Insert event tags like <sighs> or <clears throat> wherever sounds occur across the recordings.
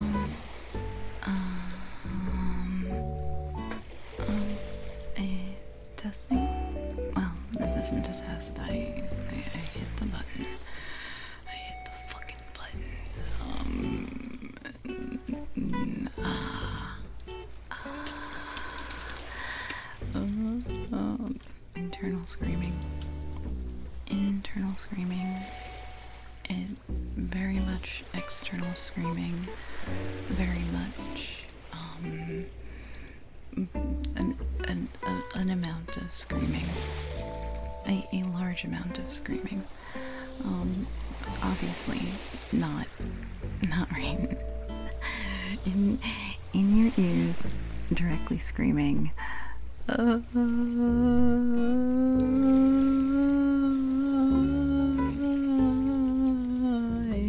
Um, um, testing? Well, this isn't a test. I, I, hit the button. I hit the fucking button. Um, uh, uh, uh, internal screaming. Internal screaming it very much external screaming, very much um, an, an, an amount of screaming, a, a large amount of screaming. Um, obviously, not not <laughs> rain in in your ears, directly screaming. I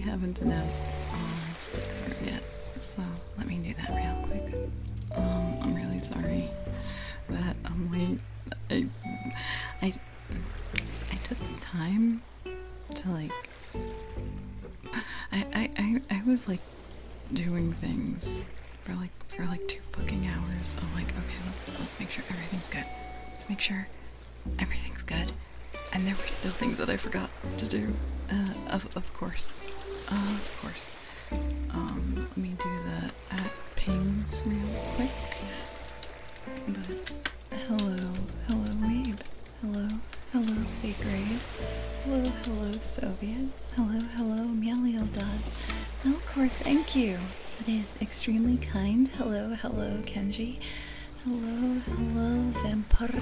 haven't announced uh, today's group yet, so let me do that real quick. Um, I'm really sorry that I'm late. I, I, I took time to like. I, I, I, I was like doing things for like for like two fucking hours I'm like, okay, let's let's make sure everything's good. Let's make sure everything's good. And there were still things that I forgot to do. Uh, of of course, of course. Um, let me do the at pings real quick. hello, hello, Wade. Hello, hello, Fake Raid. Hello, hello, Soviet. Hello, hello, Meliel Melkor, thank you. That is extremely kind. Hello, hello, Kenji. Hello, hello, Vampirex.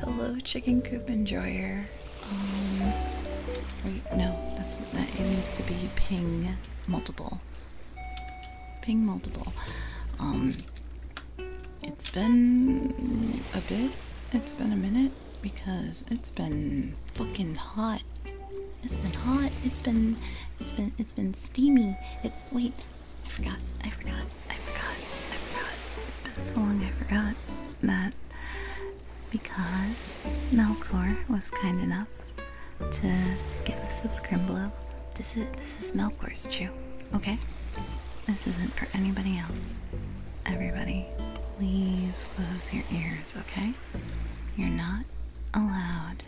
Hello, Chicken Coop Enjoyer. Um, wait, no, that. It needs to be ping multiple. Ping multiple. Um, it's been a bit. It's been a minute because it's been fucking hot. It's been hot. It's been it's been it's been steamy. It wait, I forgot. I forgot. I forgot. I forgot. It's been so long I forgot that because Melkor was kind enough to give us some scrimblow. This is this is Melkor's chew, okay? This isn't for anybody else. Everybody, please close your ears, okay? You're not allowed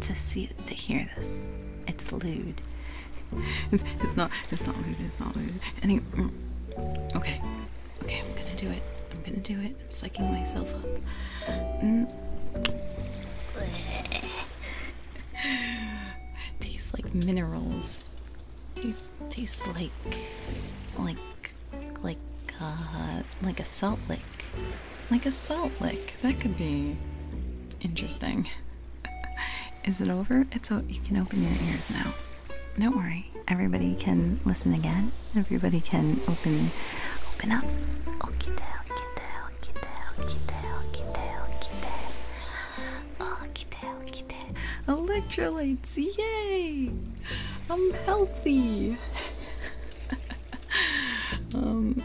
to see it, to hear this. It's lewd. <laughs> It's, not. It's not lewd. It's not lewd. Anyway, mm. okay, okay. I'm gonna do it. I'm gonna do it. I'm psyching myself up. Mm. <laughs> Tastes like minerals. Tastes tastes like like like uh, like a salt lick. Like a salt lick. That could be interesting. <laughs> Is it over? It's o you can open your ears now. Don't worry. Everybody can listen again. Everybody can open open up. Okay, Electrolytes, yay! I'm healthy. um,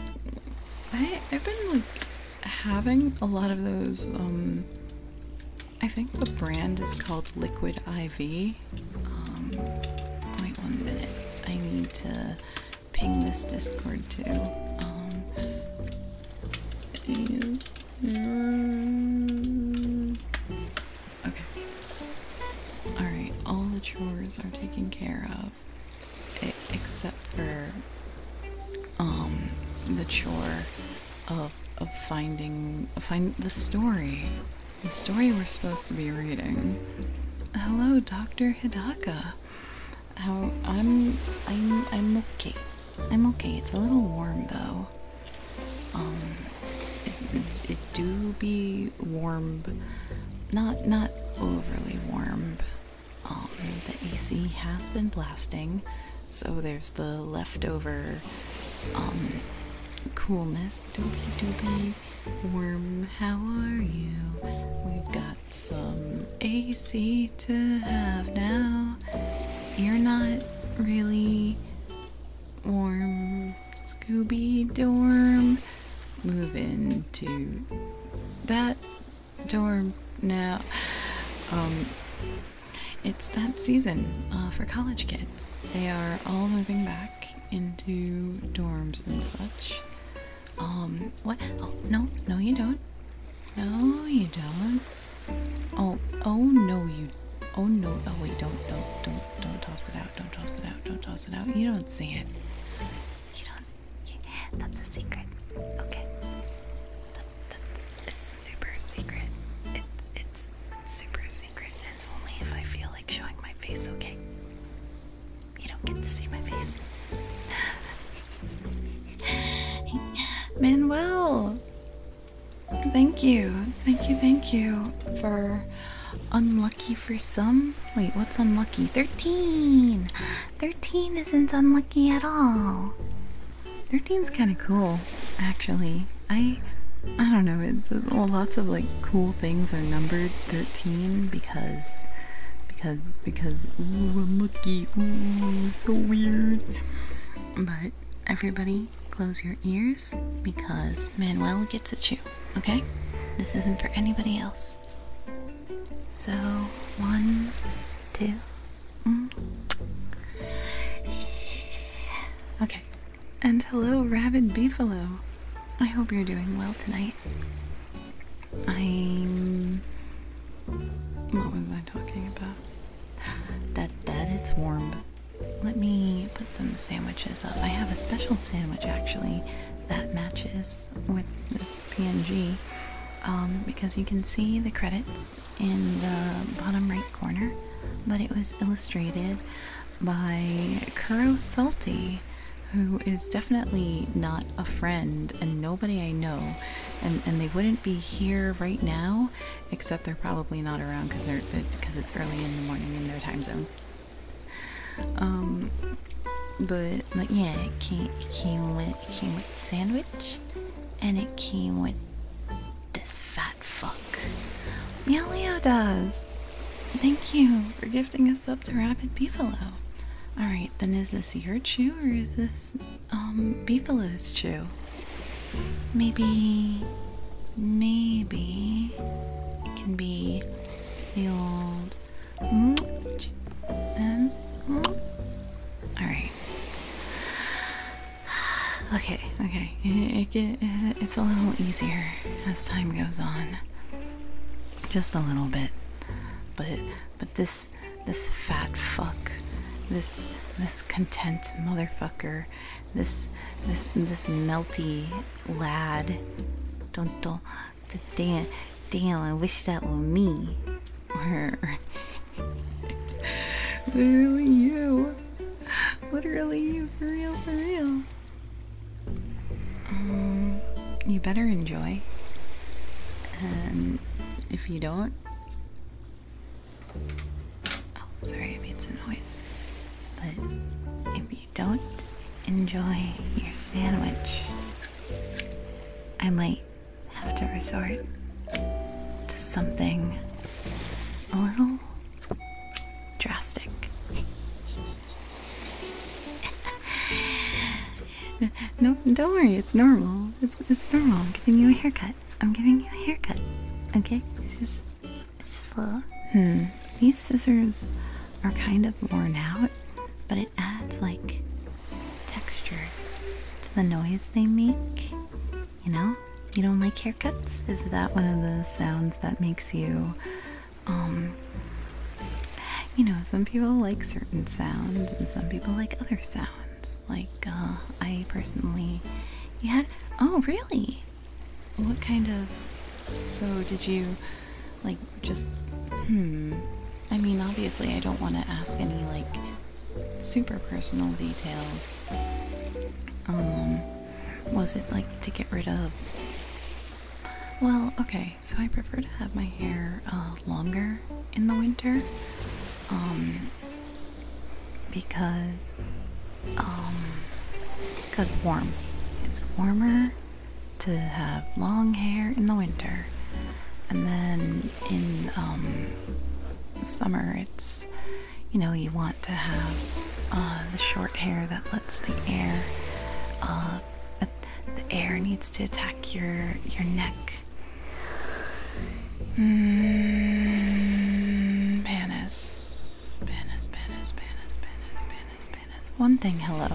I I've been like having a lot of those. Um, I think the brand is called Liquid IV. Um, wait one minute. I need to ping this Discord too. Um, Okay. Alright, all the chores are taken care of. Except for um the chore of of finding find the story. The story we're supposed to be reading. Hello, Dr. Hidaka. How I'm I'm I'm okay. I'm okay. It's a little warm though. Um, it, do be warm, not not overly warm. Um, the AC has been blasting, so there's the leftover um, coolness. Do be do be warm. how are you? We've got some AC to have now. You're not really warm Scooby dorm. Move into that dorm now. Um, it's that season uh, for college kids. They are all moving back into dorms and such. Um, what? Oh, no, no, you don't. No, you don't. Oh, oh, no, you Oh no! Oh wait! Don't don't don't don't toss it out! Don't toss it out! Don't toss it out! You don't see it. You don't. You, eh, that's a secret. Okay. that's it's super secret. It's it's super secret, and only if I feel like showing my face. Okay. You don't get to see my face. <laughs> Manuel, Thank you. Thank you, thank you for unlucky for some. Wait, what's unlucky? 13! 13 isn't unlucky at all. 13's kind of cool, actually. I I don't know, it's well, lots of like cool things are numbered 13 because because because ooh, unlucky. Ooh, so weird. But everybody close your ears because Manuel gets at you, okay? This isn't for anybody else. So, one, two. Mm. Okay. And hello, Rabid buffalo. I hope you're doing well tonight. I'm. What was I talking about? That that it's warm. Let me put some sandwiches up. I have a special sandwich actually that matches with this PNG um, because you can see the credits in the bottom right corner, but it was illustrated by Kuro Salty, who is definitely not a friend and nobody I know. And, and they wouldn't be here right now, except they're probably not around because they're because it's early in the morning in their time zone. Um, but yeah, it came with it came with sandwich, and it came with this fat fuck. Meow Leo does. Thank you for gifting us up to Rapid Beefalo. Alright, then is this your chew or is this um Beefalo's chew? Maybe Maybe it can be the old. Alright. <sighs> Okay, okay. It, it, it's a little easier as time goes on. Just a little bit. But but this this fat fuck, this this content motherfucker this this this melty lad. Don't don't damn damn I wish that were me. <laughs> Literally you. Literally you for real for real. Um, you better enjoy. And um, if you don't Oh, sorry I made some noise. But if don't enjoy your sandwich, I might have to resort to something a little drastic. <laughs> no, don't worry, it's normal. It's, it's normal. I'm giving you a haircut. I'm giving you a haircut. Okay? It's just hmm, these scissors are kind of worn out, but it adds like texture to the noise they make. You know, you don't like haircuts? Is that one of the sounds that makes you, um, you know, some people like certain sounds and some people like other sounds. Like, uh, I personally, you had, oh, really? What kind of... So did you, like, just... Hmm... I mean, obviously I don't want to ask any, like, super personal details. Um... Was it, like, to get rid of... Well, okay, so I prefer to have my hair, uh, longer in the winter. Um... Because... Um, because warm. It's warmer to have long hair in the winter, and then in um, summer, it's you know you want to have uh, the short hair that lets the air. Uh, the air needs to attack your your neck. Mm, one thing, hello.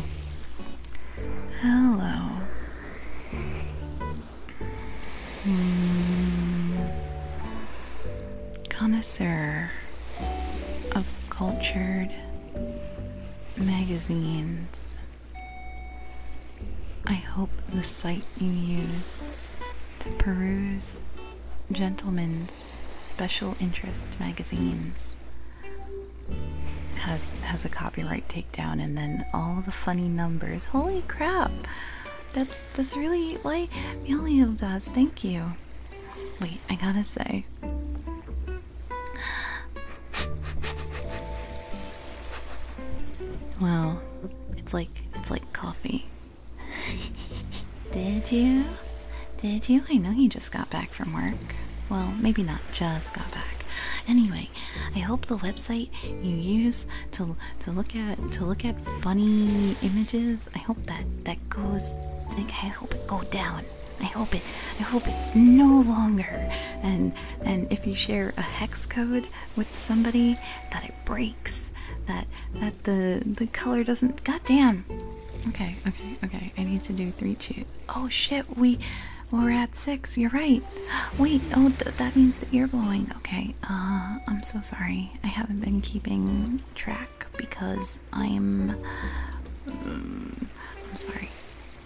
Hello. Hmm. Connoisseur of cultured magazines. I hope the site you use to peruse gentlemen's special interest magazines has has a copyright takedown and then all the funny numbers. Holy crap! That's that's really why Meliel does, thank you. Wait, I gotta say. Well, It's like it's like coffee. <laughs> Did you? Did you? I know he just got back from work. Well, maybe not just got back. Anyway, I hope the website you use to to look at to look at funny images. I hope that that goes. Like, I hope it go down. I hope it. I hope it's no longer. And and if you share a hex code with somebody, that it breaks. That that the the color doesn't. God damn. Okay, okay, okay. I need to do three chews. Oh shit, we we're at six. You're right. <gasps> Wait, oh, that means that you're blowing. Okay, uh, I'm so sorry. I haven't been keeping track because I'm. Mm, I'm sorry.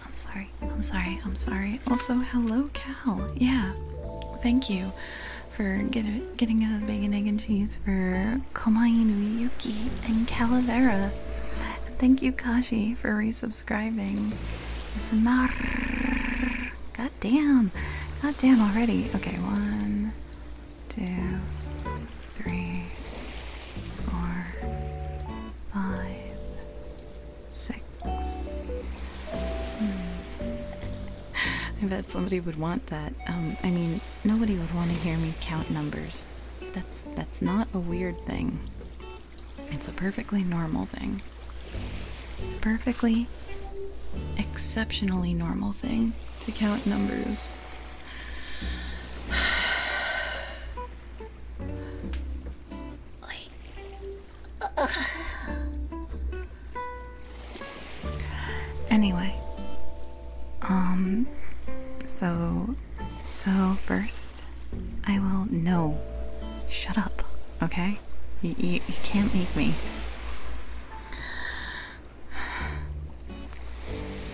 I'm sorry. I'm sorry. I'm sorry. Also, hello, Cal. Yeah, thank you for get, getting a bacon, egg, and cheese for Komainu, Yuki, and Calavera. thank you, Kashi, for resubscribing. Smar. God damn. God damn already. Okay, one, two, three, four, five, six. Hmm. <laughs> I bet somebody would want that. Um, I mean, nobody would want to hear me count numbers. That's that's not a weird thing. It's a perfectly normal thing. It's a perfectly exceptionally normal thing to count numbers. <sighs> Anyway, um, so, so first, I will. No. Shut up, okay? You, you, you can't make me.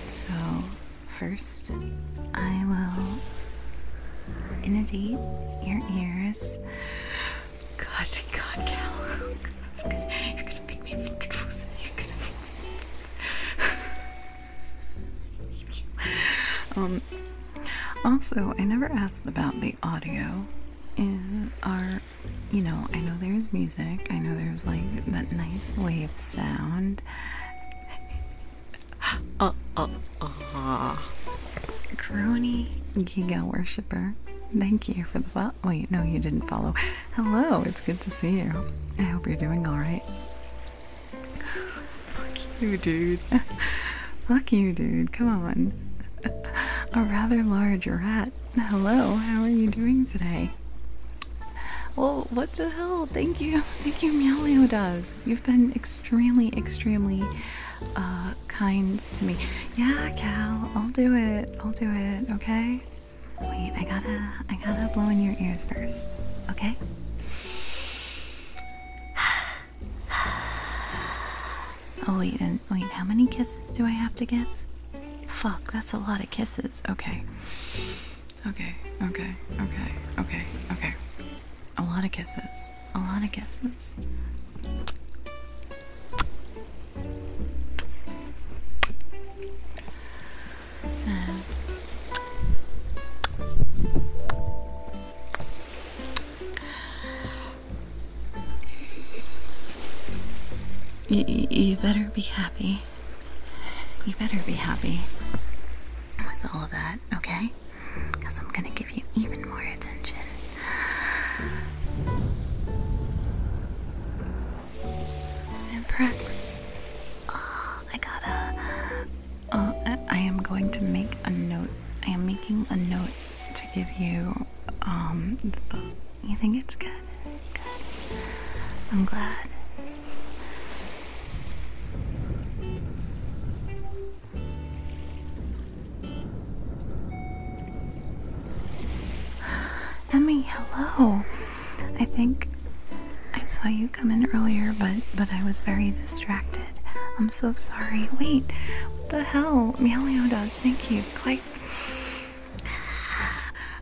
So, first, I will inundate your ears. God, God, Cal. You're <laughs> gonna, you're gonna make me fucking lose it. You're gonna <laughs> Um, also, I never asked about the audio in our. You know, I know there's music. I know there's like that nice wave sound. uh, uh, uh. Crony Giga Worshipper, thank you for the follow. Wait, no, you didn't follow. Hello, it's good to see you. I hope you're doing alright. <laughs> Fuck you, dude. <laughs> Fuck you, dude. Come on. <laughs> A rather large rat. Hello, how are you doing today? Well, what the hell? Thank you. Thank you, Meowlio does. You've been extremely, extremely uh, kind to me. Yeah, Cal, I'll do it. I'll do it, okay? Wait, I gotta, I gotta blow in your ears first, okay? <sighs> Oh wait, wait, how many kisses do I have to give? Fuck, that's a lot of kisses. Okay. Okay, okay, okay, okay, okay. A lot of kisses. A lot of kisses you, better be happy. You better be happy with all of that, okay? Because I'm going to give you even more attention. And practice. I gotta. I, am going to make a note. I am making a note to give you. Um, the book. You think it's good? Good. I'm glad. <sighs> Emmy, hello. I think I saw you come in earlier, but but I was very distracted. I'm so sorry. Wait, what the hell? Meowlio does. Thank you. Quite.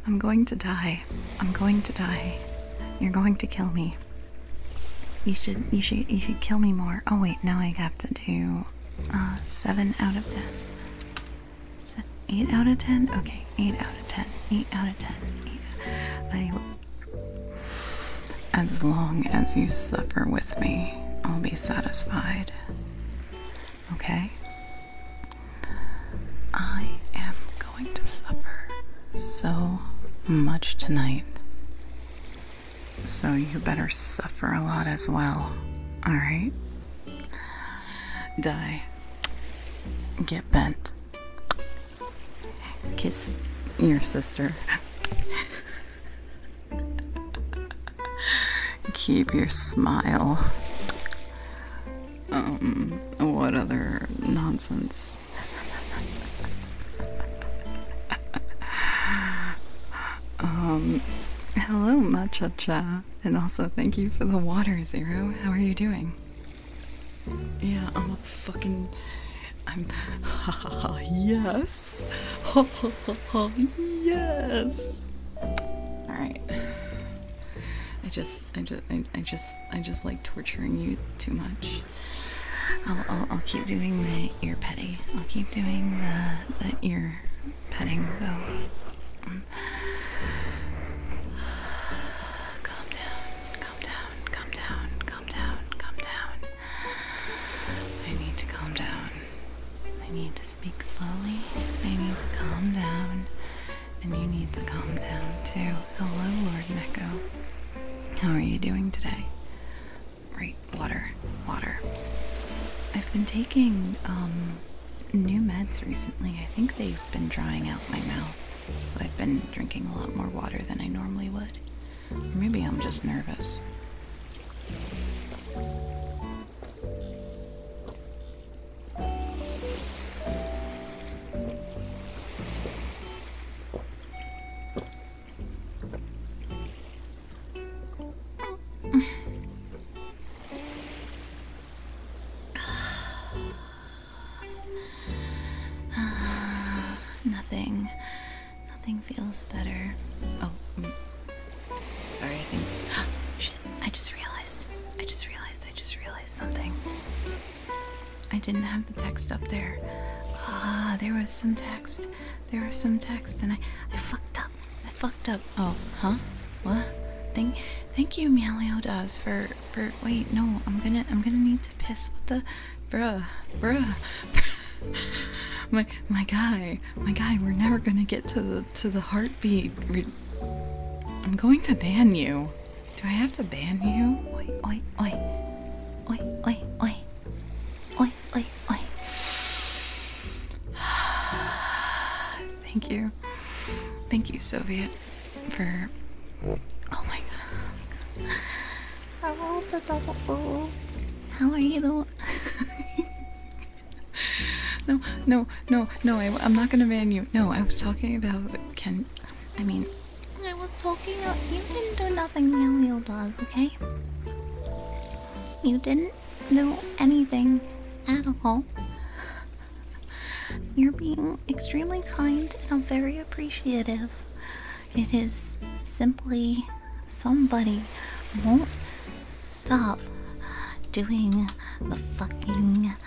I'm going to die. I'm going to die. You're going to kill me. You should you should you should kill me more. Oh wait, now I have to do uh, seven out of ten. Se 8 out of 10? Okay, 8 out of 10. 8 out of 10. I, as long as you suffer with me, I'll be satisfied. Okay? I am going to suffer so much tonight. So you better suffer a lot as well. Alright? Die. Get bent. Kiss your sister. Keep your smile. Um, what other nonsense? um, hello, Machacha, and also thank you for the water, Zero. How are you doing? Yeah, I'm a fucking. I'm. <laughs> yes! <laughs> yes! Alright. I just. I just. I, just. I just like torturing you too much. I'll, I'll, I'll keep doing the ear petting. I'll keep doing the, the ear petting, though. <sighs> Calm down, calm down, calm down, calm down, calm down. I need to calm down. I need to speak slowly. I need to calm down. And you need to calm down too. Hello, Lord Neko. How are you doing today? Right, water, water. I've been taking um, new meds recently. I think they've been drying out my mouth so I've been drinking a lot more water than I normally would. Or maybe I'm just nervous. <sighs> nothing. Nothing feels better. Oh, mm. sorry. I <gasps> think. I just realized. I just realized. I just realized something. I didn't have the text up there. Ah, there was some text. There was some text, and I, I fucked up. I fucked up. Oh, huh? What? Thank, thank you, Meowlio for for wait no i'm gonna i'm gonna need to piss with the bruh bruh, <laughs> my my guy my guy we're never gonna get to the to the heartbeat i'm going to ban you do i have to ban you oi oi oi oi oi oi oi oi oi <sighs> thank you thank you soviet for. Oh my god. I rolled the double. How are you though? no, no, no, no, I, am not gonna ban you. No, I was talking about Ken. I mean, I was talking about. You didn't do nothing Melio does, okay? You didn't do anything at all. You're being extremely kind and I'm very appreciative. It is simply somebody won't stop doing the fucking. <laughs>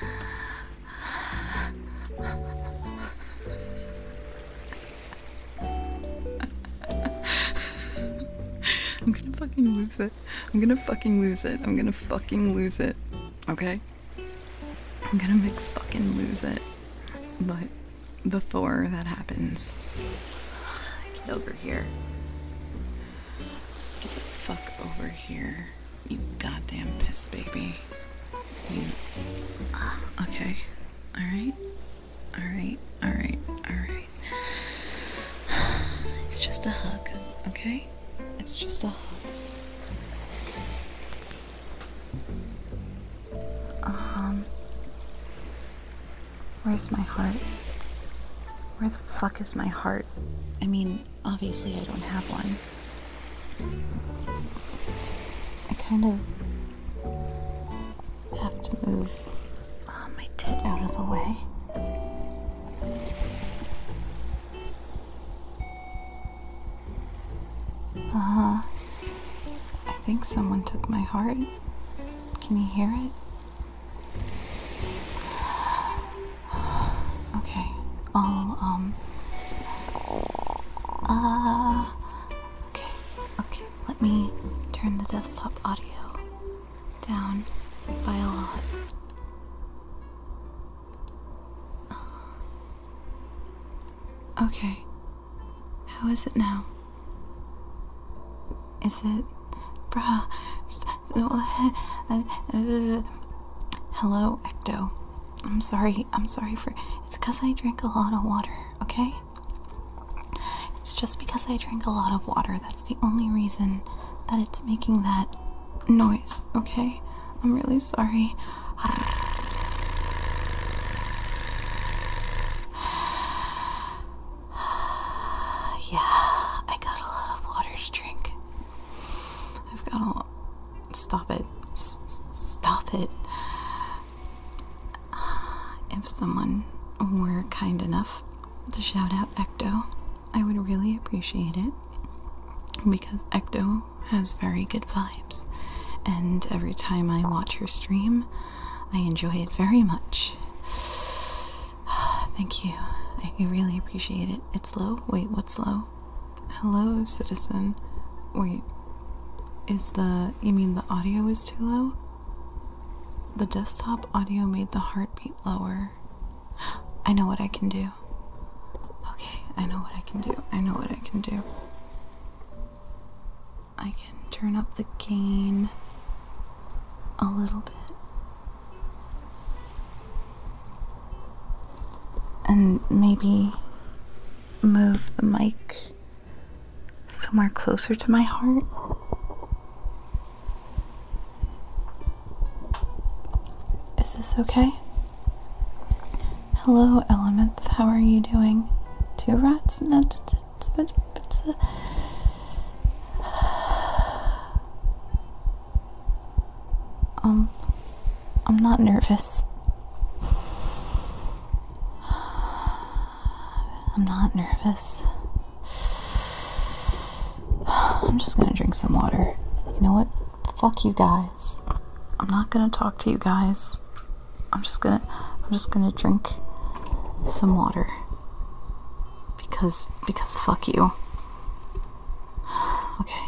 I'm gonna fucking lose it. I'm gonna fucking lose it. I'm gonna fucking lose it. Okay? I'm gonna make fucking lose it. But before that happens, get over here. Get the fuck over here, you goddamn piss baby. You. Okay. Alright. Alright. Alright. Alright. It's just a hug, okay? It's just a hug. Um. Where's my heart? Where the fuck is my heart? I mean, obviously, I don't have one. I kind of have to move um, my tit out of the way. Uh huh. I think someone took my heart. Can you hear it? <sighs> Okay, I'll, um. Uh. Okay, okay, let me turn the desktop audio down by a lot. Okay. How is it now? Is it. Bruh. Uh, hello, Ecto. I'm sorry. I'm sorry for. It's because I drink a lot of water, okay? It's just because I drink a lot of water. That's the only reason that it's making that noise, okay? I'm really sorry. <sighs> Yeah, I got a lot of water to drink. I've got a Stop it. stop it. <sighs> If someone were kind enough to shout out Ecto, I would really appreciate it because Ecto has very good vibes, and every time I watch her stream, I enjoy it very much. <sighs> Thank you. I really appreciate it. It's low? Wait, what's low? Hello, citizen. Wait. Is the. You mean the audio is too low? The desktop audio made the heartbeat lower. <gasps> I know what I can do. Okay, I know what I can do. I know what I can do. I can turn up the gain a little bit. And maybe move the mic somewhere closer to my heart. Is this okay? Hello, Elementh. How are you doing? Two rats? No, it's a... Um, I'm not nervous. I'm not nervous. I'm just gonna drink some water. You know what? fuck you guys. I'm not gonna talk to you guys. I'm just gonna I'm just gonna drink some water. Because because fuck you. <sighs> Okay.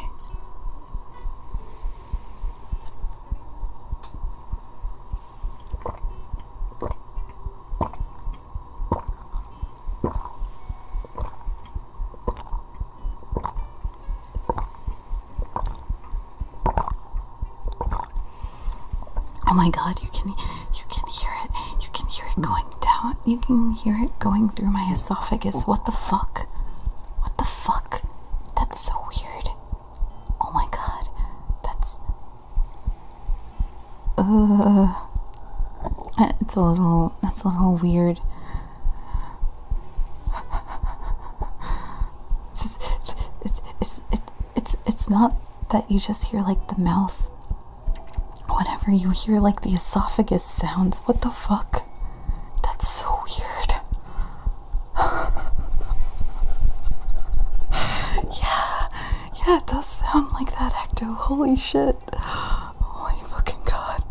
Oh my god, you can you can hear it. You can hear it going down. You can hear it going through my esophagus. What the fuck? What the fuck? That's so weird. Oh my god. That's uh it's a little that's a little weird. It's, it's, it's, it's, it's, not that you just hear like the mouth whenever you hear like the esophagus sounds. What the fuck? That's so weird. <laughs> yeah, yeah, it does sound like that, Ecto. Holy shit. <gasps> Holy fucking god.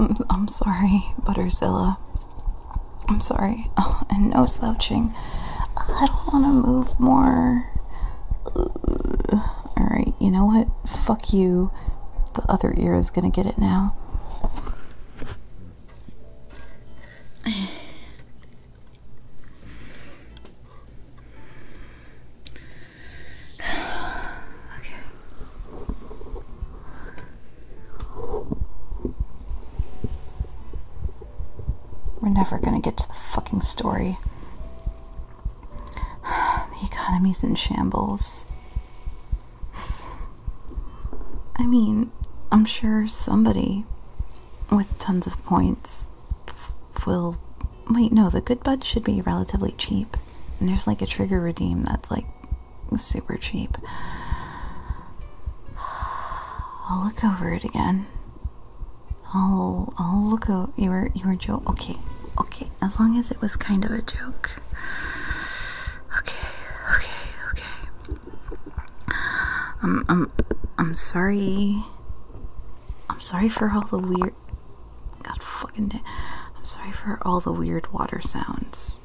I'm, I'm sorry, Butterzilla. I'm sorry. and no slouching. I don't want to move more. Alright, you know what? Fuck you. The other ear is gonna get it now. <sighs> We're never gonna get to the fucking story. <sighs> The economy's in shambles. <sighs> I mean, I'm sure somebody with tons of points will. Wait, no, the good bud should be relatively cheap. And there's like a trigger redeem that's like super cheap. I'll look over it again. I'll I'll look over you were you were joke okay. Okay, as long as it was kind of a joke. Okay, okay, okay. I'm um, I'm um, I'm sorry. I'm sorry for all the weird God fucking damn. I'm sorry for all the weird water sounds.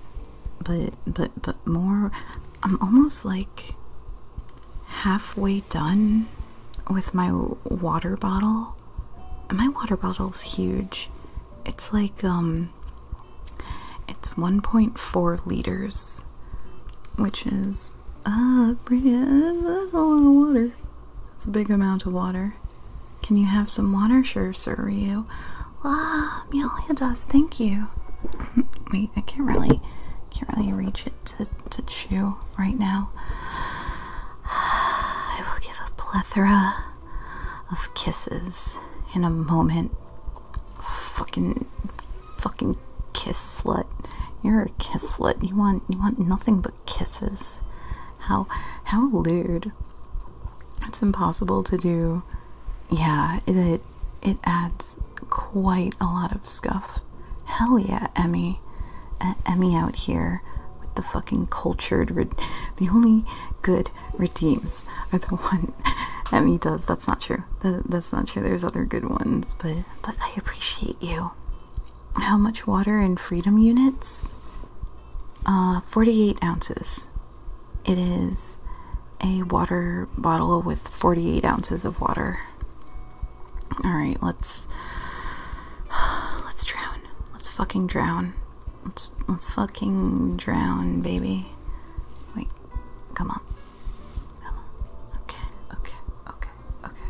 But, but, but more. I'm almost like halfway done with my water bottle. my water bottle's huge. It's like, um, it's 1.4 liters, which is, uh, that's a lot of water. It's a big amount of water. Can you have some water? Sure, Sir Ryu. Ah, Meolia does, thank you. <laughs> Wait, I can't really can't really reach it to, to chew right now. <sighs> I will give a plethora of kisses in a moment. Fucking fucking kiss slut. You're a kiss slut. You want you want nothing but kisses. How how lewd. It's impossible to do. Yeah, it it adds quite a lot of scuff. Hell yeah, Emmy. Emmy out here with the fucking cultured. The only good redeems are the <laughs> one Emmy does. That's not true. that's not true. There's other good ones, but but I appreciate you. How much water in freedom units? Uh, 48 ounces. It is a water bottle with 48 ounces of water. All right, let's let's drown. Let's fucking drown. Let's let's fucking drown, baby. Wait, come on. Come on. Okay, okay, okay, okay.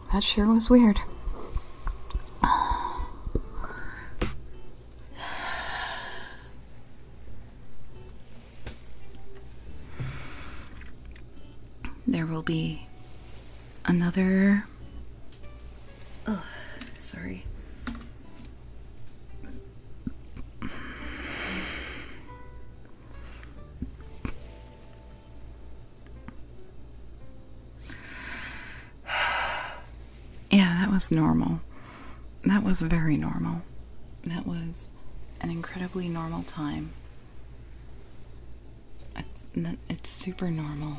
That sure was weird. There will be another. Ugh, sorry yeah, that was normal. That was very normal. That was an incredibly normal time. It's, super normal.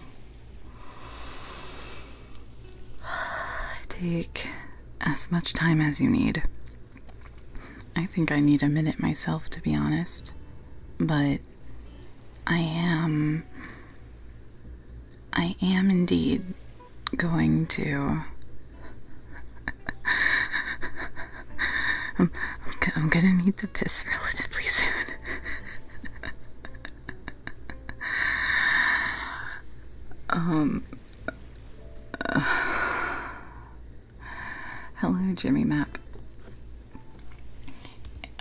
<sighs> Take as much time as you need. I think I need a minute myself, to be honest. But I am. I am indeed going to. <laughs> I'm, I'm gonna need to piss relatively <laughs> soon. um. <sighs> hello, Jimmy Map.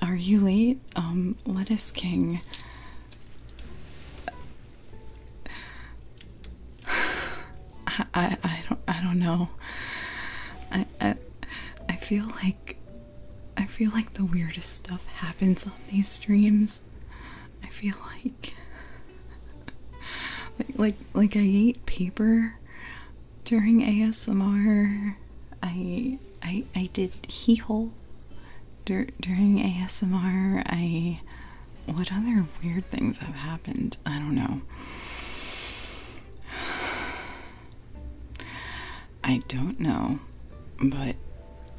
Are you late? Um, Lettuce King. <sighs> I, I, don't I don't know. I, I I feel like I feel like the weirdest stuff happens on these streams. I feel like <laughs> like like, like I ate paper during ASMR. I I I did hee hole during ASMR. I what other weird things have happened? I don't know. <sighs> I don't know, but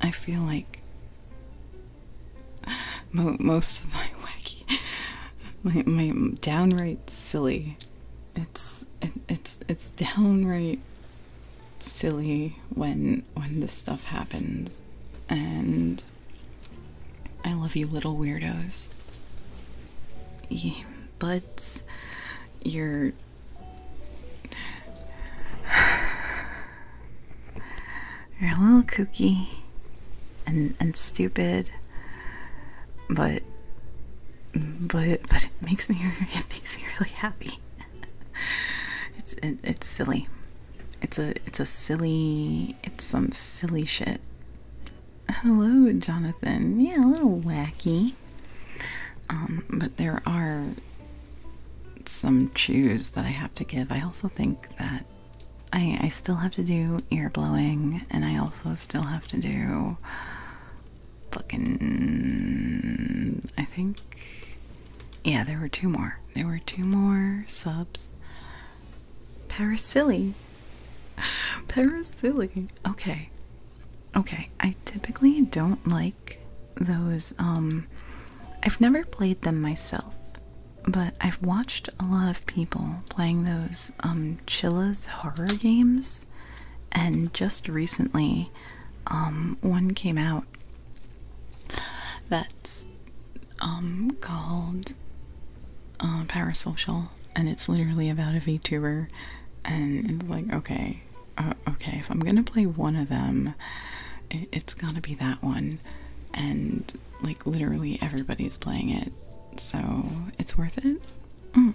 I feel like most of my wacky, <laughs> my, my downright silly it's it's it's downright silly when when this stuff happens and I love you little weirdos. but you're <sighs> you're a little kooky and and stupid but but but it makes me <laughs> it makes me really happy <laughs> it's it's silly. It's a it's a silly it's some silly shit. Hello, Jonathan. Yeah, a little wacky. Um, but there are some chews that I have to give. I also think that I I still have to do ear blowing and I also still have to do fucking. I think. Yeah, there were two more. There were two more subs. Parasili. <laughs> Parasili. Okay. Okay. I typically don't like those. Um, I've never played them myself, but I've watched a lot of people playing those um, Chilla's horror games, and just recently um, one came out that's um, called uh, Parasocial, and it's literally about a VTuber, and it's like, okay, uh, okay, if I'm gonna play one of them, it, it's gotta be that one, and like literally everybody's playing it, so it's worth it. Mm.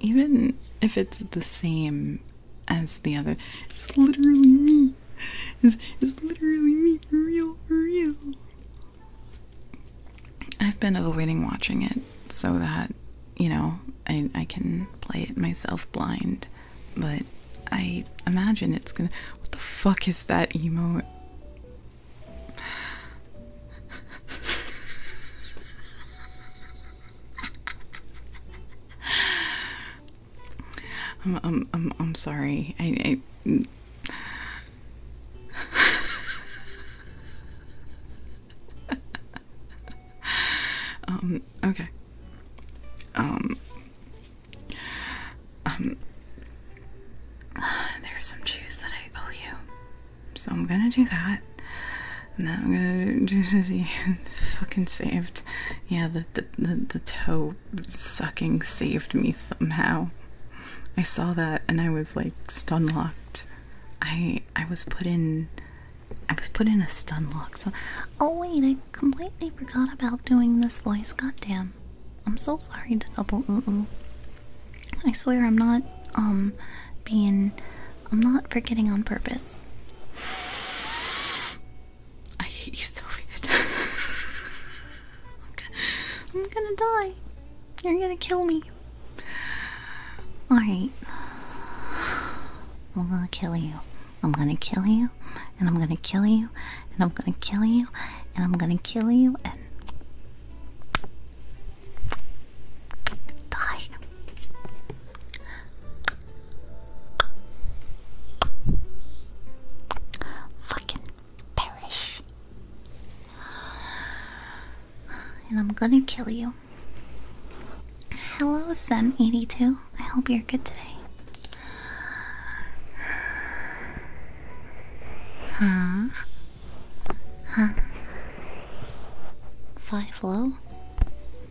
Even if it's the same as the other. It's literally me. It's, it's literally me real, real. I've been avoiding watching it so that, you know, I, I can play it myself blind, but I imagine it's gonna. What the fuck is that emote? <laughs> I'm, I'm, I'm, sorry. I. um, okay. Um, um, there's some juice that I owe you. So I'm gonna do that that. And then I'm gonna do <laughs> this fucking saved. Yeah, the, the the toe sucking saved me somehow. I saw that and I was like stun locked. I I was put in I was put in a stun lock. So oh wait, I completely forgot about doing this voice. God damn, I'm so sorry to double. Uh I swear I'm not um being I'm not forgetting on purpose. I hate you, so <laughs> much. I'm gonna die. You're gonna kill me. Alright. I'm gonna kill you. I'm gonna kill you. And I'm gonna kill you. And I'm gonna kill you. And I'm gonna kill you. And. Die. Fucking perish. And I'm gonna kill you. Hello, Sun82. I hope you're good today. Huh? Huh? Five low?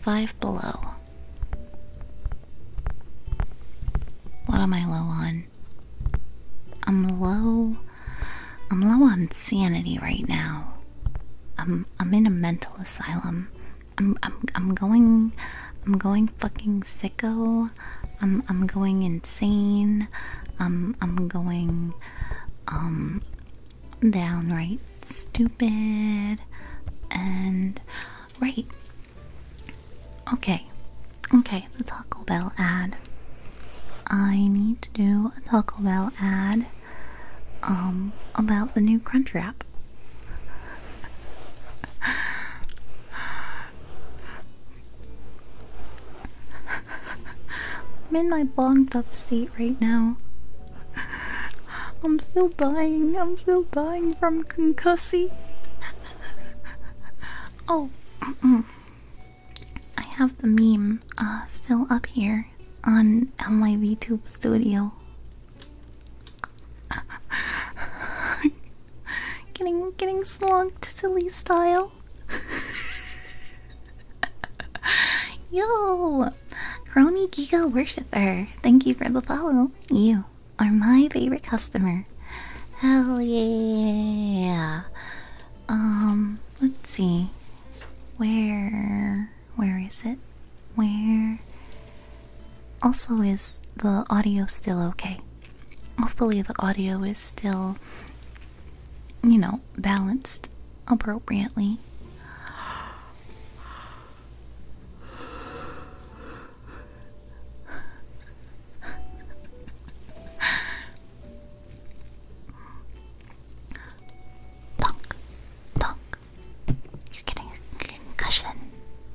Five below. What am I low on? I'm low. I'm low on sanity right now. I'm I'm in a mental asylum. I'm I'm I'm going I'm going fucking sicko. I'm I'm going insane. I'm I'm going um downright stupid and right. Okay, okay, the Taco Bell ad. I need to do a Taco Bell ad um, about the new Crunch Wrap. <laughs> I'm in my bonked up seat right now. I'm still dying. I'm still dying from concussy. oh, I have the meme uh, still up here on, my YouTube studio. <laughs> getting getting to silly style. <laughs> Yo, Crony Giga Worshipper, thank you for the follow. You are my favorite customer. Hell yeah! Um, let's see. Where where is it? Where also is the audio still okay? Hopefully the audio is still you know, balanced appropriately. Donk, donk. You're getting a concussion.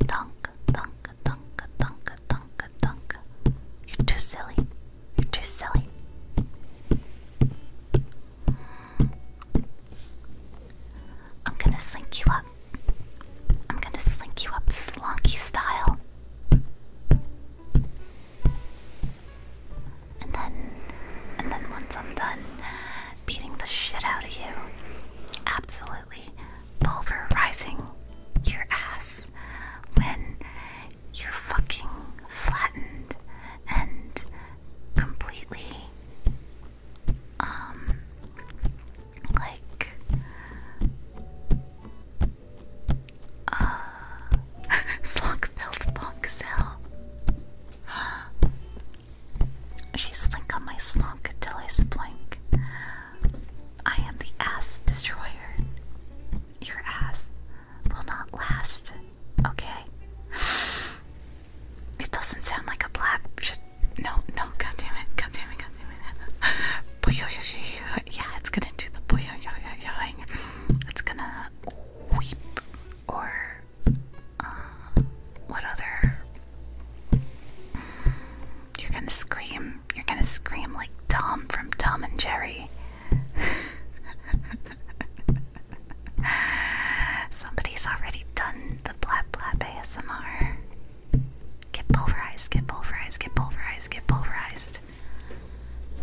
Donk, donk, donk, donk, donk, donk. You're too silly. You're too silly. I'm gonna slink you up. I'm gonna slink you up slonky style. And then, and then once I'm done beating the shit out of you, absolutely pulverizing your ass when you're fucking flattened and completely um like uh <laughs> slug built punk cell. she slink on my slunk till I splink. I am the ass destroyer. Your ass will not last. Okay. It doesn't sound like a blab. no, no, god damn it, god damn it, god damn it. <laughs> yeah, it's gonna do the boyoyoyoyoing. It's gonna weep or uh, what other? You're gonna scream. You're gonna scream like Tom from Tom and Jerry. <laughs> <laughs> Somebody's already done the blab blab ASMR. Get pulverized, get pulverized, get pulverized, get pulverized.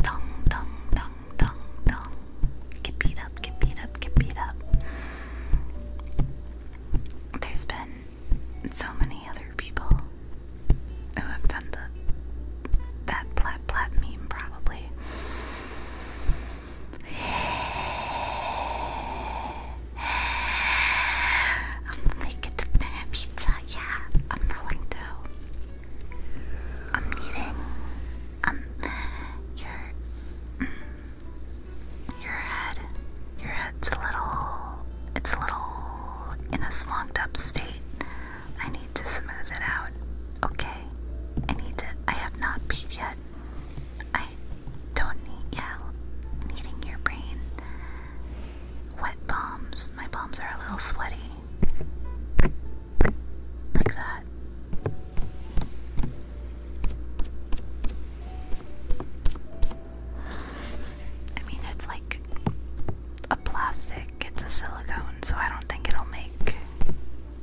Dong, dong, dong, dong, dong. Get beat up, get beat up, get beat up. There's been so many other people who have done the that blap plat meme probably. I'm making the banana pizza. Yeah, I'm rolling through. I'm needing um your your head. Your head's a little. It's a little in a slogged up state. I need to smooth it out. Okay. I need to. I have not peed yet. I don't need, yeah, needing your brain. Wet palms. My palms are a little sweaty. Like that. I mean, it's like a plastic, it's a silicone, so I don't think it'll make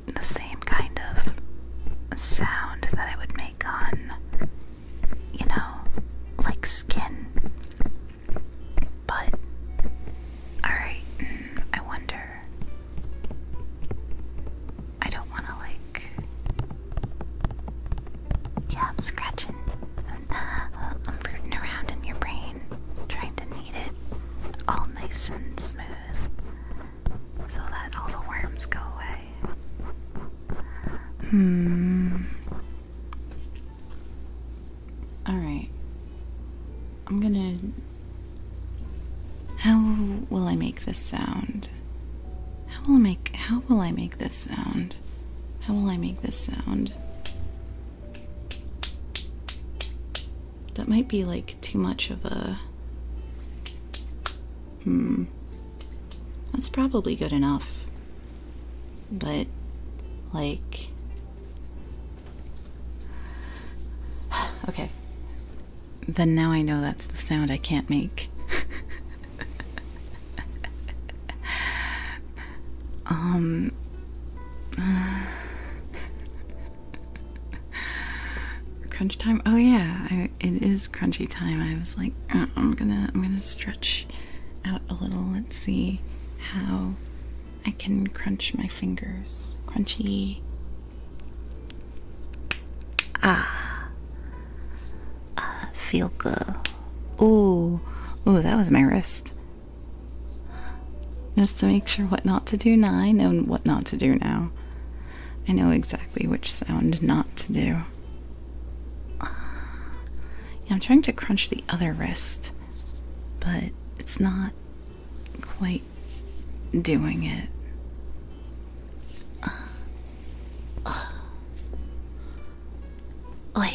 the same kind of sound that I would make on, you know, like skin. But, alright, mm, I wonder. I don't want to, like. Yeah, I'm scratching. I'm, <laughs> I'm rooting around in your brain, trying to knead it all nice and smooth so that all the worms go away. Hmm. Alright. I'm gonna. How will I make this sound? How will I make. How will I make this sound? How will I make this sound? That might be like too much of a. Hmm. That's probably good enough. But, like. okay. Then now I know that's the sound I can't make. um crunch time. Oh yeah, it is crunchy time. I was like, uh, I'm gonna, I'm gonna stretch out a little. Let's see how I can crunch my fingers. Crunchy. Ah, uh, feel good. Ooh, ooh, that was my wrist. Just to make sure what not to do now and what not to do now. I know exactly which sound not to do. I'm trying to crunch the other wrist, but it's not quite doing it. Oi.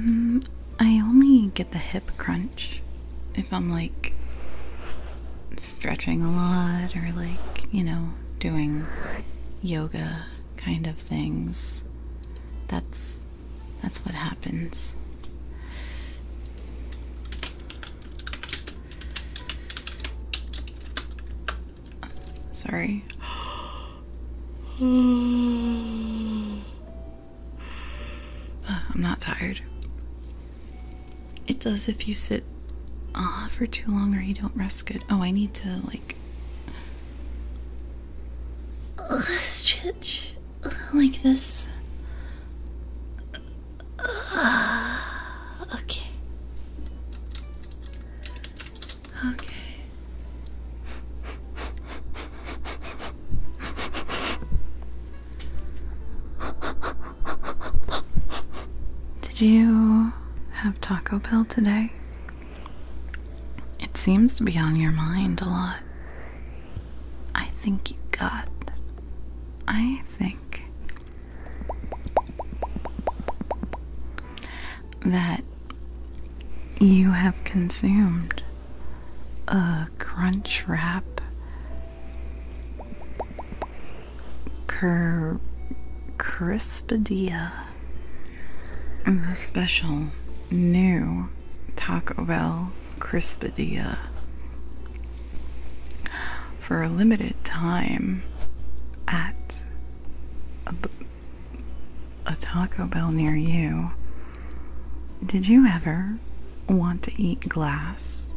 <sighs> mm, I only get the hip crunch if I'm like stretching a lot or like, you know, doing yoga kind of things. That's that's what happens. Sorry. <sighs> I'm not tired. It does if you sit uh, for too long or you don't rest good. Oh, I need to, like. stretch like this. <sighs> okay. Okay. Did you have Taco Bell today? It seems to be on your mind a lot. I think you got. I think that you have consumed a crunch wrap, cur crispadilla, special new Taco Bell crispadilla for a limited time at a Taco Bell near you. Did you ever want to eat glass?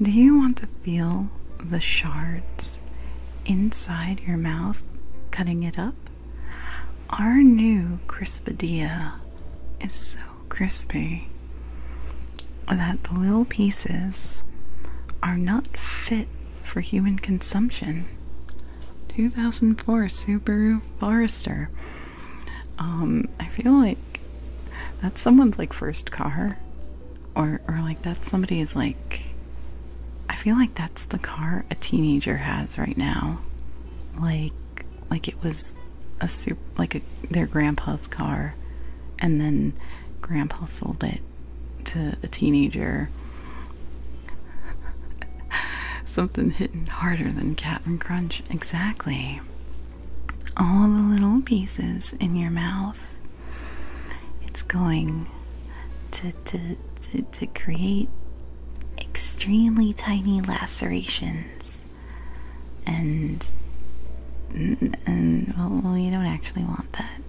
Do you want to feel the shards inside your mouth cutting it up? Our new crispadilla is so crispy that the little pieces are not fit for human consumption. 2004 Subaru Forester um, I feel like that's someone's like first car, or or like that's somebody's like. I feel like that's the car a teenager has right now, like like it was a super like a their grandpa's car, and then grandpa sold it to a teenager. <laughs> Something hitting harder than Captain Crunch. Exactly all the little pieces in your mouth. It's going to, to, to, create extremely tiny lacerations. And, and well, you don't actually want that.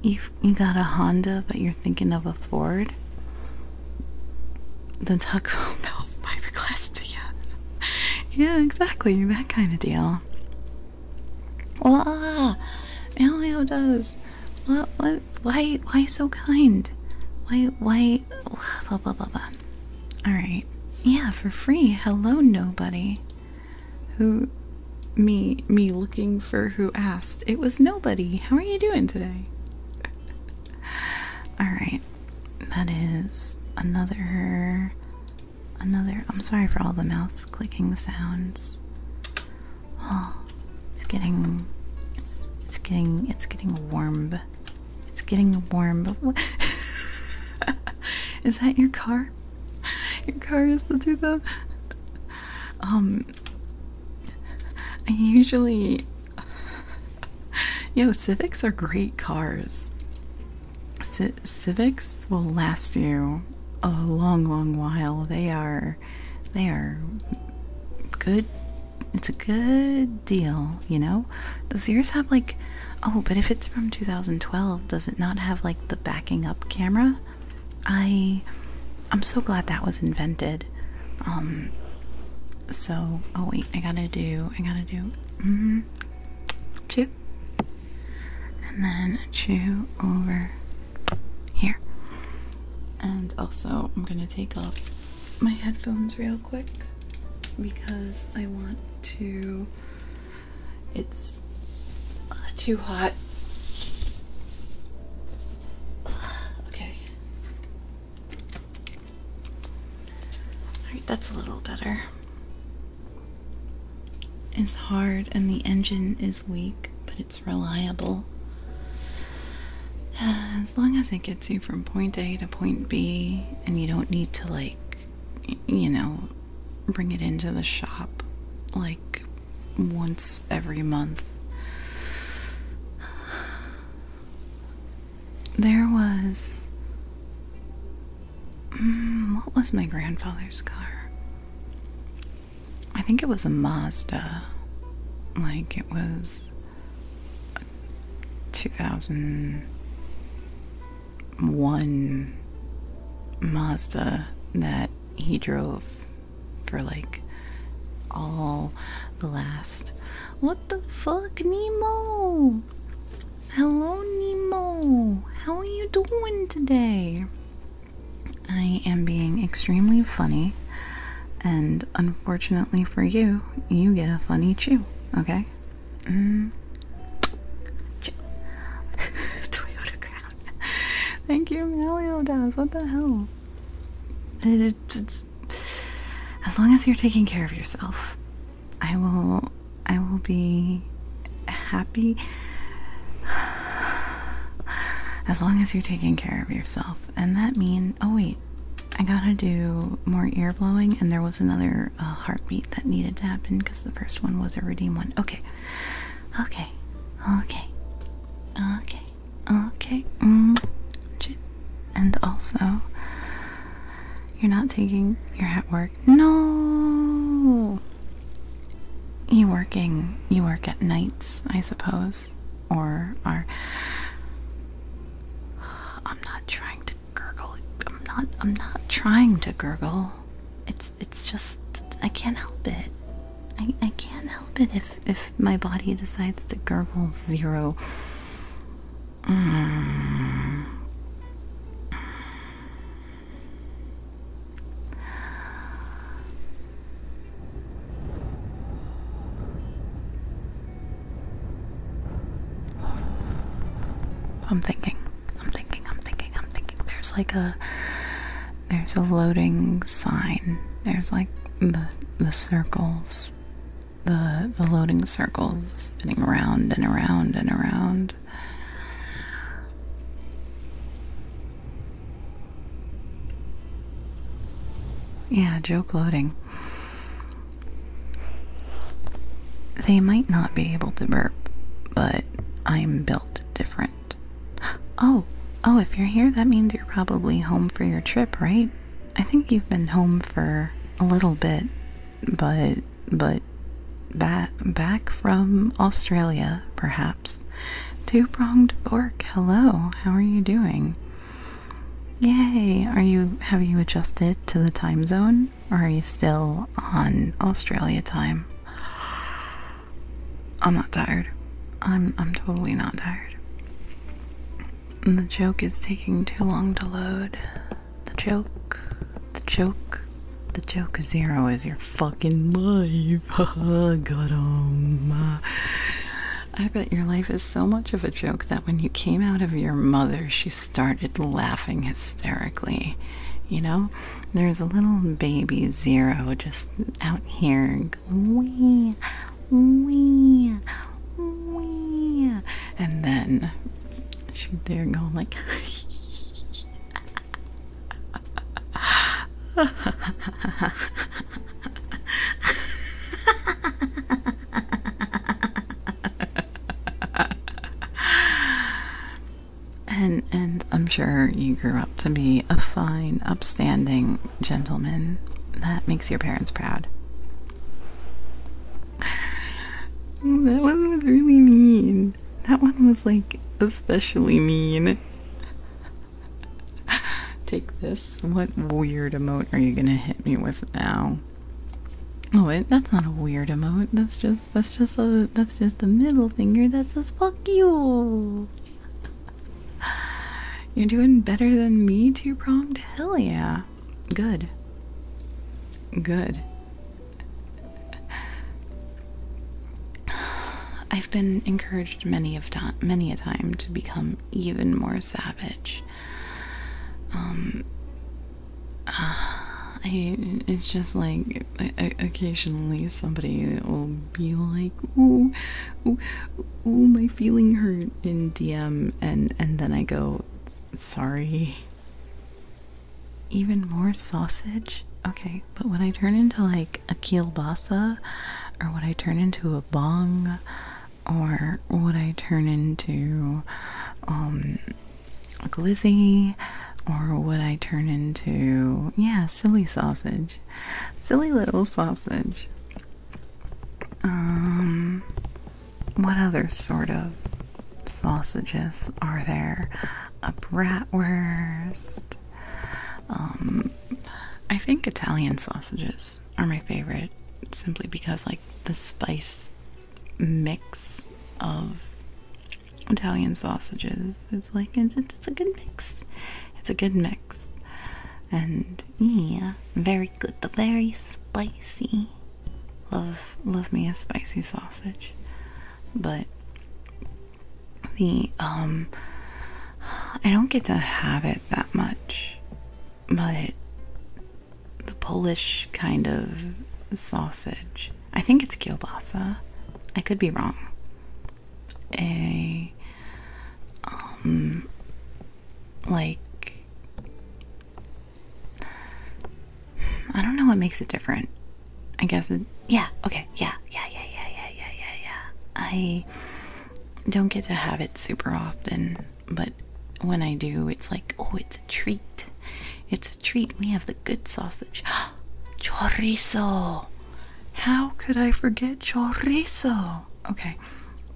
You've, you got a Honda, but you're thinking of a Ford? the Taco Bell <laughs> fiberglass yeah. yeah, exactly, that kind of deal. Well, ah, Elio does. What? What? Why? Why so kind? Why? Why? <sighs> Blah blah blah blah. All right. Yeah, for free. Hello, nobody. Who? Me? Me looking for who asked? It was nobody. How are you doing today? <laughs> All right that is another another I'm sorry for all the mouse clicking sounds. Oh, it's getting it's it's getting it's getting warm. It's getting warm. <laughs> is that your car? Your car is the 2000. Um I usually <laughs> Yo, Civics are great cars. Civics will last you a long, long while. They are, they are good. It's a good deal, you know. Does yours have like? Oh, but if it's from 2012, does it not have like the backing up camera? I, I'm so glad that was invented. Um. So, oh wait, I gotta do, I gotta do Mm -hmm. Chew. And then chew over here. And also, I'm going to take off my headphones real quick because I want to. It's uh, too hot. <sighs> Okay. Alright, that's a little better. It's hard and the engine is weak, but it's reliable. <sighs> As long as it gets you from point A to point B and you don't need to, like, you know, bring it into the shop like once every month there was. Mm, what was my grandfather's car? I think it was a Mazda. Like it was 2001 Mazda that he drove for like all the last. What the fuck, Nemo? Hello, Nemo. How are you doing today? I am being extremely funny, and unfortunately for you, you get a funny chew, okay? Mm. <laughs> Toyota Crown. Thank you, Meliodas. What the hell? it's, as long as you're taking care of yourself, I will I will be happy as long as you're taking care of yourself. And that mean oh wait, I gotta do more ear blowing and there was another uh, heartbeat that needed to happen because the first one was a redeem one. Okay. Okay. Okay. Okay. Okay. Mm and also you're not taking your hat work. No. You working. You work at nights, I suppose, or are I'm not trying to gurgle. I'm not I'm not trying to gurgle. It's it's just I can't help it. I I can't help it if if my body decides to gurgle zero I'm thinking. I'm thinking. I'm thinking. I'm thinking. There's like a there's a loading sign. There's like the the circles the the loading circles spinning around and around and around. Yeah, joke loading. They might not be able to burp, but I'm built different. <gasps> Oh, oh, if you're here, that means you're probably home for your trip, right? I think you've been home for a little bit but but back back from Australia, perhaps. Two pronged fork. Hello, how are you doing? Yay! Are you have you adjusted to the time zone, or are you still on Australia time? I'm not tired. I'm I'm totally not tired. And the joke is taking too long to load. The joke, the joke, the joke zero is your fucking life. <laughs> Got I bet your life is so much of a joke that when you came out of your mother, she started laughing hysterically. You know, there's a little baby zero just out here wee, wee, and then she's there going like and and I'm sure you grew up to be a fine, upstanding gentleman. That makes your parents proud that one was really mean. That one was like especially mean. Take this. What weird emote are you gonna hit me with now? Oh wait, that's not a weird emote. That's just that's just the that's just a middle finger that says fuck you. You're doing better than me to your Hell yeah. Good. Good. I've been encouraged many of time, many a time to become even more savage. Um, uh, it's just like occasionally somebody will be like, "Oh, oh, oh," my feeling hurt" in DM, and and then I go, "Sorry, even more sausage? Okay, but when I turn into like a kielbasa, or when I turn into a bong, or what I turn into um, a glizzy, or what I turn into, yeah, silly sausage? Silly little sausage. Um, what other sort of sausages are there? A bratwurst. Um, I think Italian sausages are my favorite simply because, like, the spice mix of Italian sausages its like it's a good mix. It's a good mix. And yeah, very good. The very spicy love love me a spicy sausage, but the um I don't get to have it that much, but the Polish kind of sausage. I think it's kielbasa. I could be wrong. A um like I don't know what makes it different. I guess it. Yeah, okay, yeah, yeah, yeah, yeah, yeah, yeah, yeah, yeah. I don't get to have it super often, but when I do, it's like, oh, it's a treat. It's a treat. We have the good sausage. <gasps> chorizo! How could I forget chorizo? Okay,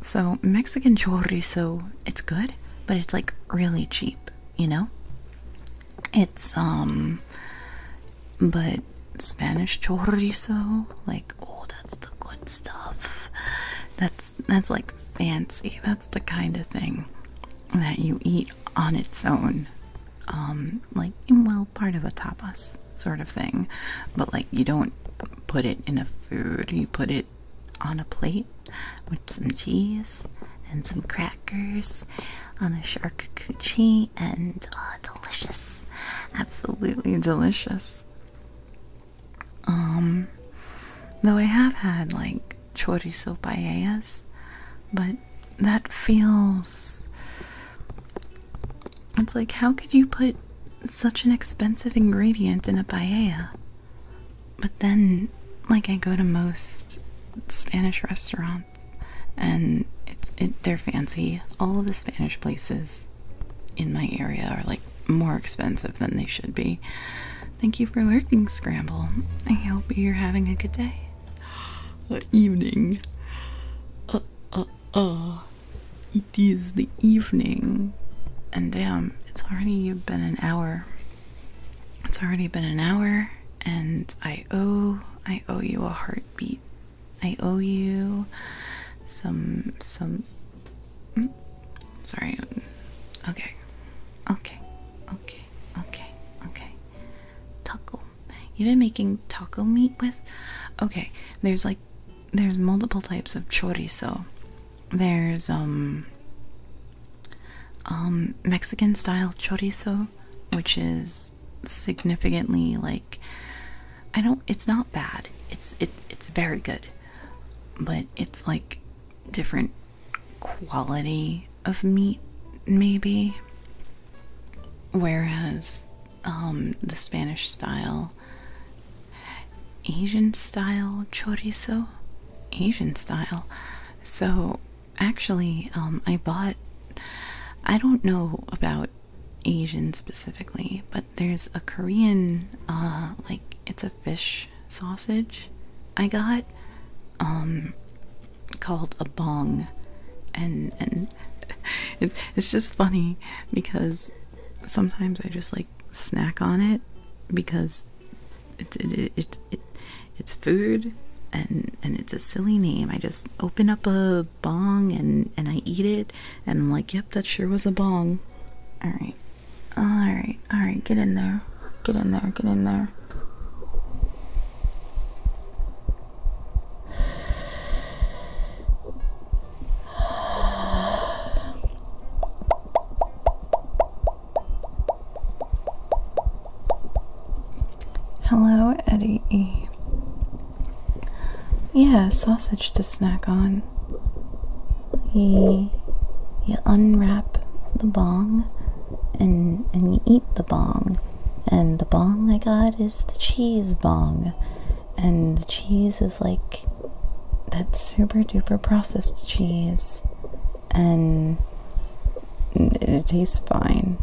so Mexican chorizo, it's good, but it's like really cheap you know? It's, um, but Spanish chorizo, like, oh, that's the good stuff. That's, that's like fancy. That's the kind of thing that you eat on its own. Um, like, well, part of a tapas sort of thing, but like, you don't put it in a food, you put it on a plate with some cheese and some crackers on a charcuterie and uh, delicious, absolutely delicious. Um, though I have had like chorizo paellas, but that feels. It's like, how could you put such an expensive ingredient in a paella? But then, like, I go to most Spanish restaurants, and it's it, they're fancy. All the Spanish places in my area are like more expensive than they should be. Thank you for working, Scramble. I hope you're having a good day. <gasps> evening. Uh, uh, uh. It is the evening. And damn, it's already been an hour. It's already been an hour and I owe I owe you a heartbeat. I owe you some some hmm? sorry. Okay. Okay. Okay. Okay. Okay. Taco. You've been making taco meat with? Okay. There's like there's multiple types of chorizo. There's um um Mexican style chorizo, which is significantly like I don't it's not bad. It's it it's very good. But it's like different quality of meat maybe whereas um the Spanish style Asian style chorizo Asian style so actually, um, I bought. I don't know about Asian specifically, but there's a Korean, uh, like it's a fish sausage. I got, um, called a bong, and and <laughs> it's it's just funny because sometimes I just like snack on it because it's it's food and and it's a silly name. I just open up a bong and and I eat it and I'm like, yep, that sure was a bong. All right, all right, all right. Get in there. Get in there. Get in there. Hello, Eddie E. Yeah, sausage to snack on. You, you unwrap the bong and, and you eat the bong. And the bong I got is the cheese bong. And cheese is like that super duper processed cheese and it tastes fine.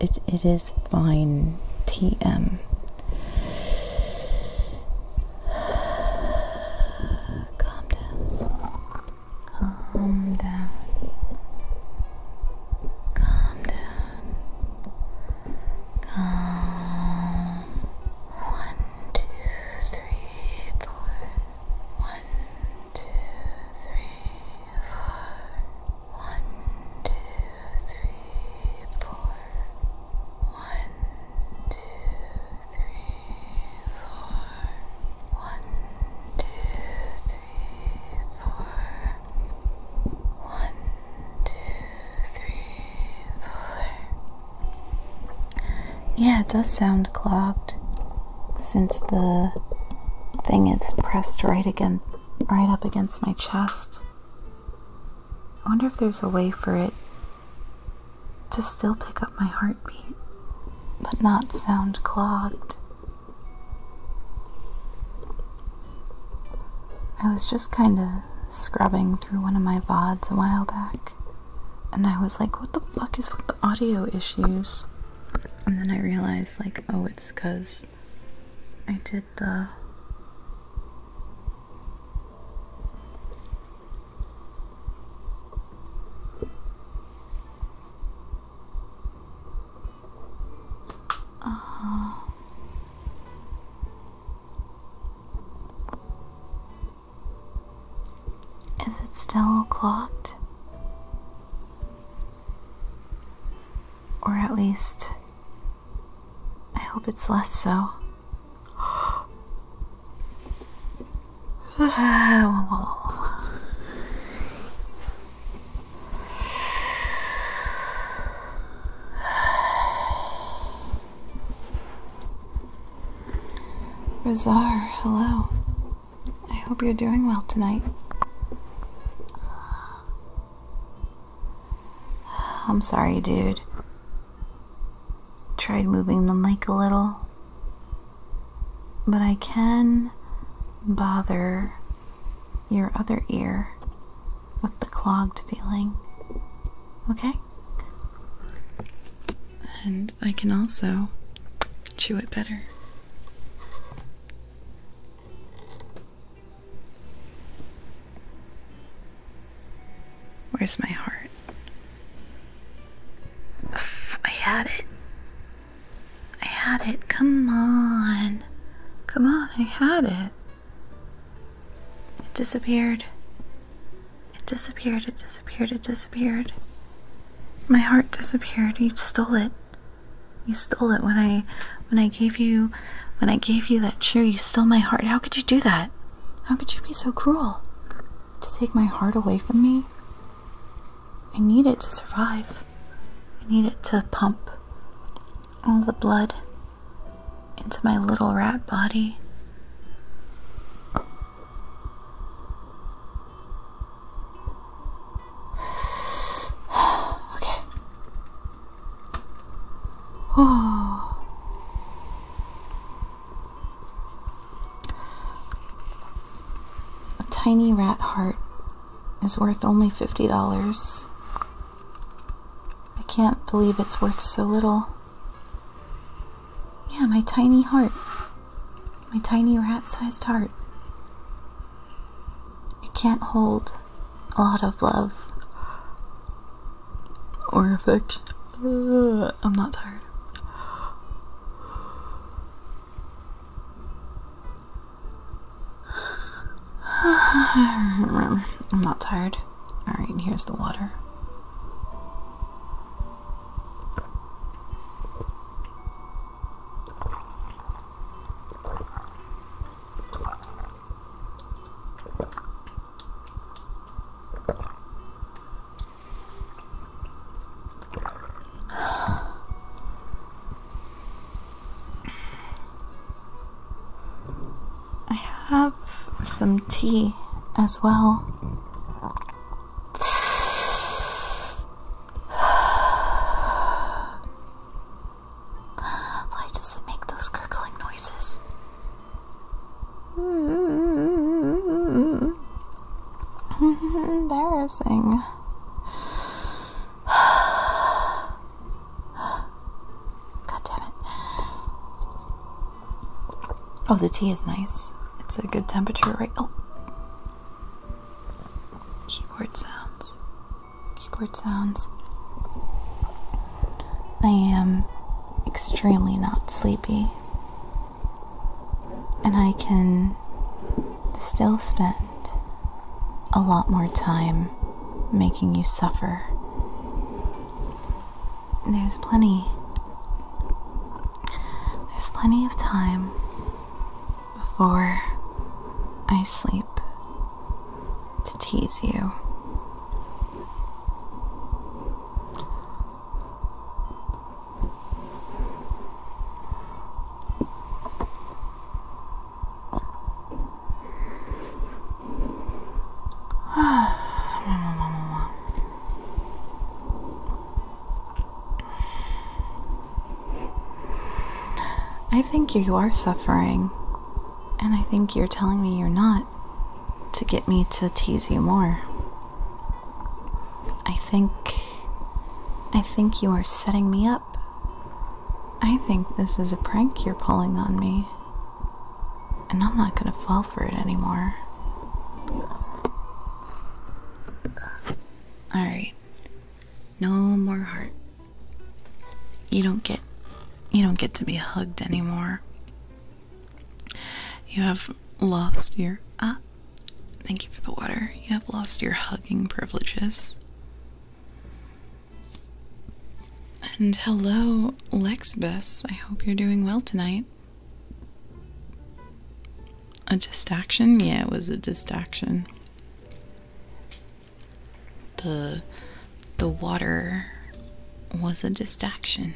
It it is fine. TM. Calm down. Calm down. Calm down. Calm. One, two, three, four. One, one, two, three, four. One, two, three, four. One, two, three, four. One, two, three, four. One, two, three, four. Yeah, it does sound clogged since the thing is pressed right again right up against my chest. I wonder if there's a way for it to still pick up my heartbeat, but not sound clogged. I was just kind of scrubbing through one of my VODs a while back, and I was like, what the fuck is with the audio issues? and then I realized, like, oh, it's because I did the. Oh. Is it still clocked? Or at least, I hope it's less so. Bizarre, <gasps> hello. I hope you're doing well tonight. <sighs> I'm sorry, dude. Tried moving the mic a little, but I can bother your other ear with the clogged feeling. Okay? And I can also chew it better. Where's my heart? <sighs> I had it. I had it. Come on. Come on, I had it. It disappeared. It disappeared, it disappeared, it disappeared. My heart disappeared. You stole it. You stole it when I when I gave you when I gave you that cheer. You stole my heart. How could you do that? How could you be so cruel? To take my heart away from me? I need it to survive. I need it to pump all the blood into my little rat body okay. Oh. A tiny rat heart is worth only $50. I can't believe it's worth so little. Yeah, my tiny heart my tiny rat sized heart. It can't hold a lot of love or affection. I'm not tired. <sighs> I'm not tired. Alright, here's the water. I have some tea as well. Why does it make those gurgling noises? Embarrassing. Oh, the tea is nice. It's a good temperature, right? Oh keyboard sounds. Keyboard sounds. I am extremely not sleepy, and I can still spend a lot more time making you suffer. There's plenty. There's plenty of time before I sleep to tease you. <sighs> <sighs> <sighs> I think you are suffering, and I think you're telling me you're not to get me to tease you more. I think. I think you are setting me up. I think this is a prank you're pulling on me, and I'm not gonna fall for it anymore. Alright, no more heart. You don't get you don't get to be hugged anymore. You have lost your ah thank you for the water. You have lost your hugging privileges. And hello, Lexbus. I hope you're doing well tonight. A distraction? Yeah, it was a distraction. The the water was a distraction.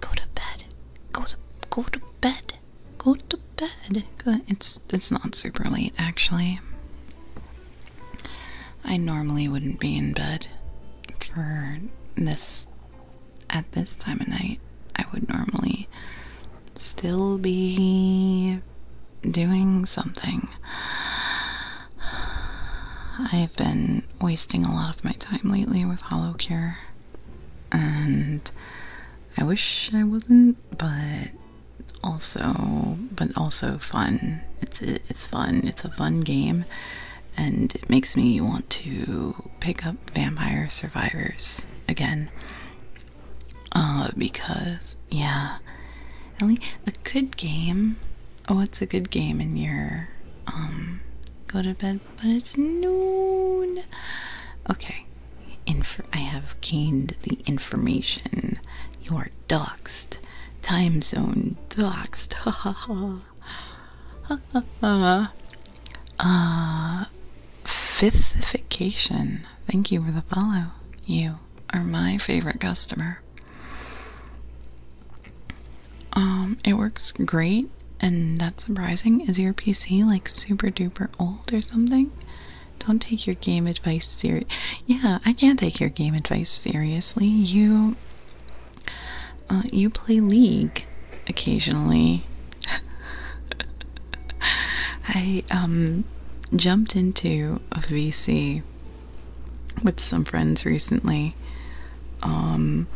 Go to bed. Go to go to bed. Go to bed. It's it's not super late actually. I normally wouldn't be in bed for this at this time of night. I would normally still be doing something. I've been wasting a lot of my time lately with Hollow Cure and I wish I would not but also, but also fun. It's it's fun. It's a fun game, and it makes me want to pick up Vampire Survivors again. Uh, because yeah, Ellie, a good game. Oh, it's a good game in your um go to bed but it's noon. Okay, for I have gained the information. You are doxed. Time zone doxed. <laughs> Ha ha ha. Ha ha ha. Uh, Thank you for the follow. You are my favorite customer. Um, it works great and that's surprising. Is your PC like super duper old or something? Don't take your game advice serious. Yeah, I can't take your game advice seriously. You, uh, you play League occasionally. <laughs> I um jumped into a VC with some friends recently, um,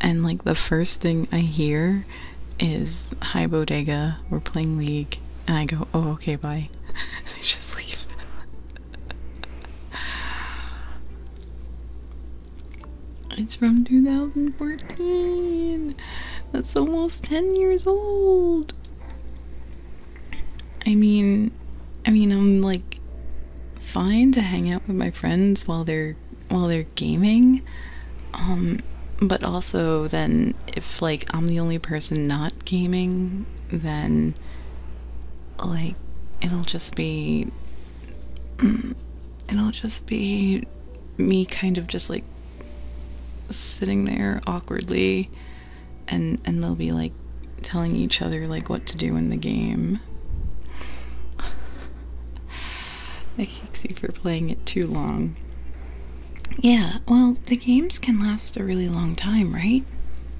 and like the first thing I hear is hi bodega, we're playing League, and I go, oh, okay, bye. <laughs> I just leave. it's from 2014. That's almost 10 years old. I mean, I mean, I'm like fine to hang out with my friends while they're while they're gaming. Um, but also then if like I'm the only person not gaming, then like it'll just be <clears throat> it'll just be me kind of just like sitting there awkwardly and and they'll be like telling each other like what to do in the game kicks you for playing it too long. Yeah, well, the games can last a really long time, right?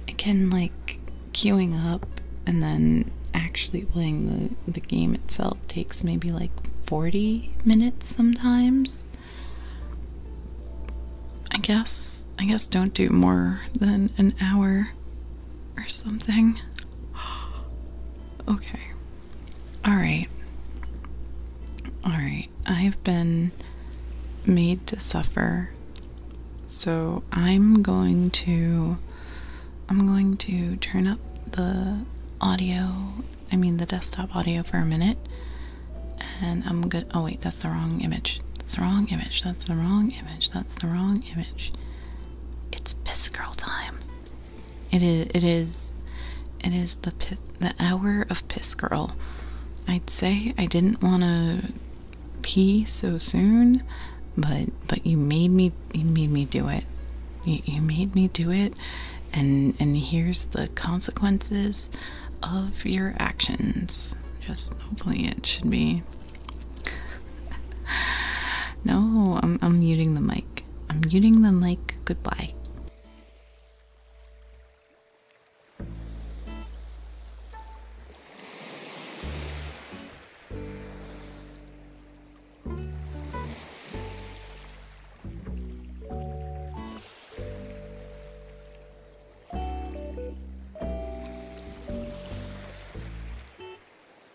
It can, like, queuing up and then actually playing the, the game itself takes maybe like 40 minutes sometimes. I guess, I guess don't do more than an hour or something. <gasps> okay. Alright. Alright. I've been made to suffer. So I'm going to. I'm going to turn up the audio. I mean, the desktop audio for a minute. And I'm good. Oh, wait, that's the wrong image. That's the wrong image. That's the wrong image. That's the wrong image. It's piss girl time. It is. It is. It is the the hour of piss girl. I'd say I didn't want to pee so soon, but but you made me. You made me do it. you made me do it, and and here's the consequences of your actions. Just hopefully it should be. <laughs> no, I'm I'm muting the mic. I'm muting the mic. Goodbye.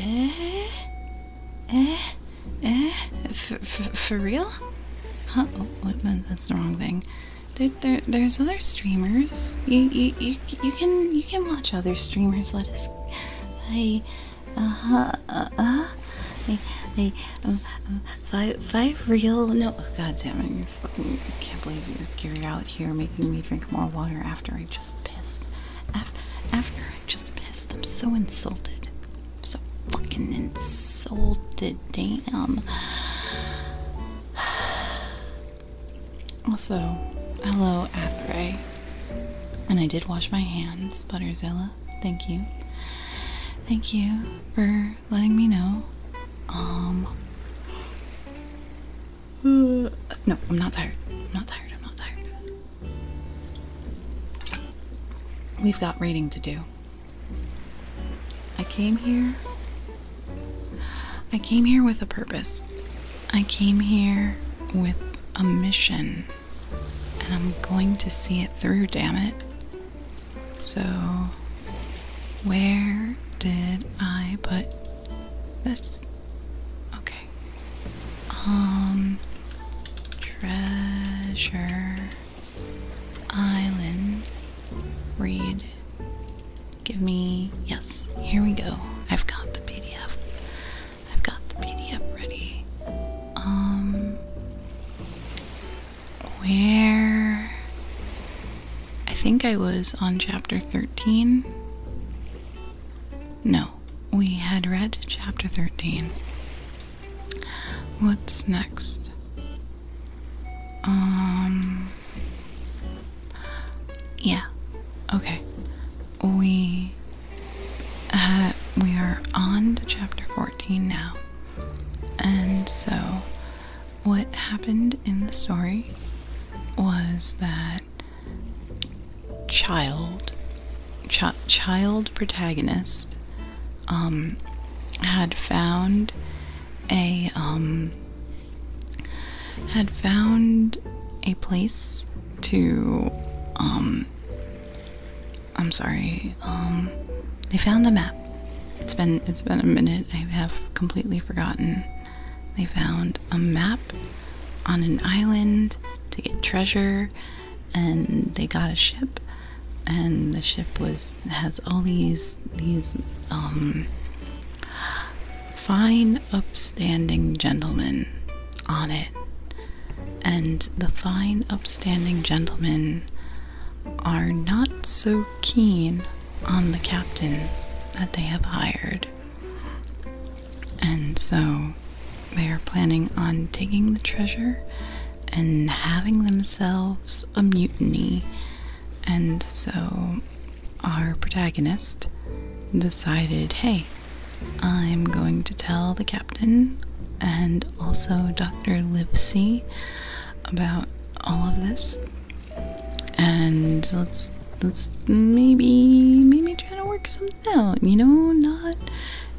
Eh? Eh? Eh? For, for, for real? Huh? Oh, wait, that's the wrong thing. There, there, there's other streamers. You, you, you, you can, you can watch other streamers. Let us. I, uh huh, uh huh. I, I, um, um, five, five real. No, god damn it! You're fucking. I can't believe you're, you're out here making me drink more water after I just pissed. After, after I just pissed, I'm so insulted. I'm so fucking insulted. Damn. Also, hello, Athray. And I did wash my hands, Butterzilla. Thank you. Thank you for letting me know. Um. Uh, no, I'm not tired. I'm not tired. I'm not tired. We've got reading to do. I came here. I came here with a purpose. I came here with a mission. And I'm going to see it through, damn it. So, where did I put this? Okay. Um, treasure. Island. Read. Give me. Yes, here we go. I've got the PDF. I've got the PDF ready. Um. Where. I think I was on chapter 13. No, we had read chapter 13. What's next? Um. Yeah. Okay. We. Uh, we are on to chapter 14 now. And so, what happened in the story was that child, child protagonist, um, had found a um had found a place to um I'm sorry um they found a map it's been it's been a minute I have completely forgotten they found a map on an island to get treasure and they got a ship and the ship was has all these these um, fine, upstanding gentlemen on it, and the fine, upstanding gentlemen are not so keen on the captain that they have hired. And so they are planning on taking the treasure and having themselves a mutiny and so our protagonist decided hey, I'm going to tell the captain and also Dr. Lipsy about all of this. And let's let's maybe maybe try to work something out, you know, not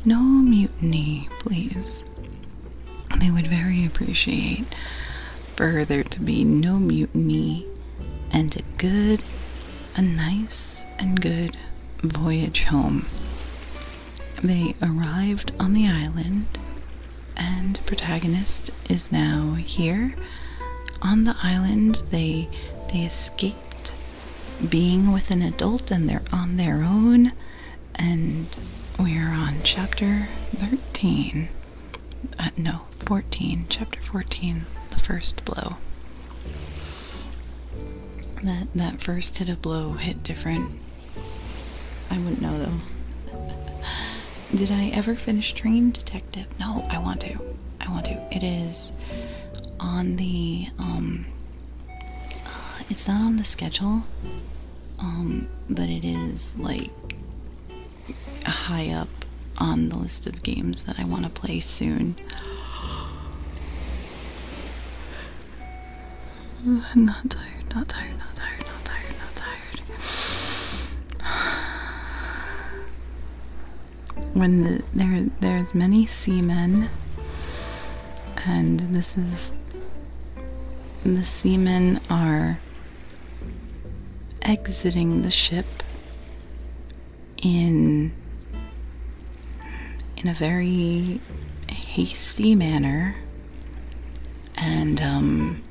no mutiny, please they would very appreciate for there to be no mutiny and a good, a nice and good voyage home. They arrived on the island, and protagonist is now here. On the island, they they escaped being with an adult and they're on their own and we're on chapter 13. Uh, no, 14. Chapter 14, the first blow. That that first hit a blow hit different. I wouldn't know though. Did I ever finish Train Detective? No, I want to. I want to. It is on the um. Uh, it's not on the schedule. Um, but it is like high up on the list of games that I want to play soon. not tired, not tired, not tired, not tired, not tired. When there there's many seamen, and this is the seamen are exiting the ship in in a very hasty manner and um,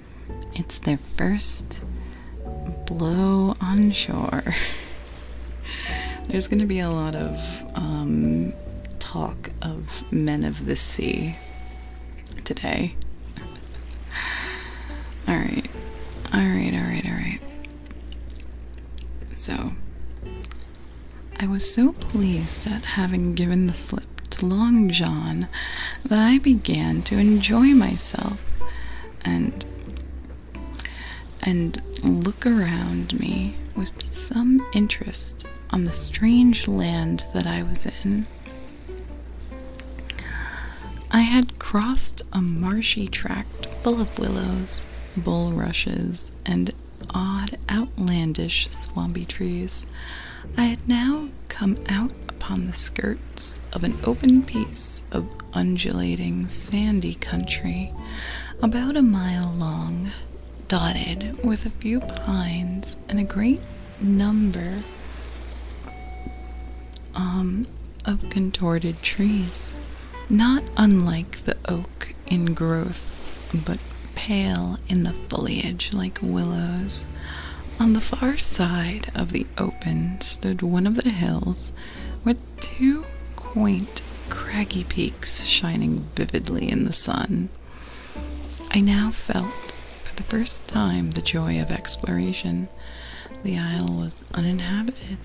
it's their first blow on shore <laughs> there's going to be a lot of um, talk of men of the sea today. Alright. Alright, alright, alright. So, I was so pleased at having given the slip to Long John that I began to enjoy myself and and look around me with some interest on the strange land that I was in. I had crossed a marshy tract full of willows, bulrushes, and odd, outlandish swampy trees. I had now come out upon the skirts of an open piece of undulating, sandy country, about a mile long, dotted with a few pines and a great number um, of contorted trees, not unlike the oak in growth, but pale in the foliage like willows. On the far side of the open stood one of the hills with two quaint craggy peaks shining vividly in the sun. I now felt for the first time the joy of exploration. The isle was uninhabited.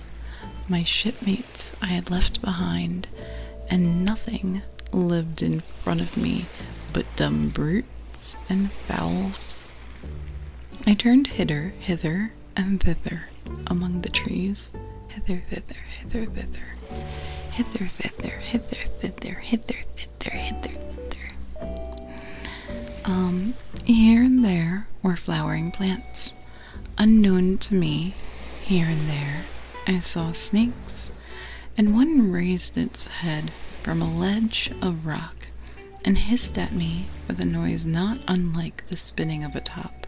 My shipmates I had left behind, and nothing lived in front of me but dumb brutes and fowls. I turned hither, hither, and thither among the trees, hither, thither, hither, thither, hither, thither, hither, thither, hither, thither hither, hither, hither. Um, here and there were flowering plants. Unknown to me, here and there, I saw snakes, and one raised its head from a ledge of rock and hissed at me with a noise not unlike the spinning of a top.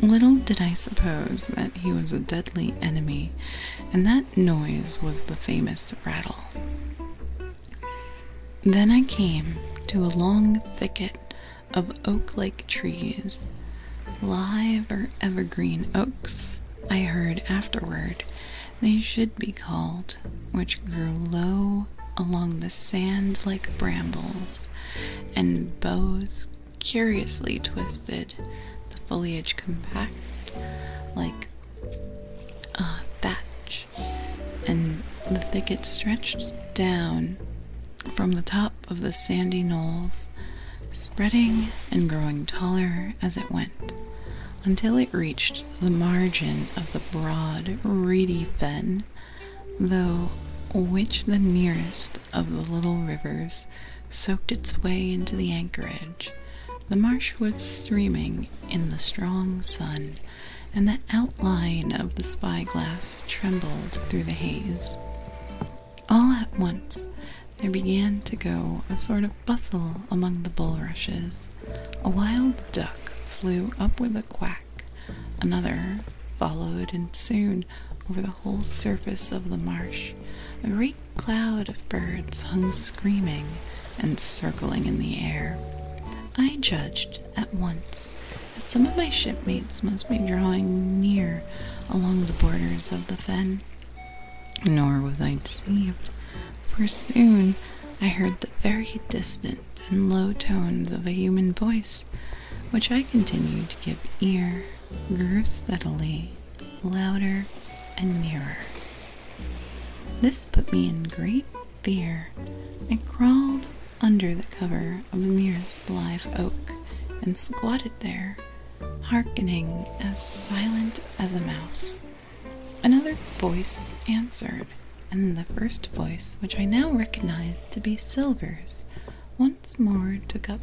Little did I suppose that he was a deadly enemy, and that noise was the famous rattle. Then I came to a long thicket of oak like trees, live or evergreen oaks, I heard afterward they should be called, which grew low along the sand like brambles, and bows curiously twisted, the foliage compact like uh, thatch, and the thicket stretched down from the top of the sandy knolls, spreading and growing taller as it went, until it reached the margin of the broad, reedy fen, though which the nearest of the little rivers soaked its way into the anchorage the marshwoods streaming in the strong sun, and the outline of the spyglass trembled through the haze. All at once there began to go a sort of bustle among the bulrushes. A wild duck flew up with a quack, another followed, and soon over the whole surface of the marsh a great cloud of birds hung screaming and circling in the air. I judged at once that some of my shipmates must be drawing near along the borders of the fen. Nor was I deceived, for soon I heard the very distant and low tones of a human voice, which I continued to give ear, grew steadily louder and nearer. This put me in great fear and crawled under the cover of the nearest live oak and squatted there, hearkening as silent as a mouse. Another voice answered, and the first voice, which I now recognized to be Silver's, once more took up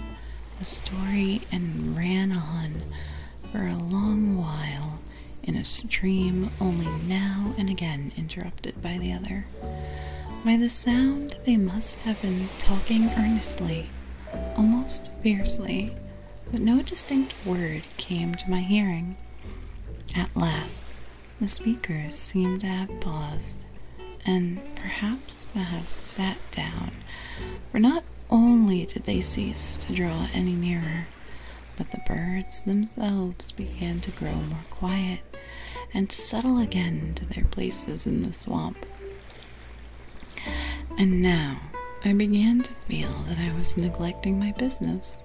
the story and ran on for a long while, in a stream only now and again interrupted by the other. By the sound, they must have been talking earnestly, almost fiercely, but no distinct word came to my hearing. At last, the speakers seemed to have paused, and perhaps to have sat down, for not only did they cease to draw any nearer, but the birds themselves began to grow more quiet and to settle again to their places in the swamp. And now I began to feel that I was neglecting my business,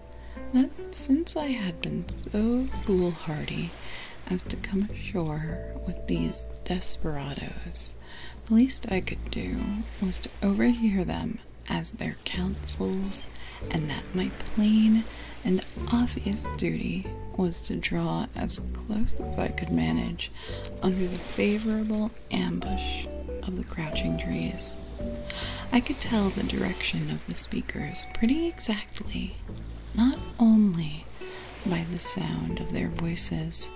that since I had been so foolhardy as to come ashore with these desperadoes, the least I could do was to overhear them as their counsels, and that my plain and obvious duty was to draw as close as I could manage under the favorable ambush of the crouching trees. I could tell the direction of the speakers pretty exactly, not only by the sound of their voices,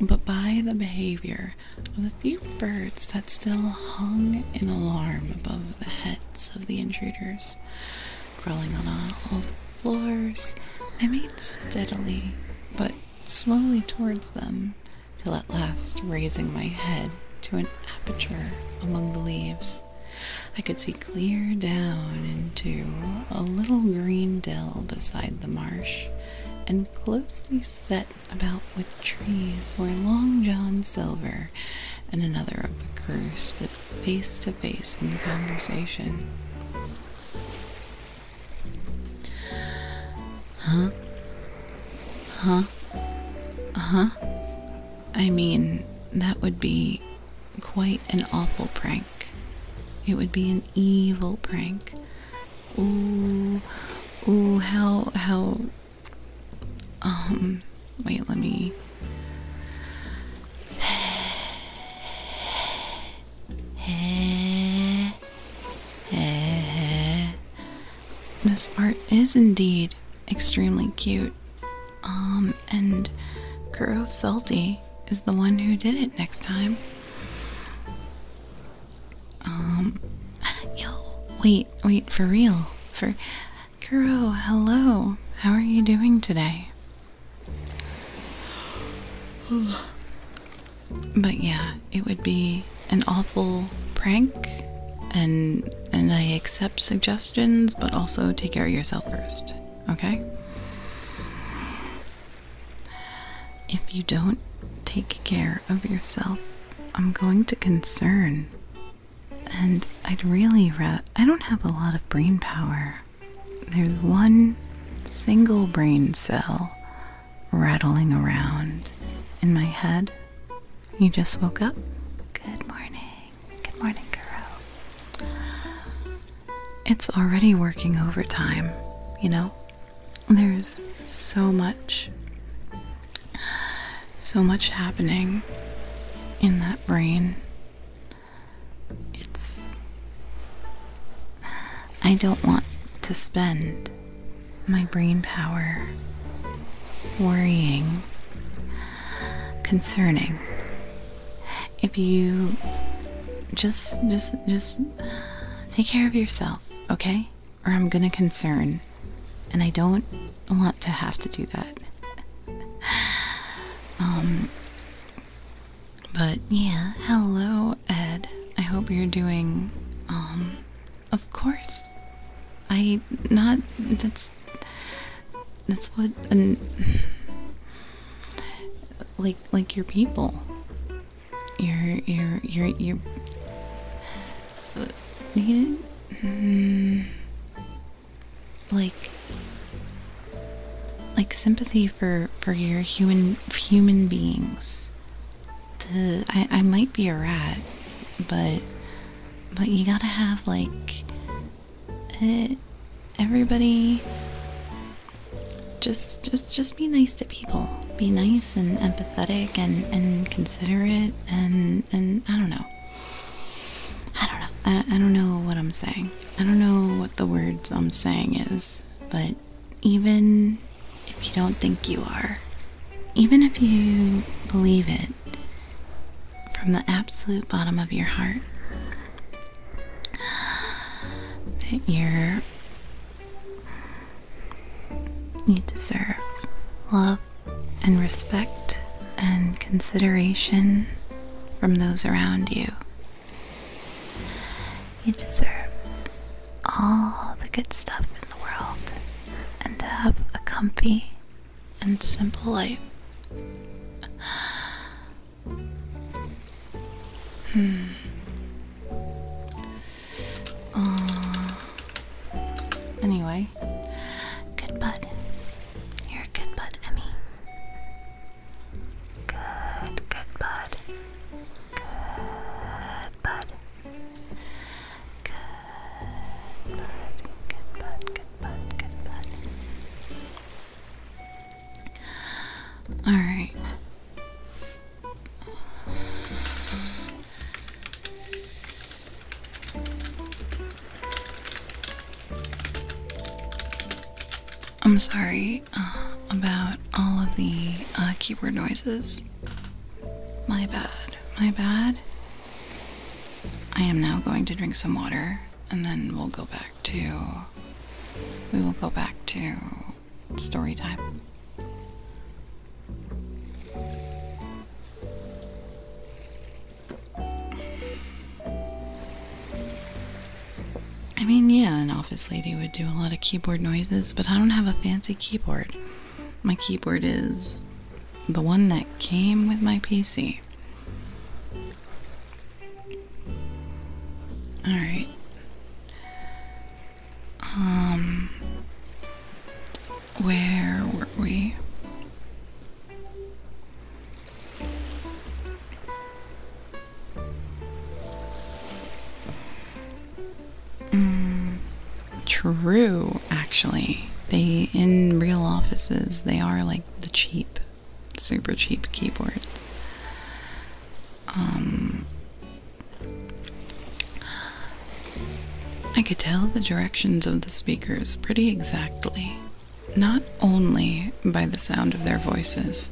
but by the behavior of the few birds that still hung in alarm above the heads of the intruders. Crawling on all floors, I made steadily but slowly towards them, till at last raising my head to an aperture among the leaves. I could see clear down into a little green dell beside the marsh, and closely set about with trees or Long John Silver and another of the crew stood face to face in conversation. Huh? Huh? Uh huh? I mean, that would be quite an awful prank. It would be an evil prank. Ooh, ooh, how, how, um, wait, let me. This art is indeed extremely cute. Um, and Kuro Salty is the one who did it next time. Um, yo, wait, wait, for real. For Kuro, hello. How are you doing today? <sighs> But yeah, it would be an awful prank and and I accept suggestions, but also take care of yourself first, okay? If you don't take care of yourself, I'm going to concern. And I'd really rat. I don't have a lot of brain power. There's one single brain cell rattling around in my head. You just woke up? Good morning. Good morning, girl. It's already working overtime, you know? There's so much, so much happening in that brain. It's. I don't want to spend my brain power worrying, concerning. If you just, just, just take care of yourself, okay? or I'm gonna concern, and I don't want to have to do that. <laughs> um, but yeah, hello, Ed. I hope you're doing. Um, of course. I not that's that's what and <sighs> like like your people. Your your your your Hmm. like like sympathy for for your human human beings the I, I might be a rat but but you gotta have like eh, everybody just just just be nice to people. Be nice and empathetic and, and considerate and and I don't know. I don't know. I, I don't know what I'm saying. I don't know what the words I'm saying is, but even if you don't think you are, even if you believe it from the absolute bottom of your heart, that you're you deserve love and respect and consideration from those around you. You deserve all the good stuff in the world and to have a comfy and simple life. Hmm. Uh, anyway, good bud. You're a good bud, Emmy. Good, good bud. Good bud. Good bud. Good bud. Good bud. Good bud. All right. I'm sorry uh, about all of the uh, keyboard noises. My bad, my bad. I am now going to drink some water and then we'll go back to. We will go back to story time. I mean, yeah, an office lady would do a lot of keyboard noises, but I don't have a fancy keyboard. My keyboard is the one that came with my PC. Alright. Um, where were we? Mm, true, actually. They, in real offices, they are like the cheap, super cheap keyboards. Um, I could tell the directions of the speakers pretty exactly, not only by the sound of their voices,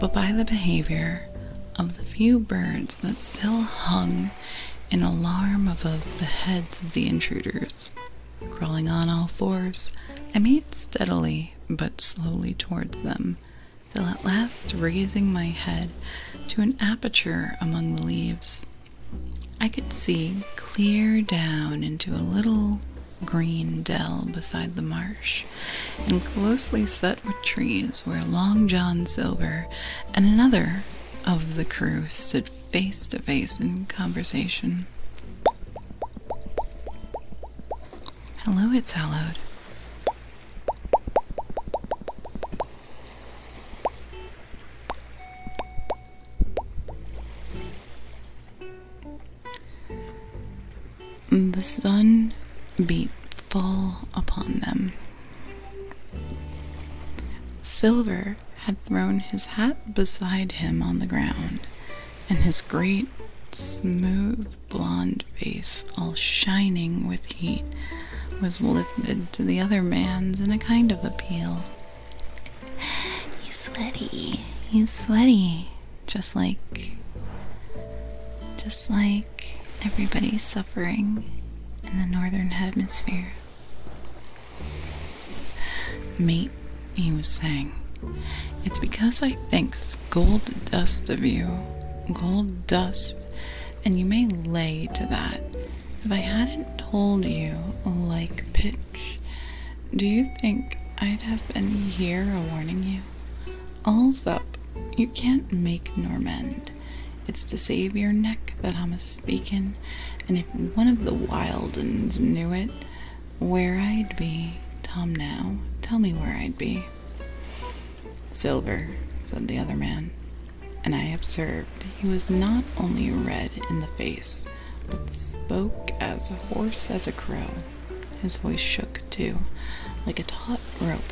but by the behavior of the few birds that still hung in alarm above the heads of the intruders. Crawling on all fours, I made steadily but slowly towards them, till at last raising my head to an aperture among the leaves, I could see clear down into a little green dell beside the marsh, and closely set with trees where Long John Silver and another of the crew stood face to face in conversation. Hello, it's hallowed. The sun beat full upon them. Silver had thrown his hat beside him on the ground, and his great, smooth, blond face all shining with heat was lifted to the other man's in a kind of appeal. He's sweaty. He's sweaty. Just like. Just like everybody's suffering in the northern hemisphere. Mate, he was saying, it's because I thinks gold dust of you, gold dust, and you may lay to that if I hadn't told you like pitch, do you think I'd have been here a warning you? All's up. You can't make nor mend. It's to save your neck that I'm a speakin', and if one of the wilduns knew it, where I'd be, Tom now, tell me where I'd be. Silver, said the other man and I observed he was not only red in the face, but spoke as hoarse as a crow. His voice shook too, like a taut rope.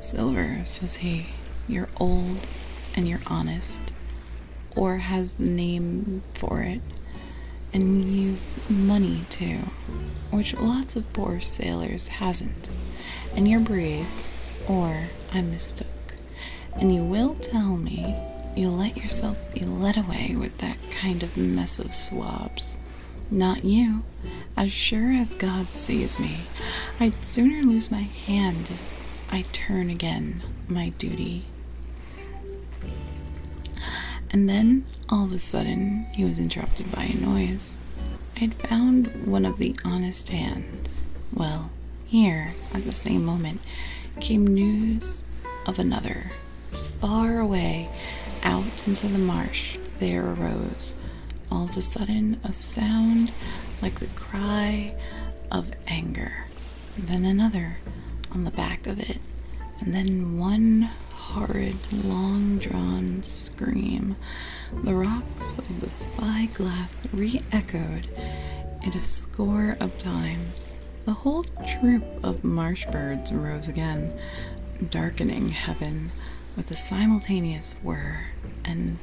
Silver, says he, you're old and you're honest, or has the name for it, and you've money too, which lots of poor sailors hasn't, and you're brave, or I mistook. And you will tell me you let yourself be led away with that kind of mess of swabs. Not you. As sure as God sees me, I'd sooner lose my hand if I turn again my duty. And then, all of a sudden, he was interrupted by a noise. I'd found one of the honest hands. Well, here, at the same moment, came news of another. Far away, out into the marsh, there arose, all of a sudden, a sound like the cry of anger. then another on the back of it, and then one horrid, long drawn scream the rocks of the spyglass re echoed it a score of times. The whole troop of marsh birds rose again, darkening heaven with a simultaneous whirr. and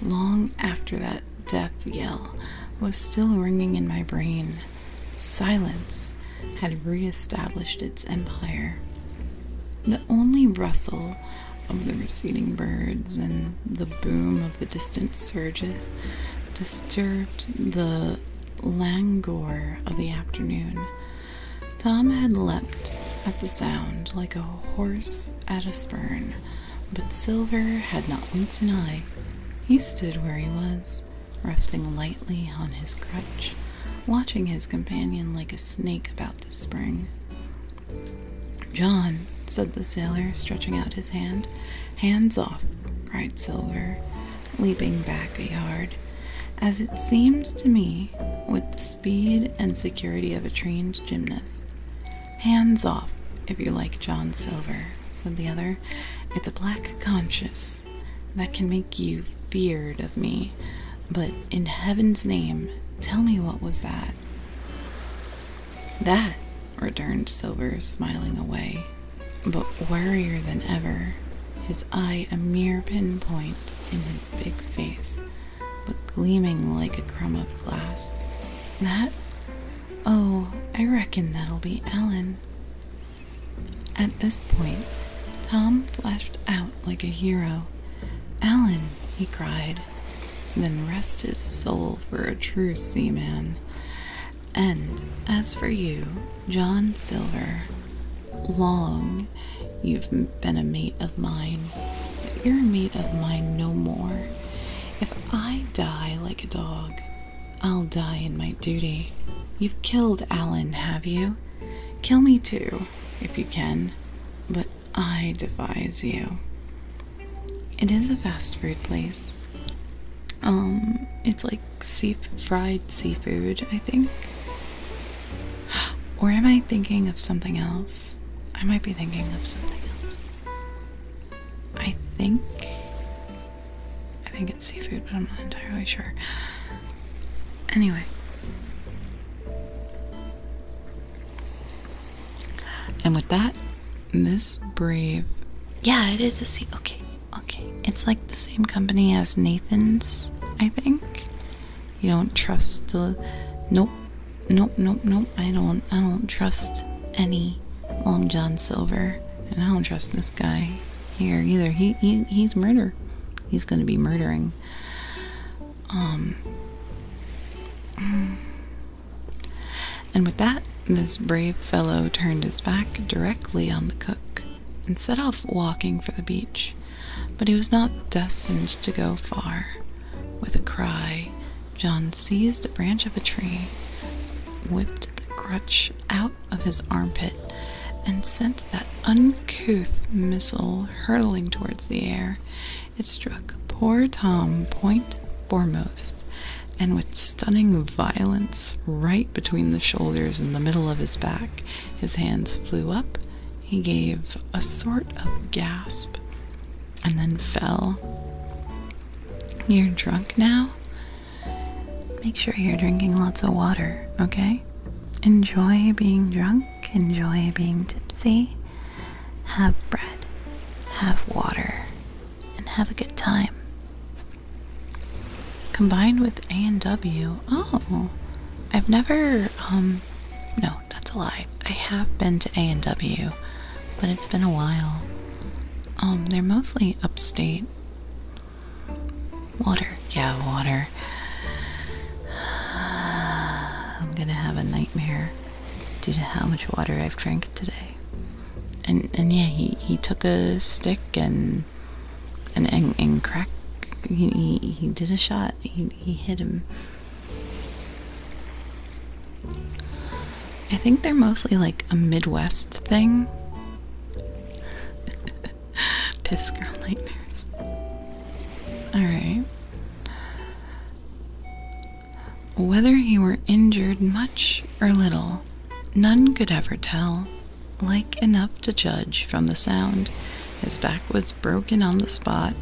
long after that death yell was still ringing in my brain. Silence had re established its empire. The only rustle of the receding birds and the boom of the distant surges disturbed the languor of the afternoon. Tom had leapt at the sound like a horse at a spurn, but Silver had not winked an eye. He stood where he was, resting lightly on his crutch, watching his companion like a snake about to spring. John, said the sailor, stretching out his hand. Hands off, cried Silver, leaping back a yard. As it seemed to me, with the speed and security of a trained gymnast. Hands off, if you like John Silver, said the other. It's a black conscience that can make you feared of me. But in heaven's name, tell me what was that? that? returned Silver, smiling away, but warier than ever, his eye a mere pin point in his big face, but gleaming like a crumb of glass. That? Oh, I reckon that'll be Alan. At this point, Tom flashed out like a hero. Alan, he cried, then rest his soul for a true seaman. And as for you, John Silver, long you've been a mate of mine, but you're a mate of mine no more. If I die like a dog, I'll die in my duty. You've killed Alan, have you? Kill me too, if you can, but I devise you. It is a fast food place. Um, it's like sea fried seafood, I think. Or am I thinking of something else? I might be thinking of something else. I think. I think it's seafood, but I'm not entirely sure. Anyway. And with that, this brave. Yeah, it is a sea. Okay, okay. It's like the same company as Nathan's, I think. You don't trust the. Nope, nope, nope, nope. I don't. I don't trust any Long John Silver, and I don't trust this guy here either. He, he he's murder. He's gonna be murdering. Um. And with that, this brave fellow turned his back directly on the cook and set off walking for the beach. But he was not destined to go far. With a cry, John seized a branch of a tree, whipped the crutch out of his armpit, and sent that uncouth missile hurtling towards the air. It struck poor Tom point foremost, and with stunning violence, right between the shoulders and the middle of his back. His hands flew up, he gave a sort of gasp, and then fell. You're drunk now? Make sure you're drinking lots of water, okay? Enjoy being drunk, enjoy being tipsy have bread, have water, and have a good time. Combined with A and W, oh, I've never, um, no, that's a lie. I have been to A and W, but it's been a while. Um, they're mostly upstate. Water, yeah, water. <sighs> I'm gonna have a nightmare due to how much water I've drank today. And and yeah, he, he took a stick and and and, and He, he did a shot. He he hit him. I think they're mostly like a Midwest thing. <laughs> Piss girl nightmares. Alright. Whether he were injured much or little, none could ever tell. Like enough to judge from the sound, his back was broken on the spot,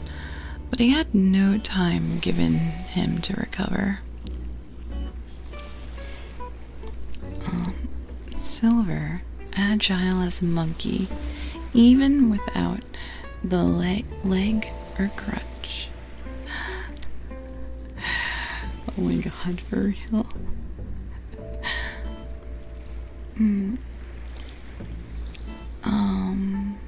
but he had no time given him to recover. Silver, agile as a monkey, even without the leg or crutch, oh my god, for real. Hmm. Um,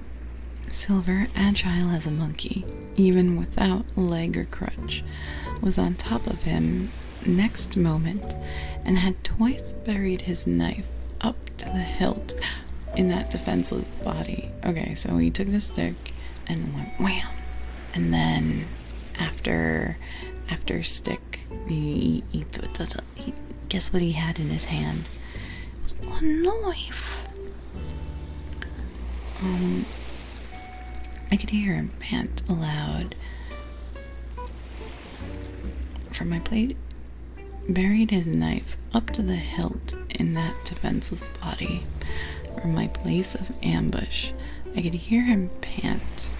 Silver, agile as a monkey, even without leg or crutch, was on top of him next moment and had twice buried his knife up to the hilt in that defenseless body. Okay, so he took the stick and went wham. And then after after stick, he, he, he guess what he had in his hand? was a knife. Um, I could hear him pant aloud from my plate. Buried his knife up to the hilt in that defenseless body. From my place of ambush, I could hear him pant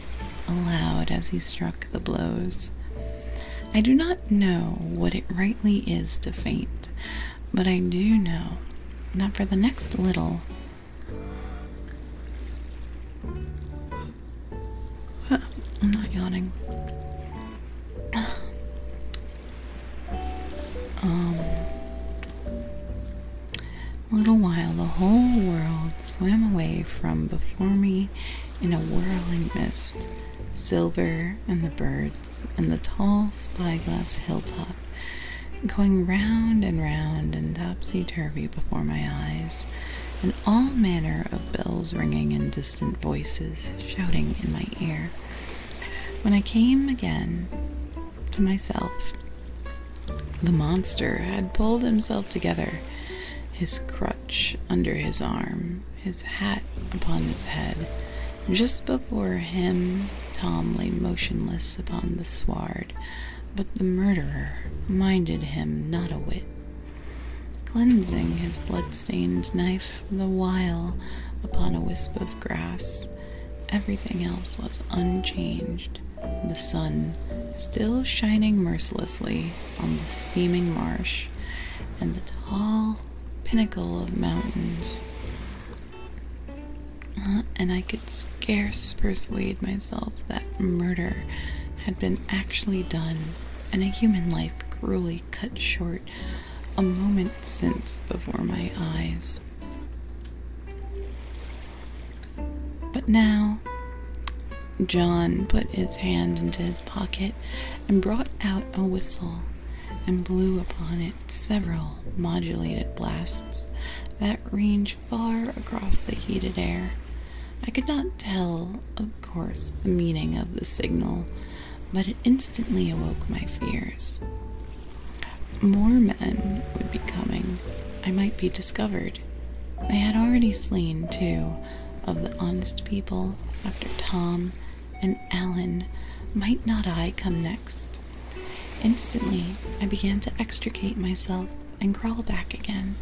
aloud as he struck the blows. I do not know what it rightly is to faint, but I do know not for the next little <sighs> I'm not yawning. Um, a little while, the whole world swam away from before me in a whirling mist. Silver and the birds and the tall spyglass hilltop going round and round and topsy turvy before my eyes, and all manner of bells ringing and distant voices shouting in my ear. When I came again to myself, the monster had pulled himself together, his crutch under his arm, his hat upon his head. Just before him, Tom lay motionless upon the sward, but the murderer minded him not a whit. Cleansing his blood-stained knife, the while upon a wisp of grass. Everything else was unchanged, the sun still shining mercilessly on the steaming marsh and the tall pinnacle of mountains. And I could scarce persuade myself that murder had been actually done and a human life cruelly cut short a moment since before my eyes. But now, John put his hand into his pocket and brought out a whistle and blew upon it several modulated blasts that range far across the heated air. I could not tell, of course, the meaning of the signal but it instantly awoke my fears. More men would be coming. I might be discovered. I had already slain two of the honest people after Tom and Alan. Might not I come next? Instantly, I began to extricate myself and crawl back again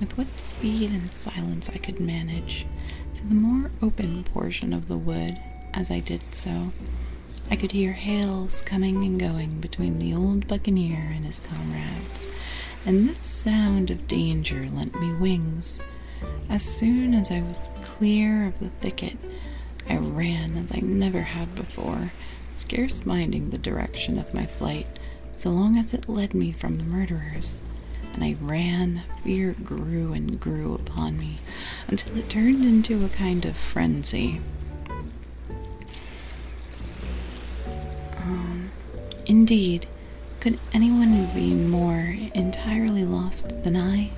with what speed and silence I could manage to the more open portion of the wood as I did so. I could hear hails coming and going between the old buccaneer and his comrades, and this sound of danger lent me wings. As soon as I was clear of the thicket, I ran as I never had before, scarce minding the direction of my flight, so long as it led me from the murderers. And I ran, fear grew and grew upon me until it turned into a kind of frenzy. Um, indeed, could anyone be more entirely lost than I?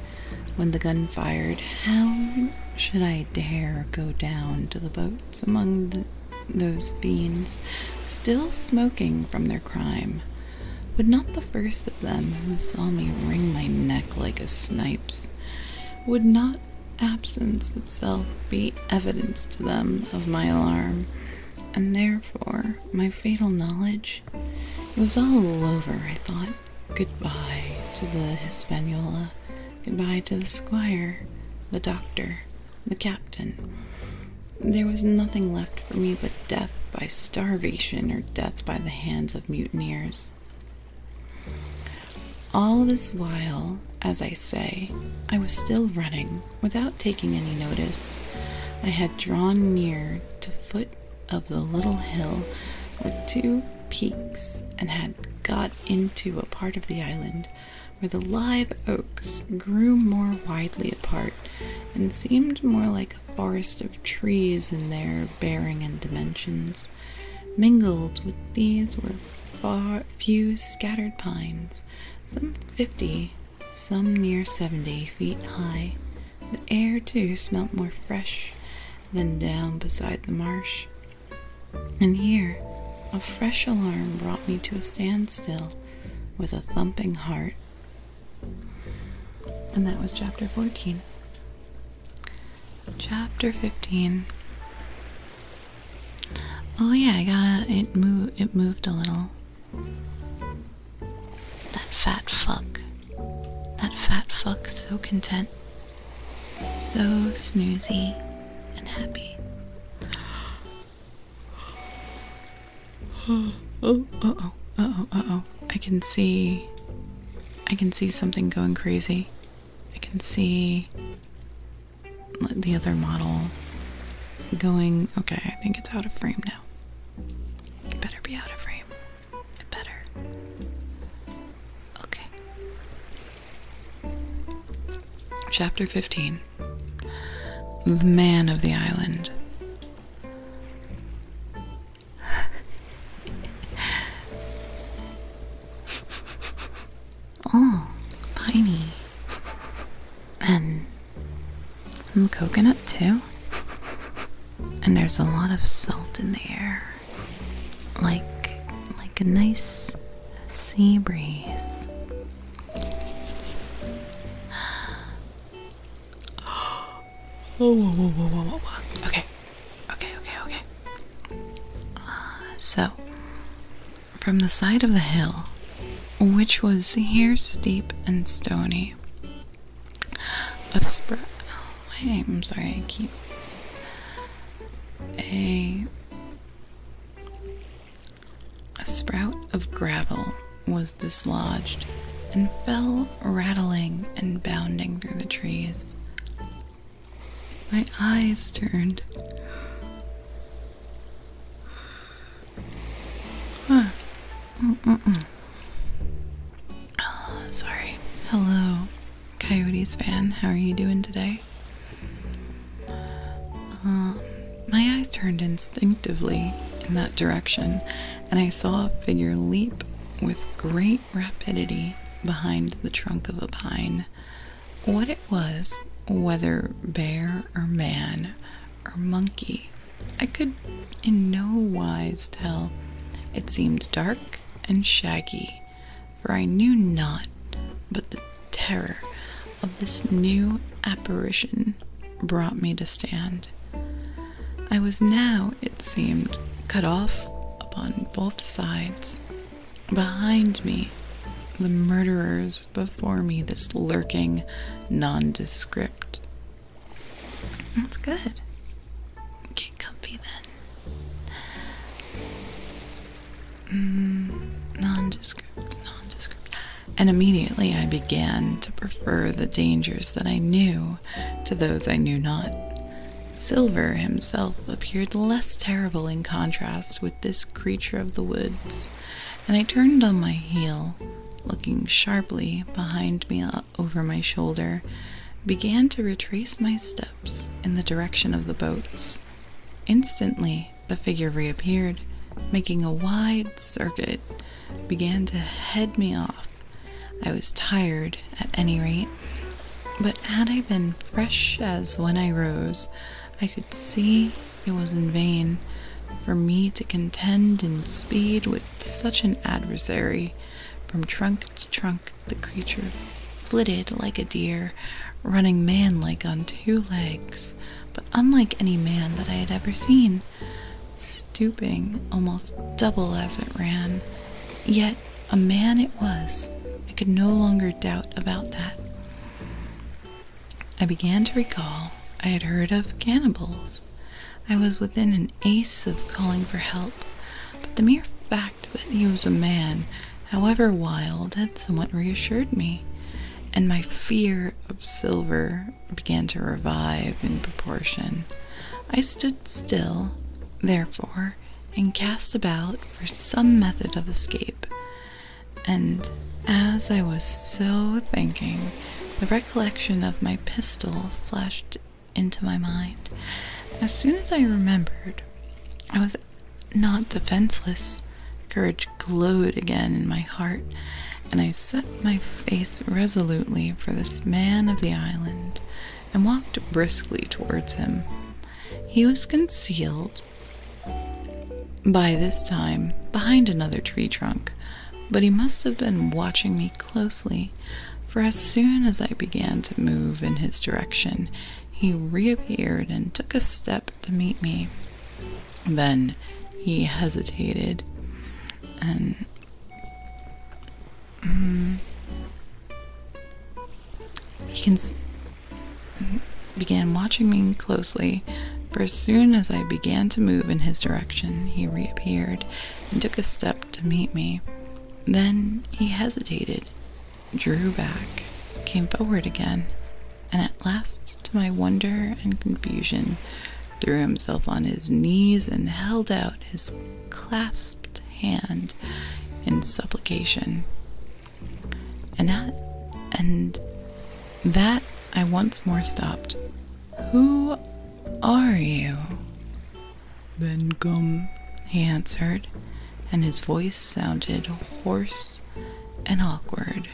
When the gun fired, how should I dare go down to the boats among those fiends, still smoking from their crime? Would not the first of them who saw me wring my neck like a snipe? would not absence itself be evidence to them of my alarm, and therefore my fatal knowledge? It was all over, I thought. Goodbye to the Hispaniola, goodbye to the squire, the doctor, the captain. There was nothing left for me but death by starvation or death by the hands of mutineers. All this while, as I say, I was still running without taking any notice. I had drawn near to foot of the little hill with two peaks and had got into a part of the island where the live oaks grew more widely apart and seemed more like forest of trees in their bearing and dimensions. Mingled with these were far few scattered pines, some fifty, some near seventy feet high. The air, too, smelt more fresh than down beside the marsh. And here, a fresh alarm brought me to a standstill with a thumping heart. And that was chapter 14. Chapter 15. Oh yeah, I got it moved it moved a little. That fat fuck. That fat fuck so content. So snoozy and happy. oh, <gasps> oh, uh-oh, uh-oh, uh-oh. I can see I can see something going crazy. I can see the other model going okay, I think it's out of frame now. It better be out of frame. It better. Okay. Chapter 15 The Man of the Island. <laughs> oh, piney. And some coconut too. And there's a lot of salt in the air. Like like a nice sea breeze. <gasps> Oh, Whoa, whoa, whoa, whoa, whoa, whoa. Okay, okay, okay, okay. Uh, so, from the side of the hill, which was here steep and stony, a spr- oh, wait, I'm sorry, I keep. A, a sprout of gravel was dislodged and fell rattling and bounding through the trees. My eyes turned. Huh. Ah, sorry. Hello, Coyotes fan. How are you doing today? Uh, my eyes turned instinctively in that direction, and I saw a figure leap with great rapidity behind the trunk of a pine. What it was, whether bear or man or monkey, I could in no wise tell. It seemed dark and shaggy, for I knew not but the terror of this new apparition brought me to stand. I was now, it seemed, cut off upon both sides. Behind me, the murderers, before me, this lurking nondescript. That's good. Get comfy then. Mm, nondescript, nondescript. And immediately I began to prefer the dangers that I knew to those I knew not. Silver himself appeared less terrible in contrast with this creature of the woods, and I turned on my heel, looking sharply behind me over my shoulder, began to retrace my steps in the direction of the boats. Instantly, the figure reappeared, making a wide circuit, began to head me off. I was tired, at any rate, but had I been fresh as when I rose, I could see it was in vain for me to contend in speed with such an adversary. From trunk to trunk, the creature flitted like a deer, running man like on two legs, but unlike any man that I had ever seen, stooping almost double as it ran, yet a man it was. I could no longer doubt about that. I began to recall I had heard of cannibals. I was within an ace of calling for help, but the mere fact that he was a man, however wild, had somewhat reassured me, and my fear of silver began to revive in proportion. I stood still, therefore, and cast about for some method of escape. And as I was so thinking, the recollection of my pistol flashed into my mind. As soon as I remembered, I was not defenseless. Courage glowed again in my heart, and I set my face resolutely for this man of the island and walked briskly towards him. He was concealed by this time behind another tree trunk, but he must have been watching me closely, for as soon as I began to move in his direction, he reappeared and took a step to meet me. Then he hesitated and Mm-hmm. he mm-hmm, began watching me closely, for as soon as I began to move in his direction, he reappeared and took a step to meet me. Then he hesitated, drew back, came forward again, and at last, to my wonder and confusion, threw himself on his knees and held out his clasped hand in supplication. And that, and that I once more stopped. Who are you? Ben Bengum, he answered, and his voice sounded hoarse and awkward,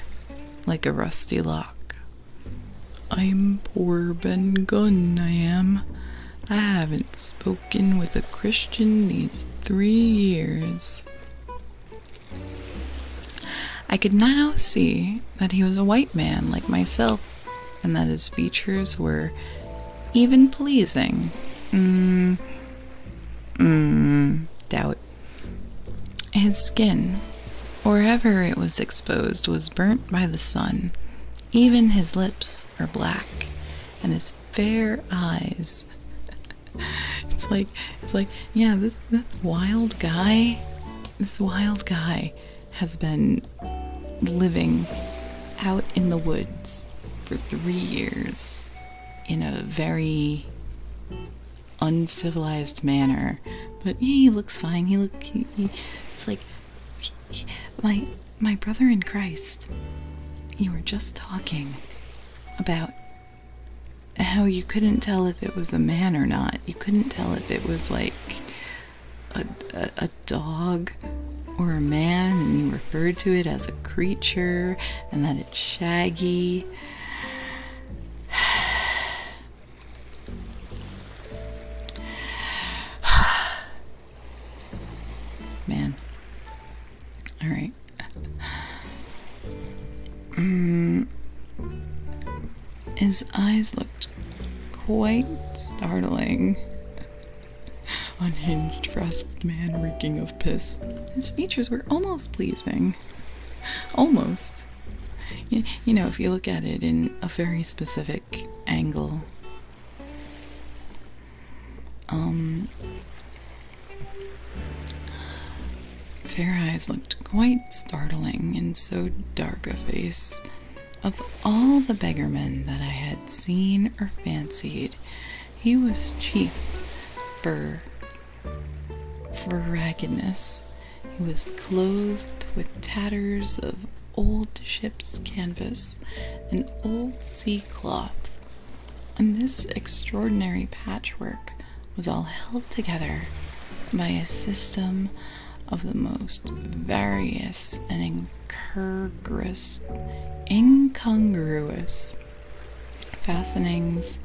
like a rusty lock. I'm poor Ben Gunn, I am. I haven't spoken spoken with a Christian these three years. I could now see that he was a white man like myself, and that his features were even pleasing. Mmm. mm, doubt. His skin, wherever it was exposed, was burnt by the sun, even his lips. Or black and his fair eyes <laughs> it's like it's like yeah this, wild guy this wild guy has been living out in the woods for three years in a very uncivilized manner but he looks fine he look he, it's like my my brother in Christ, you were just talking about how you couldn't tell if it was a man or not. You couldn't tell if it was like a, a dog or a man, and you referred to it as a creature and that it's shaggy. <sighs> <sighs> Man. Alright. Mm. His eyes looked quite startling. Unhinged, frazzled man reeking of piss. His features were almost pleasing. Almost. you know, if you look at it in a very specific angle. Um, Fair Eyes looked quite startling in so dark a face. Of all the beggarmen that I had seen or fancied, he was chief for, for raggedness. He was clothed with tatters of old ship's canvas, and old sea cloth, and this extraordinary patchwork was all held together by a system of the most various and incongruous fastenings,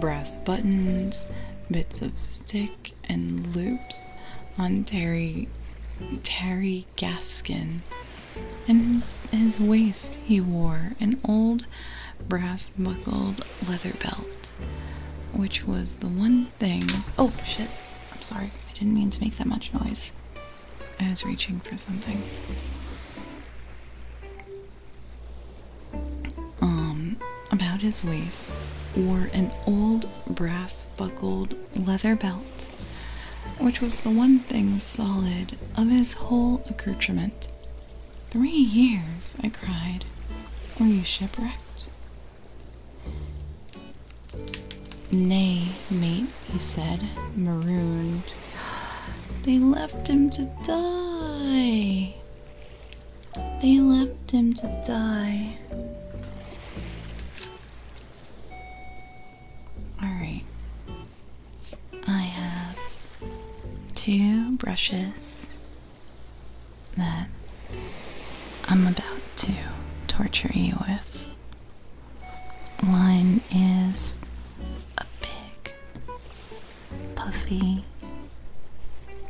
brass buttons, bits of stick, and loops on terry, terry dirty gaskin, and his waist he wore an old brass buckled leather belt, which was the one thing. Oh shit, I'm sorry, I didn't mean to make that much noise. I was reaching for something. Um, about his waist wore an old brass buckled leather belt which was the one thing solid of his whole accoutrement. Three years, I cried. Were you shipwrecked? Nay, mate, he said, marooned. <gasps> They left him to die. They left him to die. Alright. I have two brushes that I'm about to torture you with. One is a big, puffy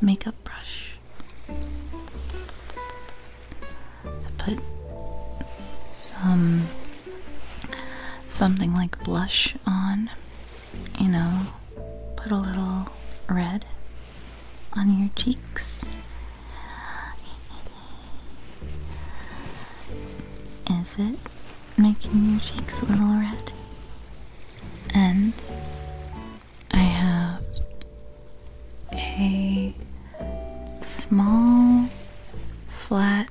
makeup brush to put some something like blush on, you know, put a little red on your cheeks. Is it making your cheeks a little red? And I have a small flat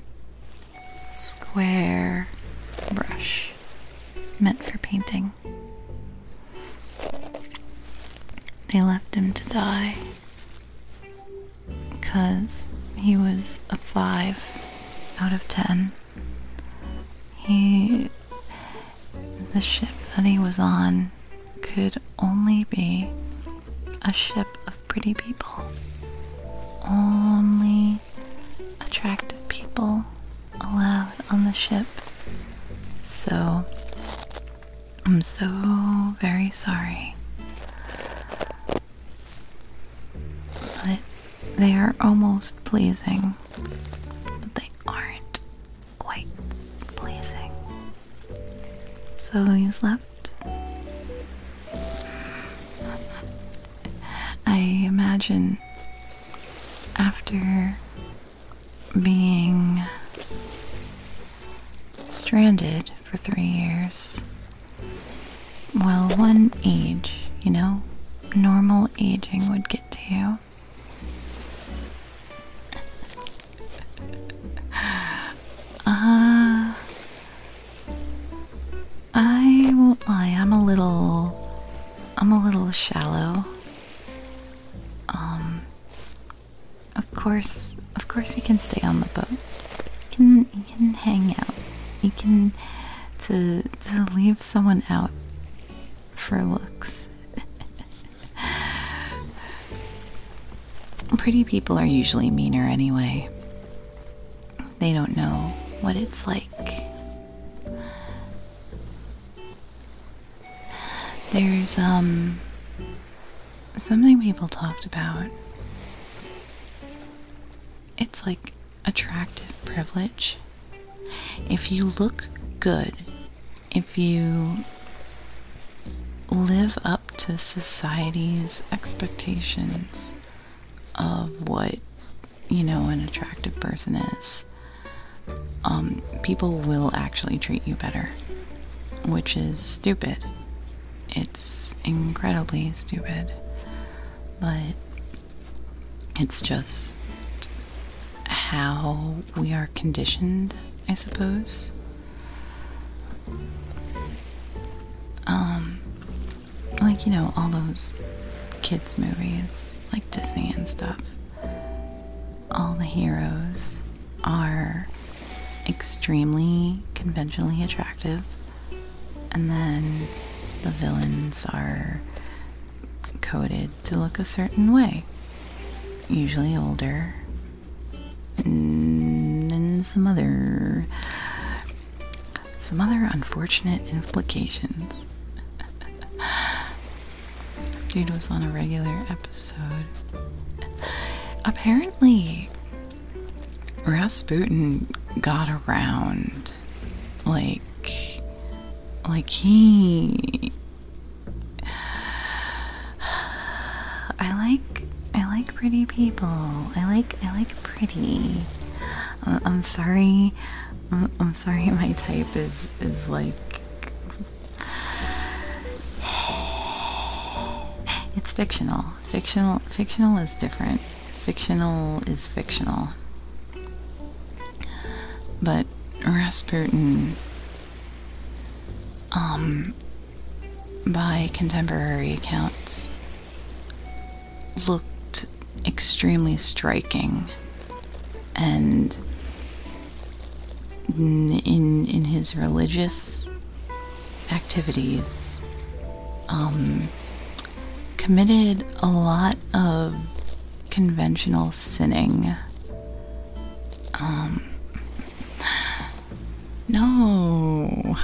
square brush meant for painting. They left him to die because he was a 5 out of 10. He. the ship that he was on could only be a ship of pretty people. Only attractive people allowed on the ship. So, I'm so very sorry. But they are almost pleasing, but they aren't quite pleasing. So you slept. I imagine after being stranded for three years, well, one age, you know, normal aging would get to you. Ah, I won't lie, I'm a little I'm a little shallow. Um of course, of course you can stay on the boat. You can you can hang out. You can to to leave someone out for looks. <laughs> Pretty people are usually meaner anyway. They don't know what it's like. There's, um, something people talked about. It's like attractive privilege. If you look good, if you live up to society's expectations, of what you know an attractive person is, um, people will actually treat you better, which is stupid. It's incredibly stupid, but it's just how we are conditioned, I suppose. Um, like you know all those kids movies like disney and stuff all the heroes are extremely conventionally attractive and then the villains are coded to look a certain way usually older and some other some other unfortunate implications. <laughs> Dude was on a regular episode. Apparently, Rasputin got around. Like, like he. <sighs> I like I like pretty people. I like I like pretty. Uh, I'm sorry. I'm, uh, I'm sorry. <laughs> My type is is like. <sighs> It's fictional. Fictional. Fictional is different. Fictional is fictional. But Rasputin, um, by contemporary accounts, looked extremely striking and in in his religious activities um, committed a lot of conventional sinning um, <sighs> no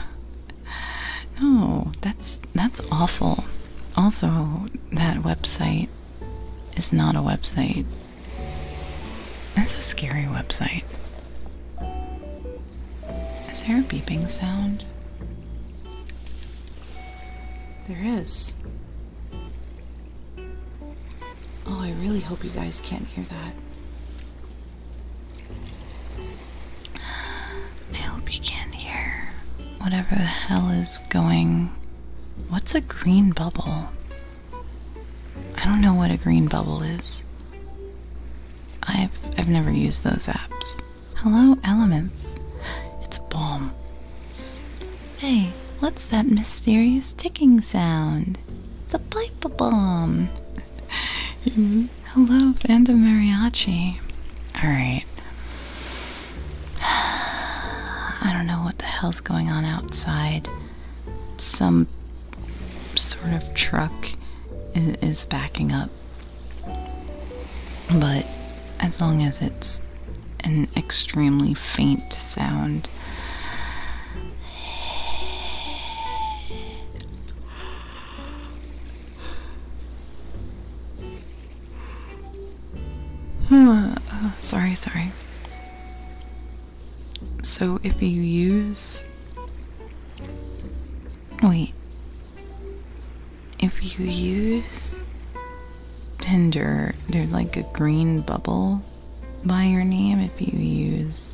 Oh, that's that's awful. Also, that website is not a website. That's a scary website. Is there a beeping sound? There is. Oh, I really hope you guys can't hear that. I hope you can hear whatever the hell is going. What's a green bubble? I don't know what a green bubble is. I've I've never used those apps. Hello, Element. It's a bomb. Hey, what's that mysterious ticking sound? It's a pipe bomb. <laughs> Hello, Band of Mariachi. Alright. <sighs> I don't know what the hell's going on outside. Some sort of truck is backing up. But as long as it's an extremely faint sound, <sighs> sorry, sorry. So if you use. Wait. If you use Tinder, there's like a green bubble by your name. If you use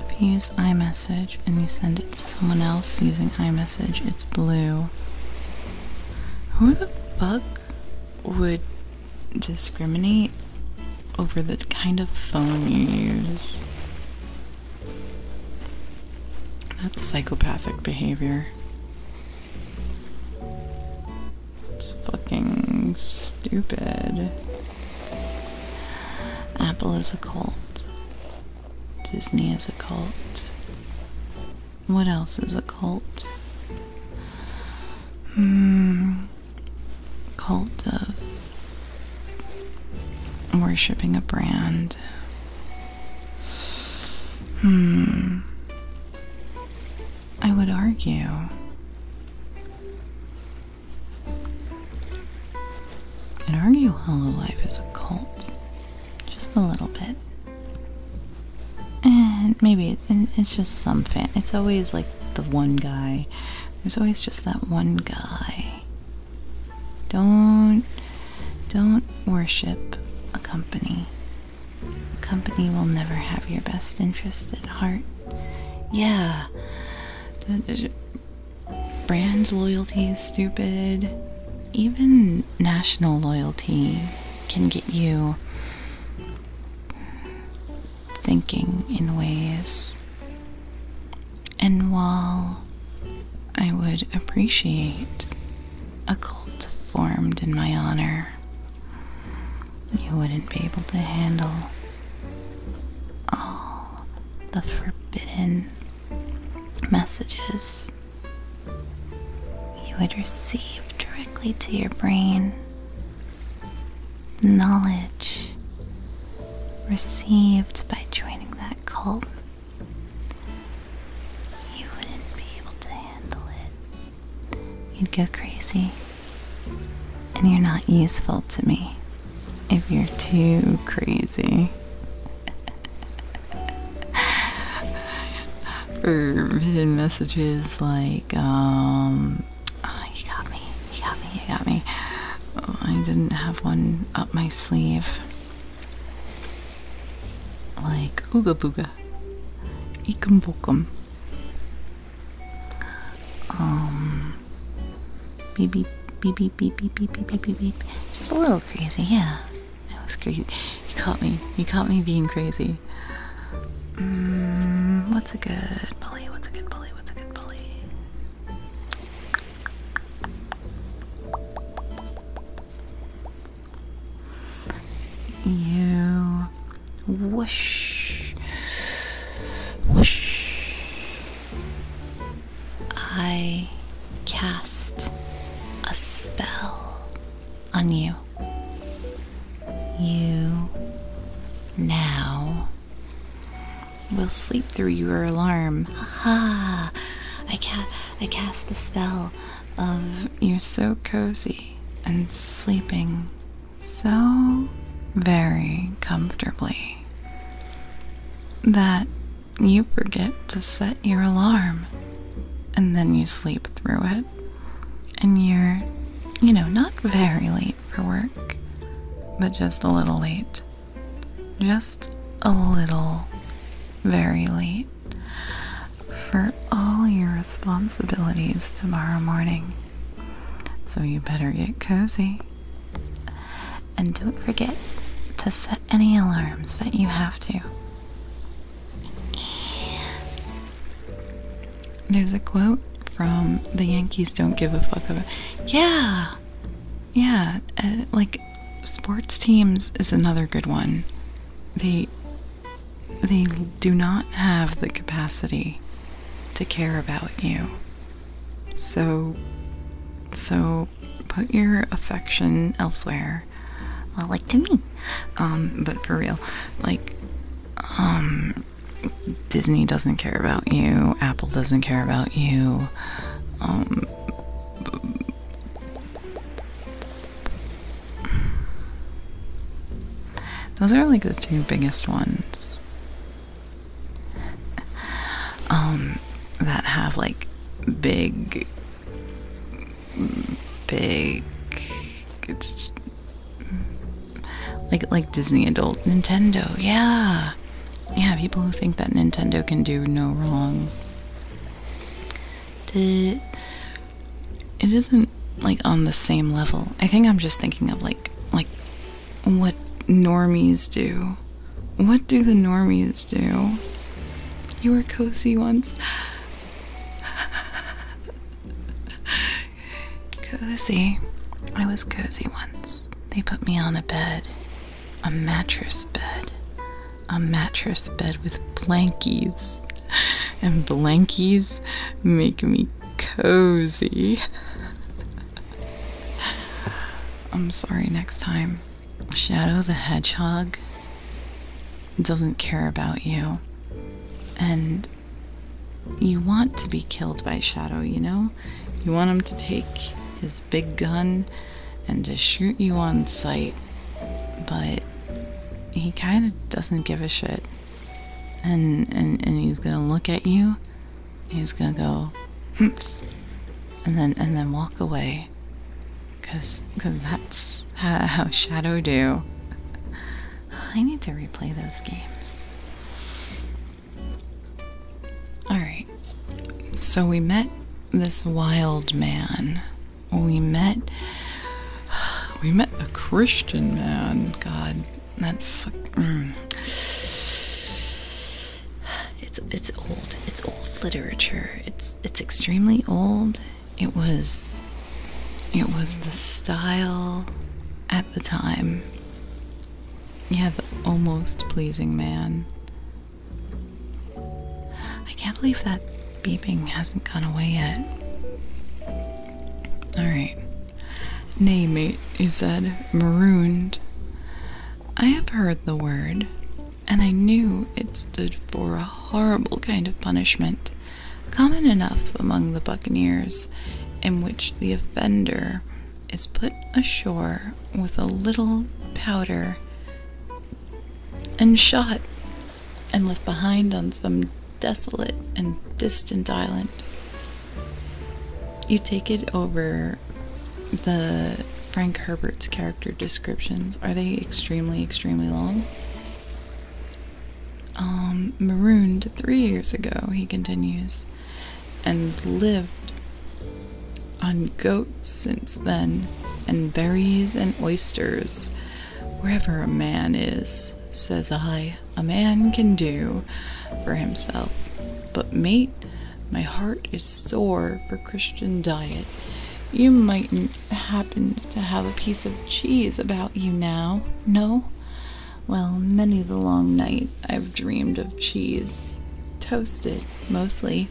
If you use iMessage and you send it to someone else using iMessage, it's blue. Who the fuck would discriminate over the kind of phone you use? That's psychopathic behavior. It's fucking stupid. Apple is a cult. Disney is a cult. What else is a cult? Hmm. Cult of worshipping a brand. Hmm. I would argue. I'd argue Hollow Life is a cult. Just a little bit. And maybe it's just some fan. It's always like the one guy. There's always just that one guy don't don't worship a company. A company will never have your best interest at heart. Yeah. Brand loyalty is stupid. Even national loyalty can get you thinking in ways. And while I would appreciate a cult formed in my honor. You wouldn't be able to handle all the forbidden messages you would receive directly to your brain. Knowledge received by joining that cult you wouldn't be able to handle it. You'd go crazy. And you're not useful to me if you're too crazy. <laughs> For hidden messages like, um, oh, you got me, you got me, you got me. Oh, I didn't have one up my sleeve. Like Ooga Booga, Ikum Bokum, um, beep beep beep beep beep beep beep beep beep beep beep. Just a little crazy, yeah. That was crazy. You caught me. You caught me being crazy. Mm, what's a good bully? What's a good bully? What's a good bully? You whoosh, whoosh. I cast a spell on you. You now will sleep through your alarm. Ha! I, ca- I cast the spell of um, you're so cozy and sleeping so very comfortably that you forget to set your alarm and then you sleep through it and you're you know not very late for work but just a little late just a little very late for all your responsibilities tomorrow morning. So you better get cozy. And don't forget to set any alarms that you have to. There's a quote from the Yankees don't give a fuck about. Yeah! Yeah, uh, like sports teams is another good one. They they do not have the capacity to care about you. So so put your affection elsewhere. Well, uh, like to me. Um but for real, like um Disney doesn't care about you. Apple doesn't care about you. Um, those are like the two biggest ones um, that have like big, big, it's like like Disney adult Nintendo. Yeah, yeah. People who think that Nintendo can do no wrong it isn't like on the same level. I think I'm just thinking of like like what normies do. What do the normies do? You were cozy once. <laughs> cozy. I was cozy once. They put me on a bed, a mattress bed a mattress bed with blankies, and blankies make me cozy. <laughs> I'm sorry, next time. Shadow the Hedgehog doesn't care about you. And you want to be killed by Shadow, you know? You want him to take his big gun and to shoot you on sight but he kind of doesn't give a shit. And, and, and he's gonna look at you, he's gonna go, hmm, and then, and then walk away. Cause, cause that's how, how Shadow do. <laughs> I need to replay those games. Alright. So we met this wild man we met <sighs> we met a Christian man. God, that fuck. Mm. It's it's old. It's old literature. It's it's extremely old. It was it was the style at the time. Yeah, the almost pleasing man. I can't believe that beeping hasn't gone away yet. Alright. Nay, mate, he said, marooned. I have heard the word, and I knew it stood for a horrible kind of punishment, common enough among the buccaneers, in which the offender is put ashore with a little powder and shot and left behind on some desolate and distant island. You take it over the Frank Herbert's character descriptions. Are they extremely, extremely long? Um, marooned three years ago, he continues, and lived on goats since then, and berries and oysters, Wherever a man is, says I, a man can do for himself. But, mate, my heart is sore for Christian diet. You mightn't happen to have a piece of cheese about you now, no? Well, many the long night I've dreamed of cheese, toasted mostly,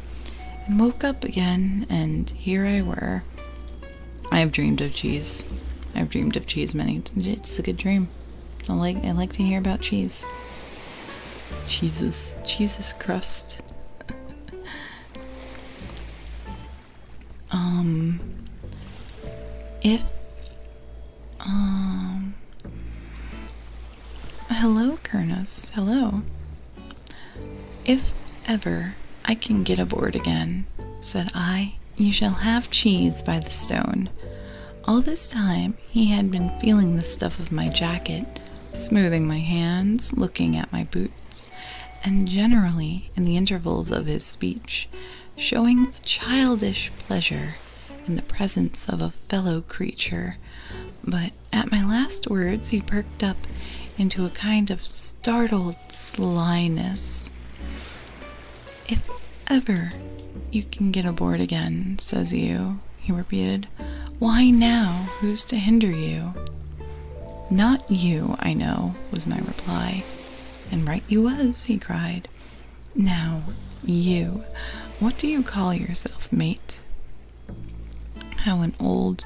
and woke up again, and here I were, I've dreamed of cheese. I've dreamed of cheese many times. It's a good dream. I like I like to hear about cheese. Cheeses. Cheeses crust. <laughs> um if um Hello Kurnus. Hello. If ever I can get aboard again, said I, you shall have cheese by the stone. All this time he had been feeling the stuff of my jacket, smoothing my hands, looking at my boots, and generally, in the intervals of his speech, showing a childish pleasure in the presence of a fellow creature. But at my last words he perked up into a kind of startled slyness. If ever you can get aboard again, says you, he repeated. Why now? Who's to hinder you? Not you, I know, was my reply. And right you was, he cried. Now, you, what do you call yourself, mate? How an old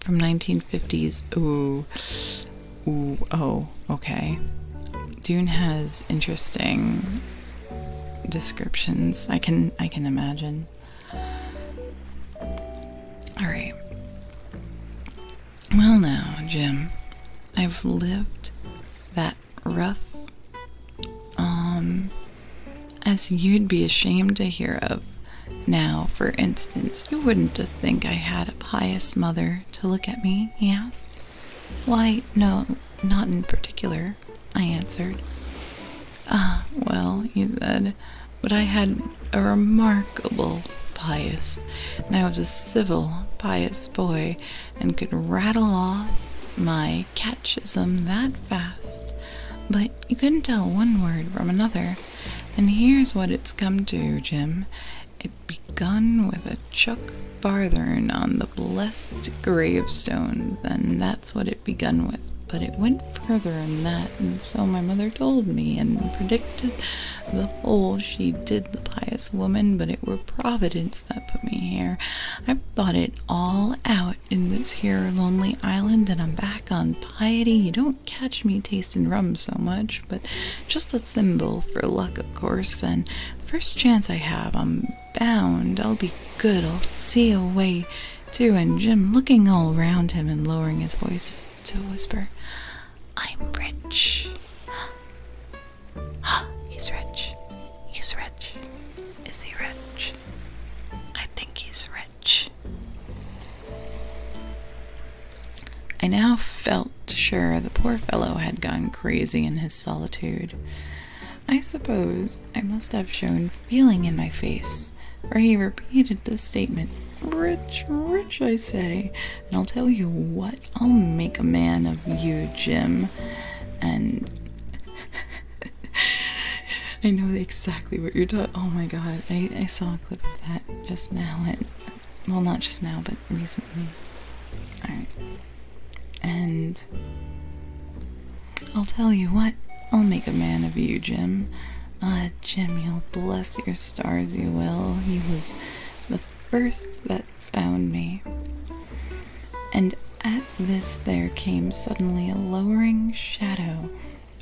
from 1950s. Ooh. Ooh. Oh, okay. Dune has interesting descriptions. I can I can imagine. All right. Well now, Jim, I've lived that rough um as you'd be ashamed to hear of now, for instance, you wouldn't think I had a pious mother to look at me, he asked. Why, no, not in particular, I answered. Ah, well, he said, but I had a remarkable pious, and I was a civil, pious boy, and could rattle off my catchism that fast, but you couldn't tell one word from another, and here's what it's come to, Jim. It begun with a chuck farthern on the blessed gravestone, and that's what it begun with. But it went further'n that, and so my mother told me and predicted the whole she did the pious woman, but it were Providence that put me here. I've thought it all out in this here lonely island, and I'm back on piety. You don't catch me tasting rum so much, but just a thimble for luck, of course, and the first chance I have, I'm bound I'll be good. I'll see a way to. And Jim, looking all round him and lowering his voice to a whisper, I'm rich. <gasps> Ah, he's rich. He's rich. Is he rich? I think he's rich. I now felt sure the poor fellow had gone crazy in his solitude. I suppose I must have shown feeling in my face, for he repeated the statement Rich, rich, I say, and I'll tell you what, I'll make a man of you, Jim. And <laughs> I know exactly what you're talking. Oh my god, I, I saw a clip that just now. it well, not just now, but recently. And I'll tell you what, I'll make a man of you, Jim. Ah, Jim, you'll bless your stars, you will. He was the first that found me. And at this there came suddenly a lowering shadow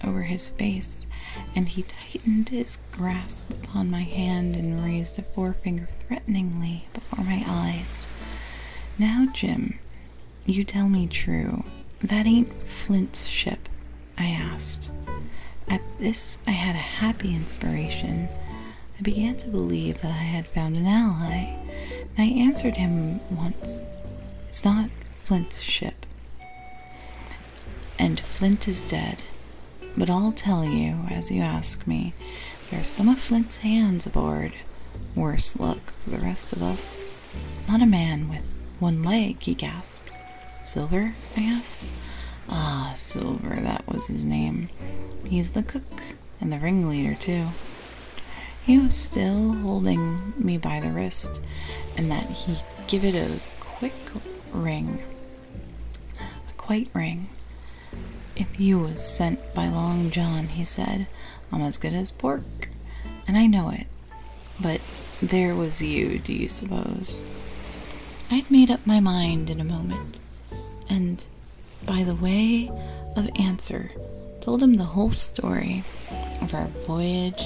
over his face, and he tightened his grasp upon my hand and raised a forefinger threateningly before my eyes. Now, Jim, you tell me true. That ain't Flint's ship, I asked. At this, I had a happy inspiration. I began to believe that I had found an ally, and I answered him once. It's not Flint's ship and Flint is dead. But I'll tell you, as you ask me, there's some of Flint's hands aboard. Worse luck for the rest of us. Not a man with one leg, he gasped. Silver? I asked. Ah, Silver, that was his name. He's the cook and the ringleader, too. He was still holding me by the wrist, and that he give it a quick ring. A quite ring. If you was sent by Long John, he said, I'm as good as pork, and I know it. But there was you, do you suppose? I'd made up my mind in a moment, and by the way of answer, told him the whole story of our voyage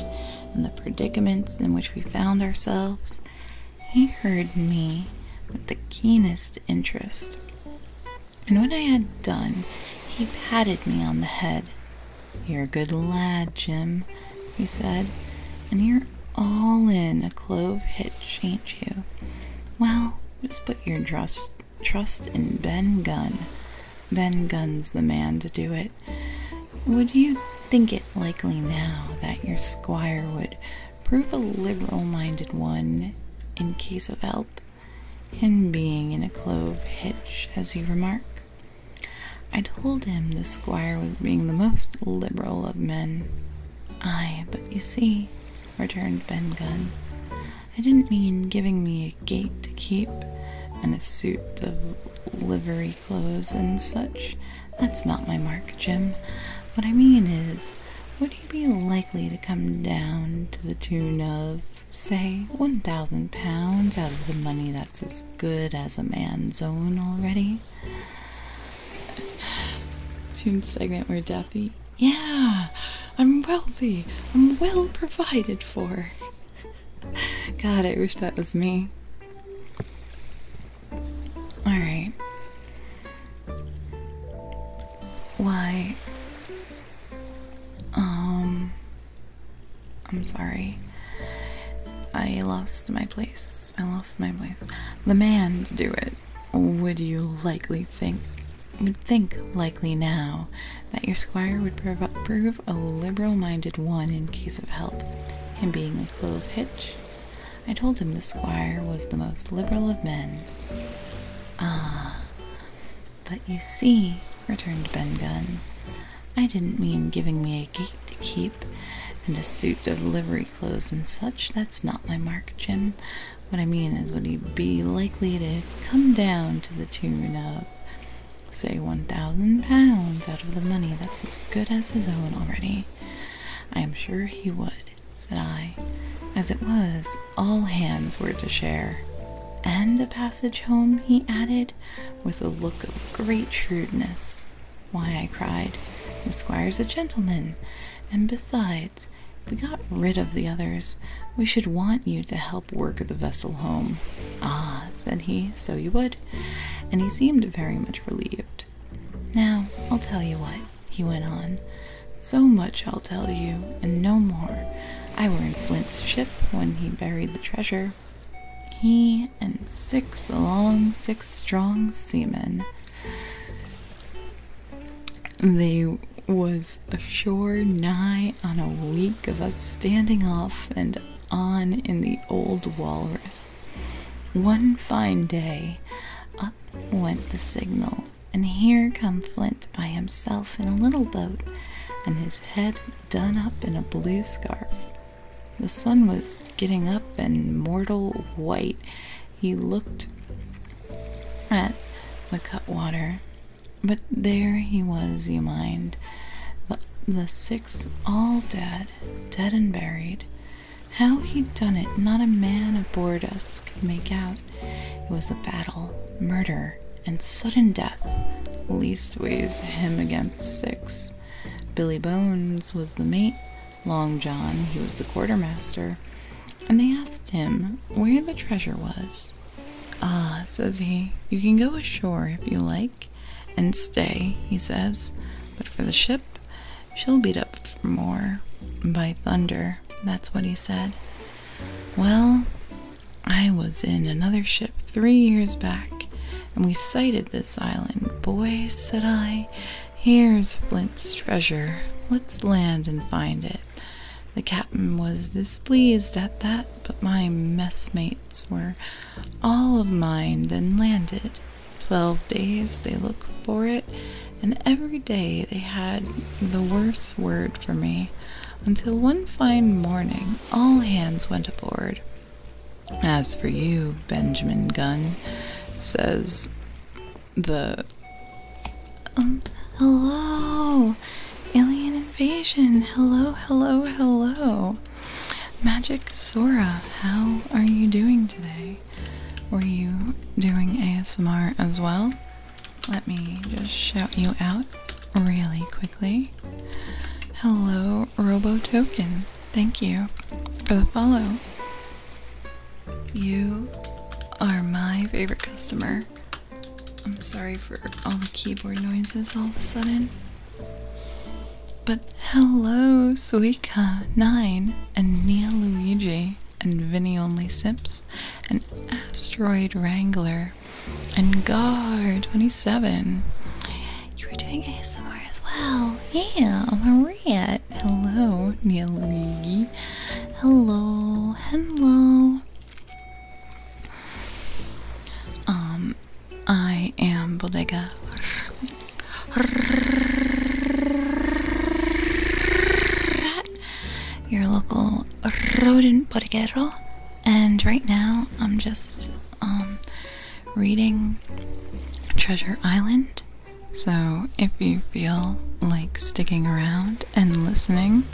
and the predicaments in which we found ourselves he heard me with the keenest interest, and when I had done, he patted me on the head. You're a good lad, Jim, he said, and you're all in a clove hitch, ain't you? Well, just put your trust, in Ben Gunn. Ben Gunn's the man to do it would you think it likely now that your squire would prove a liberal minded one in case of help, and being in a clove hitch, as you remark? I told him the squire was being the most liberal of men. Ay, but you see, returned Ben Gunn, I didn't mean giving me a gate to keep, and a suit of livery clothes and such that's not my mark, Jim. What I mean is, would you be likely to come down to the tune of, say, one thousand pounds out of the money that's as good as a man's own already? Tune <sighs> segment where Daffy, yeah, I'm wealthy, I'm well provided for. <laughs> God, I wish that was me. All right. Why? Um, I'm sorry. I lost my place. I lost my place. The man to do it. Would you likely think? Would think likely now that your squire would prove a liberal-minded one in case of help, him being a clove hitch I told him the squire was the most liberal of men. Ah, but you see, returned Ben Gunn, I didn't mean giving me a gate to keep and a suit of livery clothes and such. That's not my mark, Jim. What I mean is, would he be likely to come down to the tune of, say, one thousand pounds out of the money that's as good as his own already? I am sure he would, said I. As it was, all hands were to share. And a passage home, he added, with a look of great shrewdness. Why, I cried, the squire's a gentleman, and besides, if we got rid of the others, we should want you to help work the vessel home. Ah, said he, so you would. And he seemed very much relieved. Now, I'll tell you what, he went on. So much I'll tell you, and no more. I were in Flint's ship when he buried the treasure. He and six long, six strong seamen. They was ashore nigh on a week of us standing off and on in the old walrus. One fine day, up went the signal, and here come Flint by himself in a little boat, and his head done up in a blue scarf. The sun was getting up and mortal white. He looked at the cutwater, but there he was, you mind. the six all dead, dead and buried. How he'd done it, not a man aboard us could make out. It was a battle, murder, and sudden death, leastways him against six. Billy Bones was the mate, Long John, he was the quartermaster, and they asked him where the treasure was. Ah, says he, you can go ashore if you like, and stay, he says. But for the ship, she'll beat up for more by thunder. That's what he said. Well, I was in another ship three years back, and we sighted this island. Boy, said I, here's Flint's treasure. Let's land and find it. The captain was displeased at that, but my messmates were all of mind and landed. 12 days they looked for it, and every day they had the worse word for me, until one fine morning all hands went aboard. As for you, Benjamin Gunn, says the. Um, hello! Alien invasion! Hello, hello, hello! Magic Sora, how are you doing today? Were you doing ASMR as well? Let me just shout you out really quickly. Hello, Robo Token. Thank you for the follow. You are my favorite customer. I'm sorry for all the keyboard noises all of a sudden. But hello, Suika, Nine, and Nia Luigi, and Vinnie Only Sips, and Asteroid Wrangler, and Gar 27. You were doing ASMR as well. Yeah, Maria. Hello, Nia Luigi. Hello, hello. Um, I am Bodega your local rodent bodeguero. And right now, I'm just um, reading Treasure Island. So if you feel like sticking around and listening,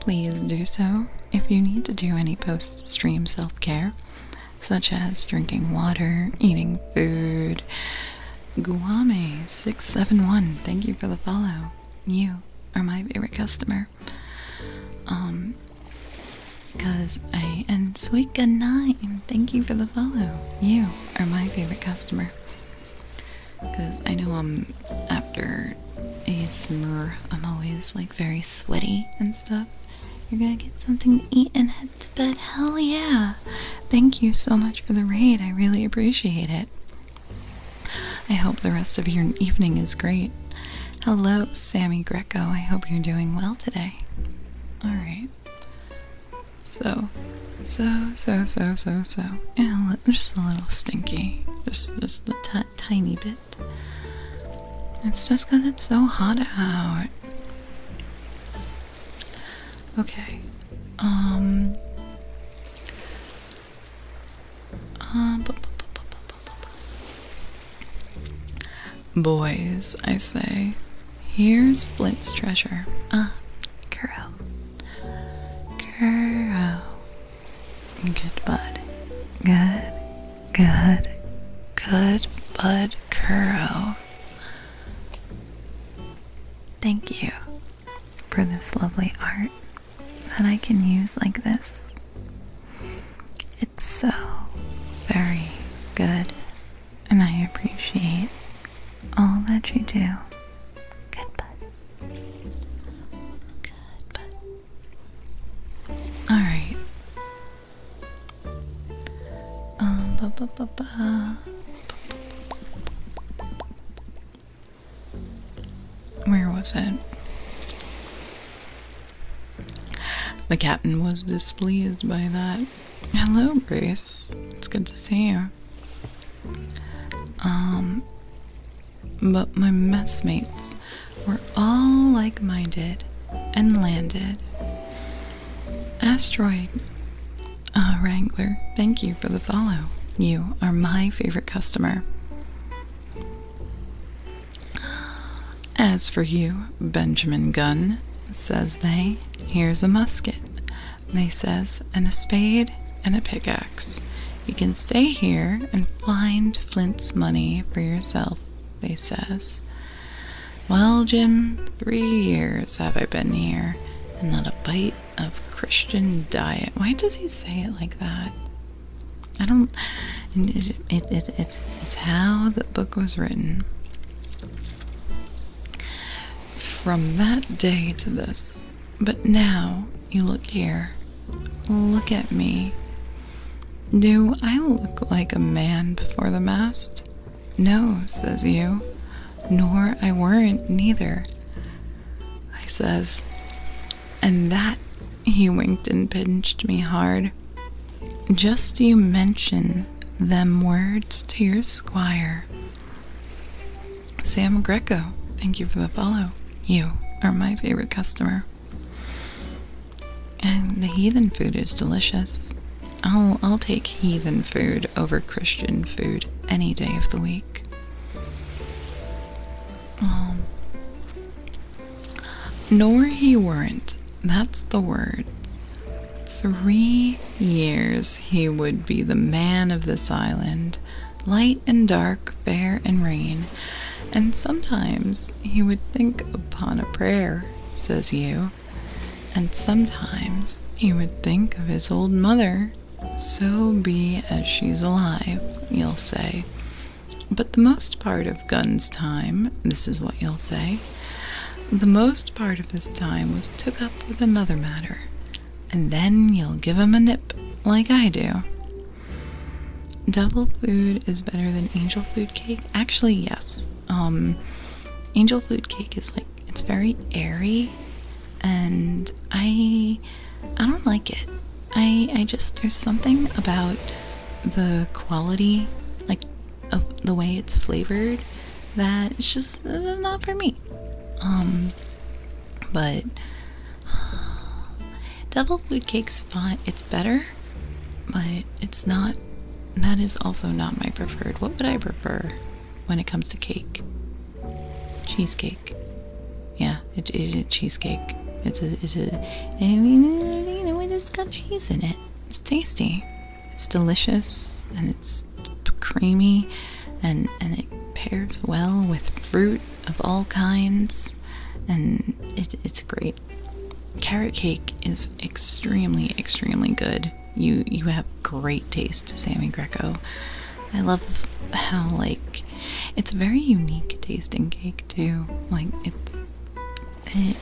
please do so. If you need to do any post stream self care, such as drinking water, eating food. Guami 671 thank you for the follow. You are my favorite customer. Um, because I and sweet good night. Thank you for the follow. You are my favorite customer. Because I know I'm after a ASMR, I'm always like very sweaty and stuff. You're gonna get something to eat and head to bed. Hell yeah! Thank you so much for the raid. I really appreciate it. I hope the rest of your evening is great. Hello, Sammy Greco. I hope you're doing well today. Alright. So, so, so, so, so, so. just a little stinky. Just, just a t tiny bit. It's just because it's so hot out. Okay. Um. Um. Boys, I say, here's Flint's treasure. Ah, Kuro. Kuro. Good bud. Good. Good. Good bud, Kuro. Thank you for this lovely art that I can use like this. It's so very good, and I appreciate all that you do. Good bud. Good bud. Alright, um, Where was it? The captain was displeased by that. Hello, Bruce. It's good to see you. Um, but my messmates were all like minded and landed. Asteroid uh, Wrangler, thank you for the follow. You are my favorite customer. As for you, Benjamin Gun, says they, here's a musket, they says, and a spade and a pickaxe. You can stay here and find Flint's money for yourself, they says. Well, Jim, three years have I been here, and not a bite of Christian diet. Why does he say it like that? I don't. it's, it's how the book was written. From that day to this. But now, you look here. Look at me. Do I look like a man before the mast? No, says you, nor I weren't neither. I says, and that, he winked and pinched me hard. Just you mention them words to your squire. Sam Greco, thank you for the follow. You are my favorite customer. And the heathen food is delicious. I'll I'll take heathen food over Christian food any day of the week. Um, nor he weren't. That's the word. Three years he would be the man of this island, light and dark, fair and rain, and sometimes he would think upon a prayer, says you, and sometimes he would think of his old mother. So be as she's alive, you'll say. But the most part of Gun's time, this is what you'll say, the most part of his time was took up with another matter, and then you'll give him a nip, like I do. Devil food is better than angel food cake? Actually, yes. Um, angel food cake is like it's very airy, and I I don't like it. I I just there's something about the quality like of the way it's flavored that it's just not for me. Um, but <sighs> devil food cake's fine. It's better, but it's not. That is also not my preferred. What would I prefer? when it comes to cake. Cheesecake. Yeah, it is a cheesecake. It's a, it's a, you know, it just got cheese in it. It's tasty. It's delicious and it's creamy and, and it pairs well with fruit of all kinds and it's great. Carrot cake is extremely, extremely good you you have great taste, Sammy Greco. I love how like it's a very unique tasting cake too. Like it's it,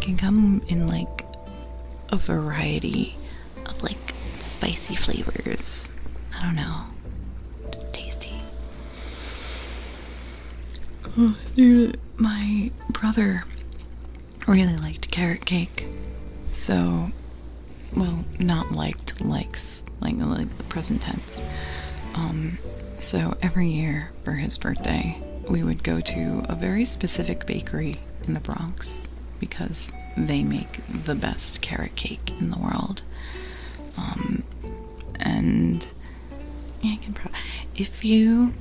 can come in like a variety of like spicy flavors. I don't know. tasty. Oh, my brother really liked carrot cake. So, well, not liked, likes, like, the present tense. Um, so every year for his birthday, we would go to a very specific bakery in the Bronx because they make the best carrot cake in the world. Um, and if you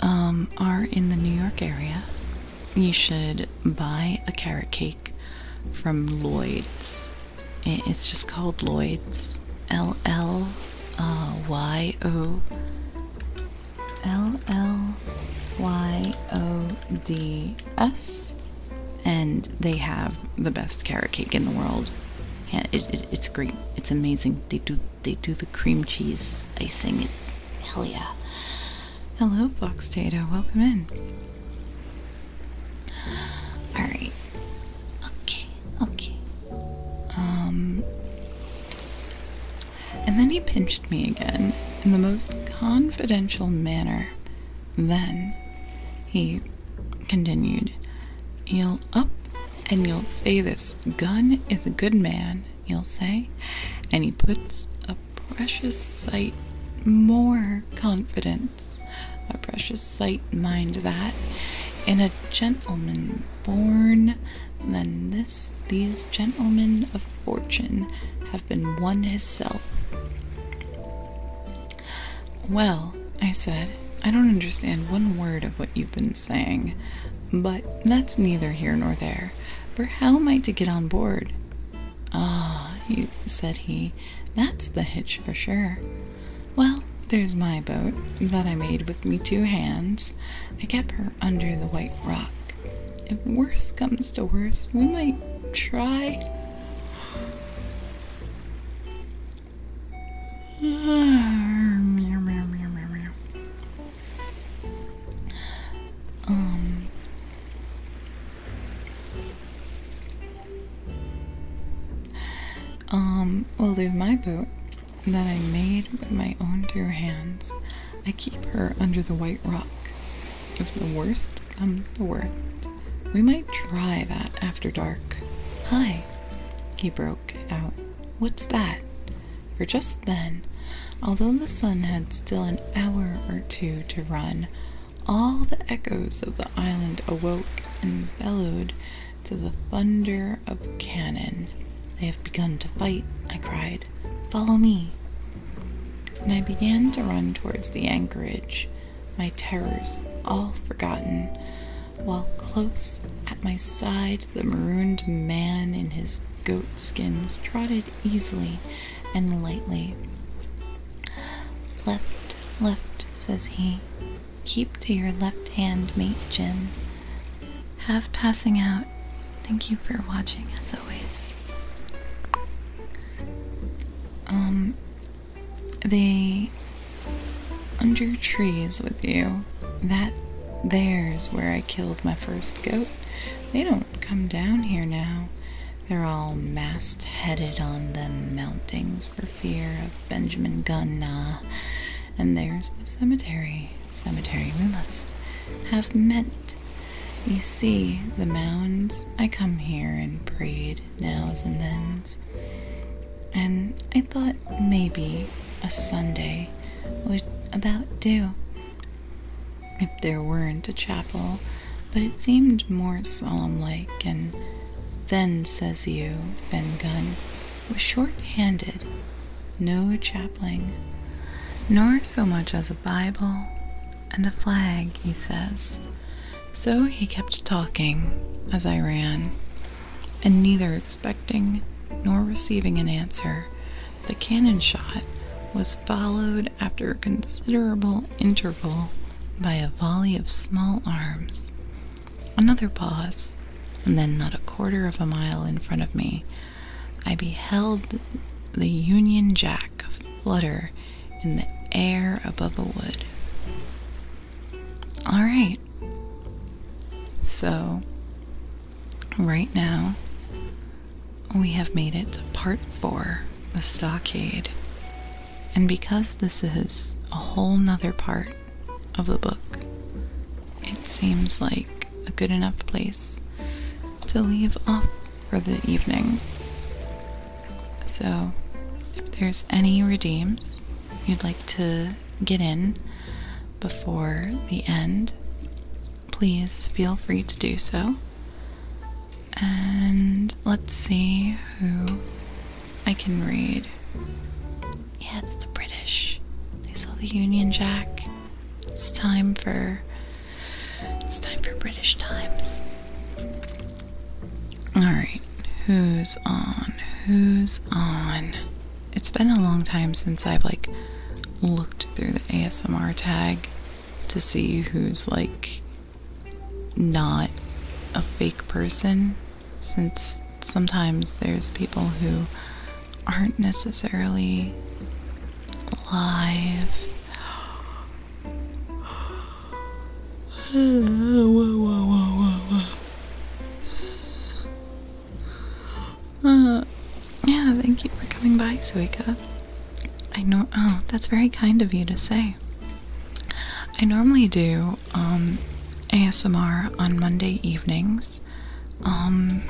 um, are in the New York area you should buy a carrot cake from Lloyd's. It's just called Lloyd's. L L Y O L L Y O D S, and they have the best carrot cake in the world. It, it's great. It's amazing. They do they do the cream cheese icing. It's hell yeah. Hello, Box Data. Welcome in. Alright. Okay, okay. Um. And then he pinched me again in the most confidential manner. Then he continued, You'll up and you'll say this gun is a good man you'll say, and he puts a precious sight more confidence, a precious sight, mind that, in a gentleman born than this these gentlemen of fortune have been won hisself. Well, I said, I don't understand one word of what you've been saying. But that's neither here nor there, for how am I to get on board? Ah, you said he, that's the hitch for sure. Well, there's my boat that I made with me two hands. I kept her under the white rock. If worse comes to worse, we might try. <sighs> Um, um, well, there's my boat that I made with my own dear hands. I keep her under the white rock. If the worst comes to worst, we might try that after dark. Hi, he broke out. What's that? for just then, although the sun had still an hour or two to run, all the echoes of the island awoke and bellowed to the thunder of cannon. They have begun to fight, I cried. Follow me. And I began to run towards the anchorage, my terrors all forgotten, while close at my side the marooned man in his goat skins trotted easily and lightly. Left, left, says he. Keep to your left hand, mate Jim. Have passing out. Thank you for watching, as always. Um, they under trees with you. That there's where I killed my first goat. They don't come down here now. They're all mast headed on the mountings for fear of Benjamin Gunna. And there's the cemetery. Cemetery we must have met. You see, the mounds, I come here and prayed nows and thens. And I thought maybe a Sunday would about do if there weren't a chapel, but it seemed more solemn like, and then, says you, Ben Gunn, was short handed, no chaplain, nor so much as a Bible and a flag, he says. So he kept talking as I ran, and neither expecting nor receiving an answer, the cannon shot was followed after a considerable interval by a volley of small arms. Another pause, and then not a quarter of a mile in front of me, I beheld the Union Jack flutter in the air above a wood. All right. So right now we have made it to part four, the stockade. And because this is a whole nother part of the book, it seems like a good enough place to leave off for the evening. So, if there's any redeems you'd like to get in before the end, please feel free to do so. And let's see who I can read. Yeah, it's the British. They saw the Union Jack. It's time for it's time for British times. Alright, who's on? Who's on? It's been a long time since I've like looked through the ASMR tag to see who's like not a fake person since sometimes there's people who aren't necessarily alive. Uh, yeah, thank you for coming by, Suika. I know. Oh, that's very kind of you to say. I normally do um, ASMR on Monday evenings. Um,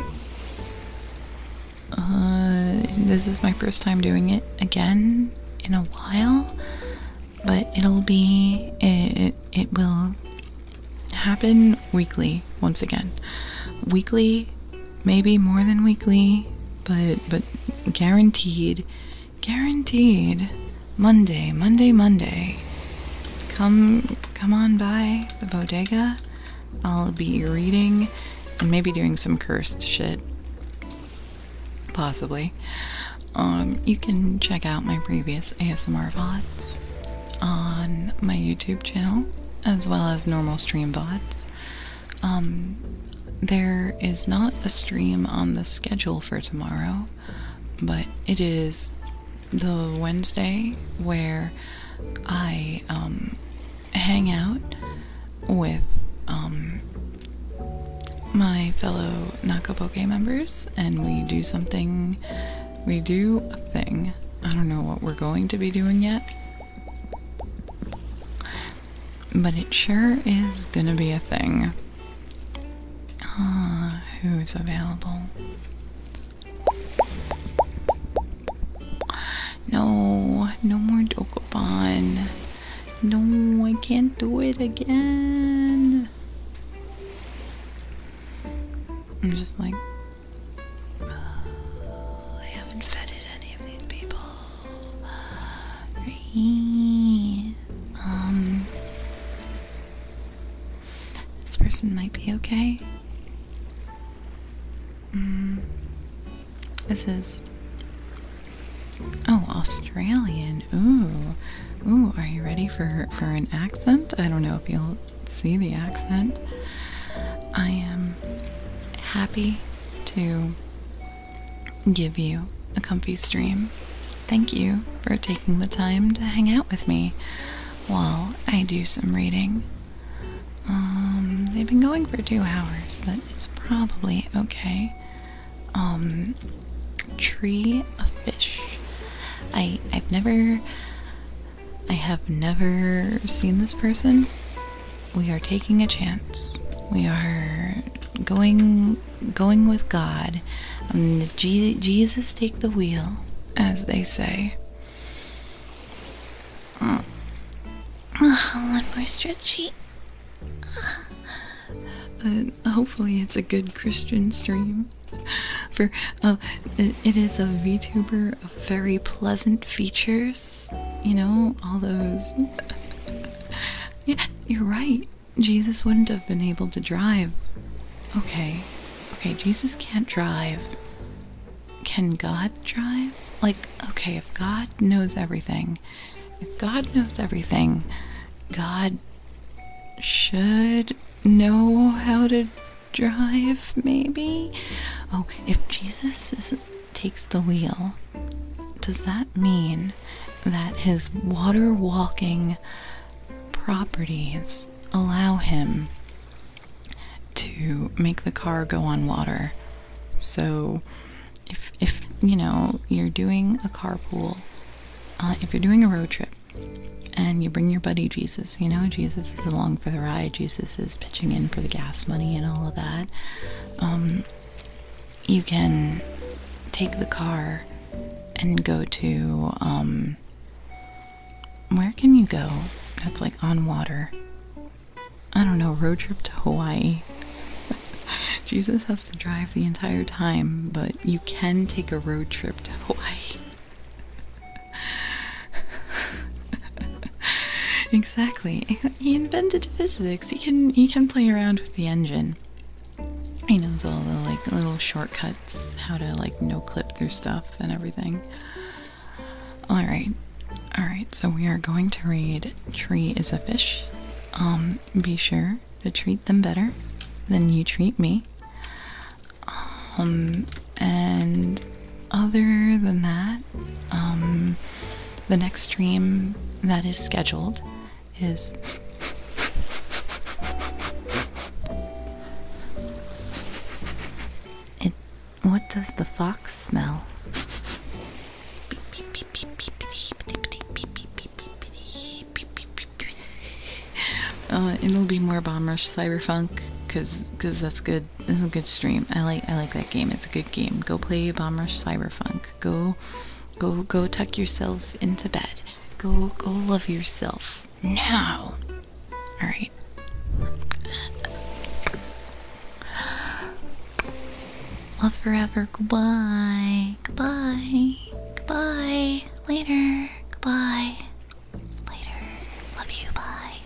uh, this is my first time doing it again in a while, but it'll be it. It will happen weekly once again. Weekly maybe more than weekly, but but guaranteed, guaranteed. Monday, Monday, Monday. Come come on by the bodega. I'll be reading and maybe doing some cursed shit. Possibly. Um, you can check out my previous ASMR VODs on my YouTube channel, as well as normal stream VODs. Um, there is not a stream on the schedule for tomorrow, but it is the Wednesday where I um, hang out with um, my fellow Nakapoke members and we do something. We do a thing. I don't know what we're going to be doing yet, but it sure is gonna be a thing. Ah, who's available? No, no more Dokobon. No, I can't do it again. I'm just like, I haven't feted any of these people. Um, this person might be okay. Mm, this is. Oh, Australian. Ooh. Ooh, are you ready for, for an accent? I don't know if you'll see the accent. I am happy to give you a comfy stream. Thank you for taking the time to hang out with me while I do some reading. Um, they've been going for two hours, but it's probably okay. Um, tree of fish. I I've never I have never seen this person we are taking a chance. We are going going with God. Um, Jesus take the wheel, as they say. Mm. Oh, one more stretchy. Ah. Uh, hopefully, it's a good Christian stream. For oh, it is a VTuber of very pleasant features you know, all those. yeah, you're right. Jesus wouldn't have been able to drive. Okay. Okay, Jesus can't drive. Can God drive? Like, okay, if God knows everything, if God knows everything, God should know how to drive, maybe? Oh, if Jesus is takes the wheel, does that mean that his water walking properties allow him to make the car go on water? So, if, if you know you're doing a carpool, uh, if you're doing a road trip and you bring your buddy Jesus, you know, Jesus is along for the ride, Jesus is pitching in for the gas money and all of that um, you can take the car and go to um, where can you go that's like on water i don't know road trip to hawaii <laughs> jesus has to drive the entire time but you can take a road trip to hawaii <laughs> exactly <laughs> he invented physics. He can he can play around with the engine. He knows all the like little shortcuts, how to like no clip through stuff and everything. All right, all right. So we are going to read "Tree is a Fish." Um, be sure to treat them better than you treat me. Um, and other than that, um, the next stream that is scheduled is. it. What does the fox smell? <laughs> Uh, it'll be more bomb rush cyberfunk, cause, cause that's good. This is a good stream. I like. I like that game. It's a good game. Go play Bomb Rush Cyberpunk. Go, go, go. Tuck yourself into bed. Go, go. Love yourself now. All right. <sighs> Love forever. Goodbye. Goodbye. Goodbye. Later. Goodbye. Later. Love you. Bye.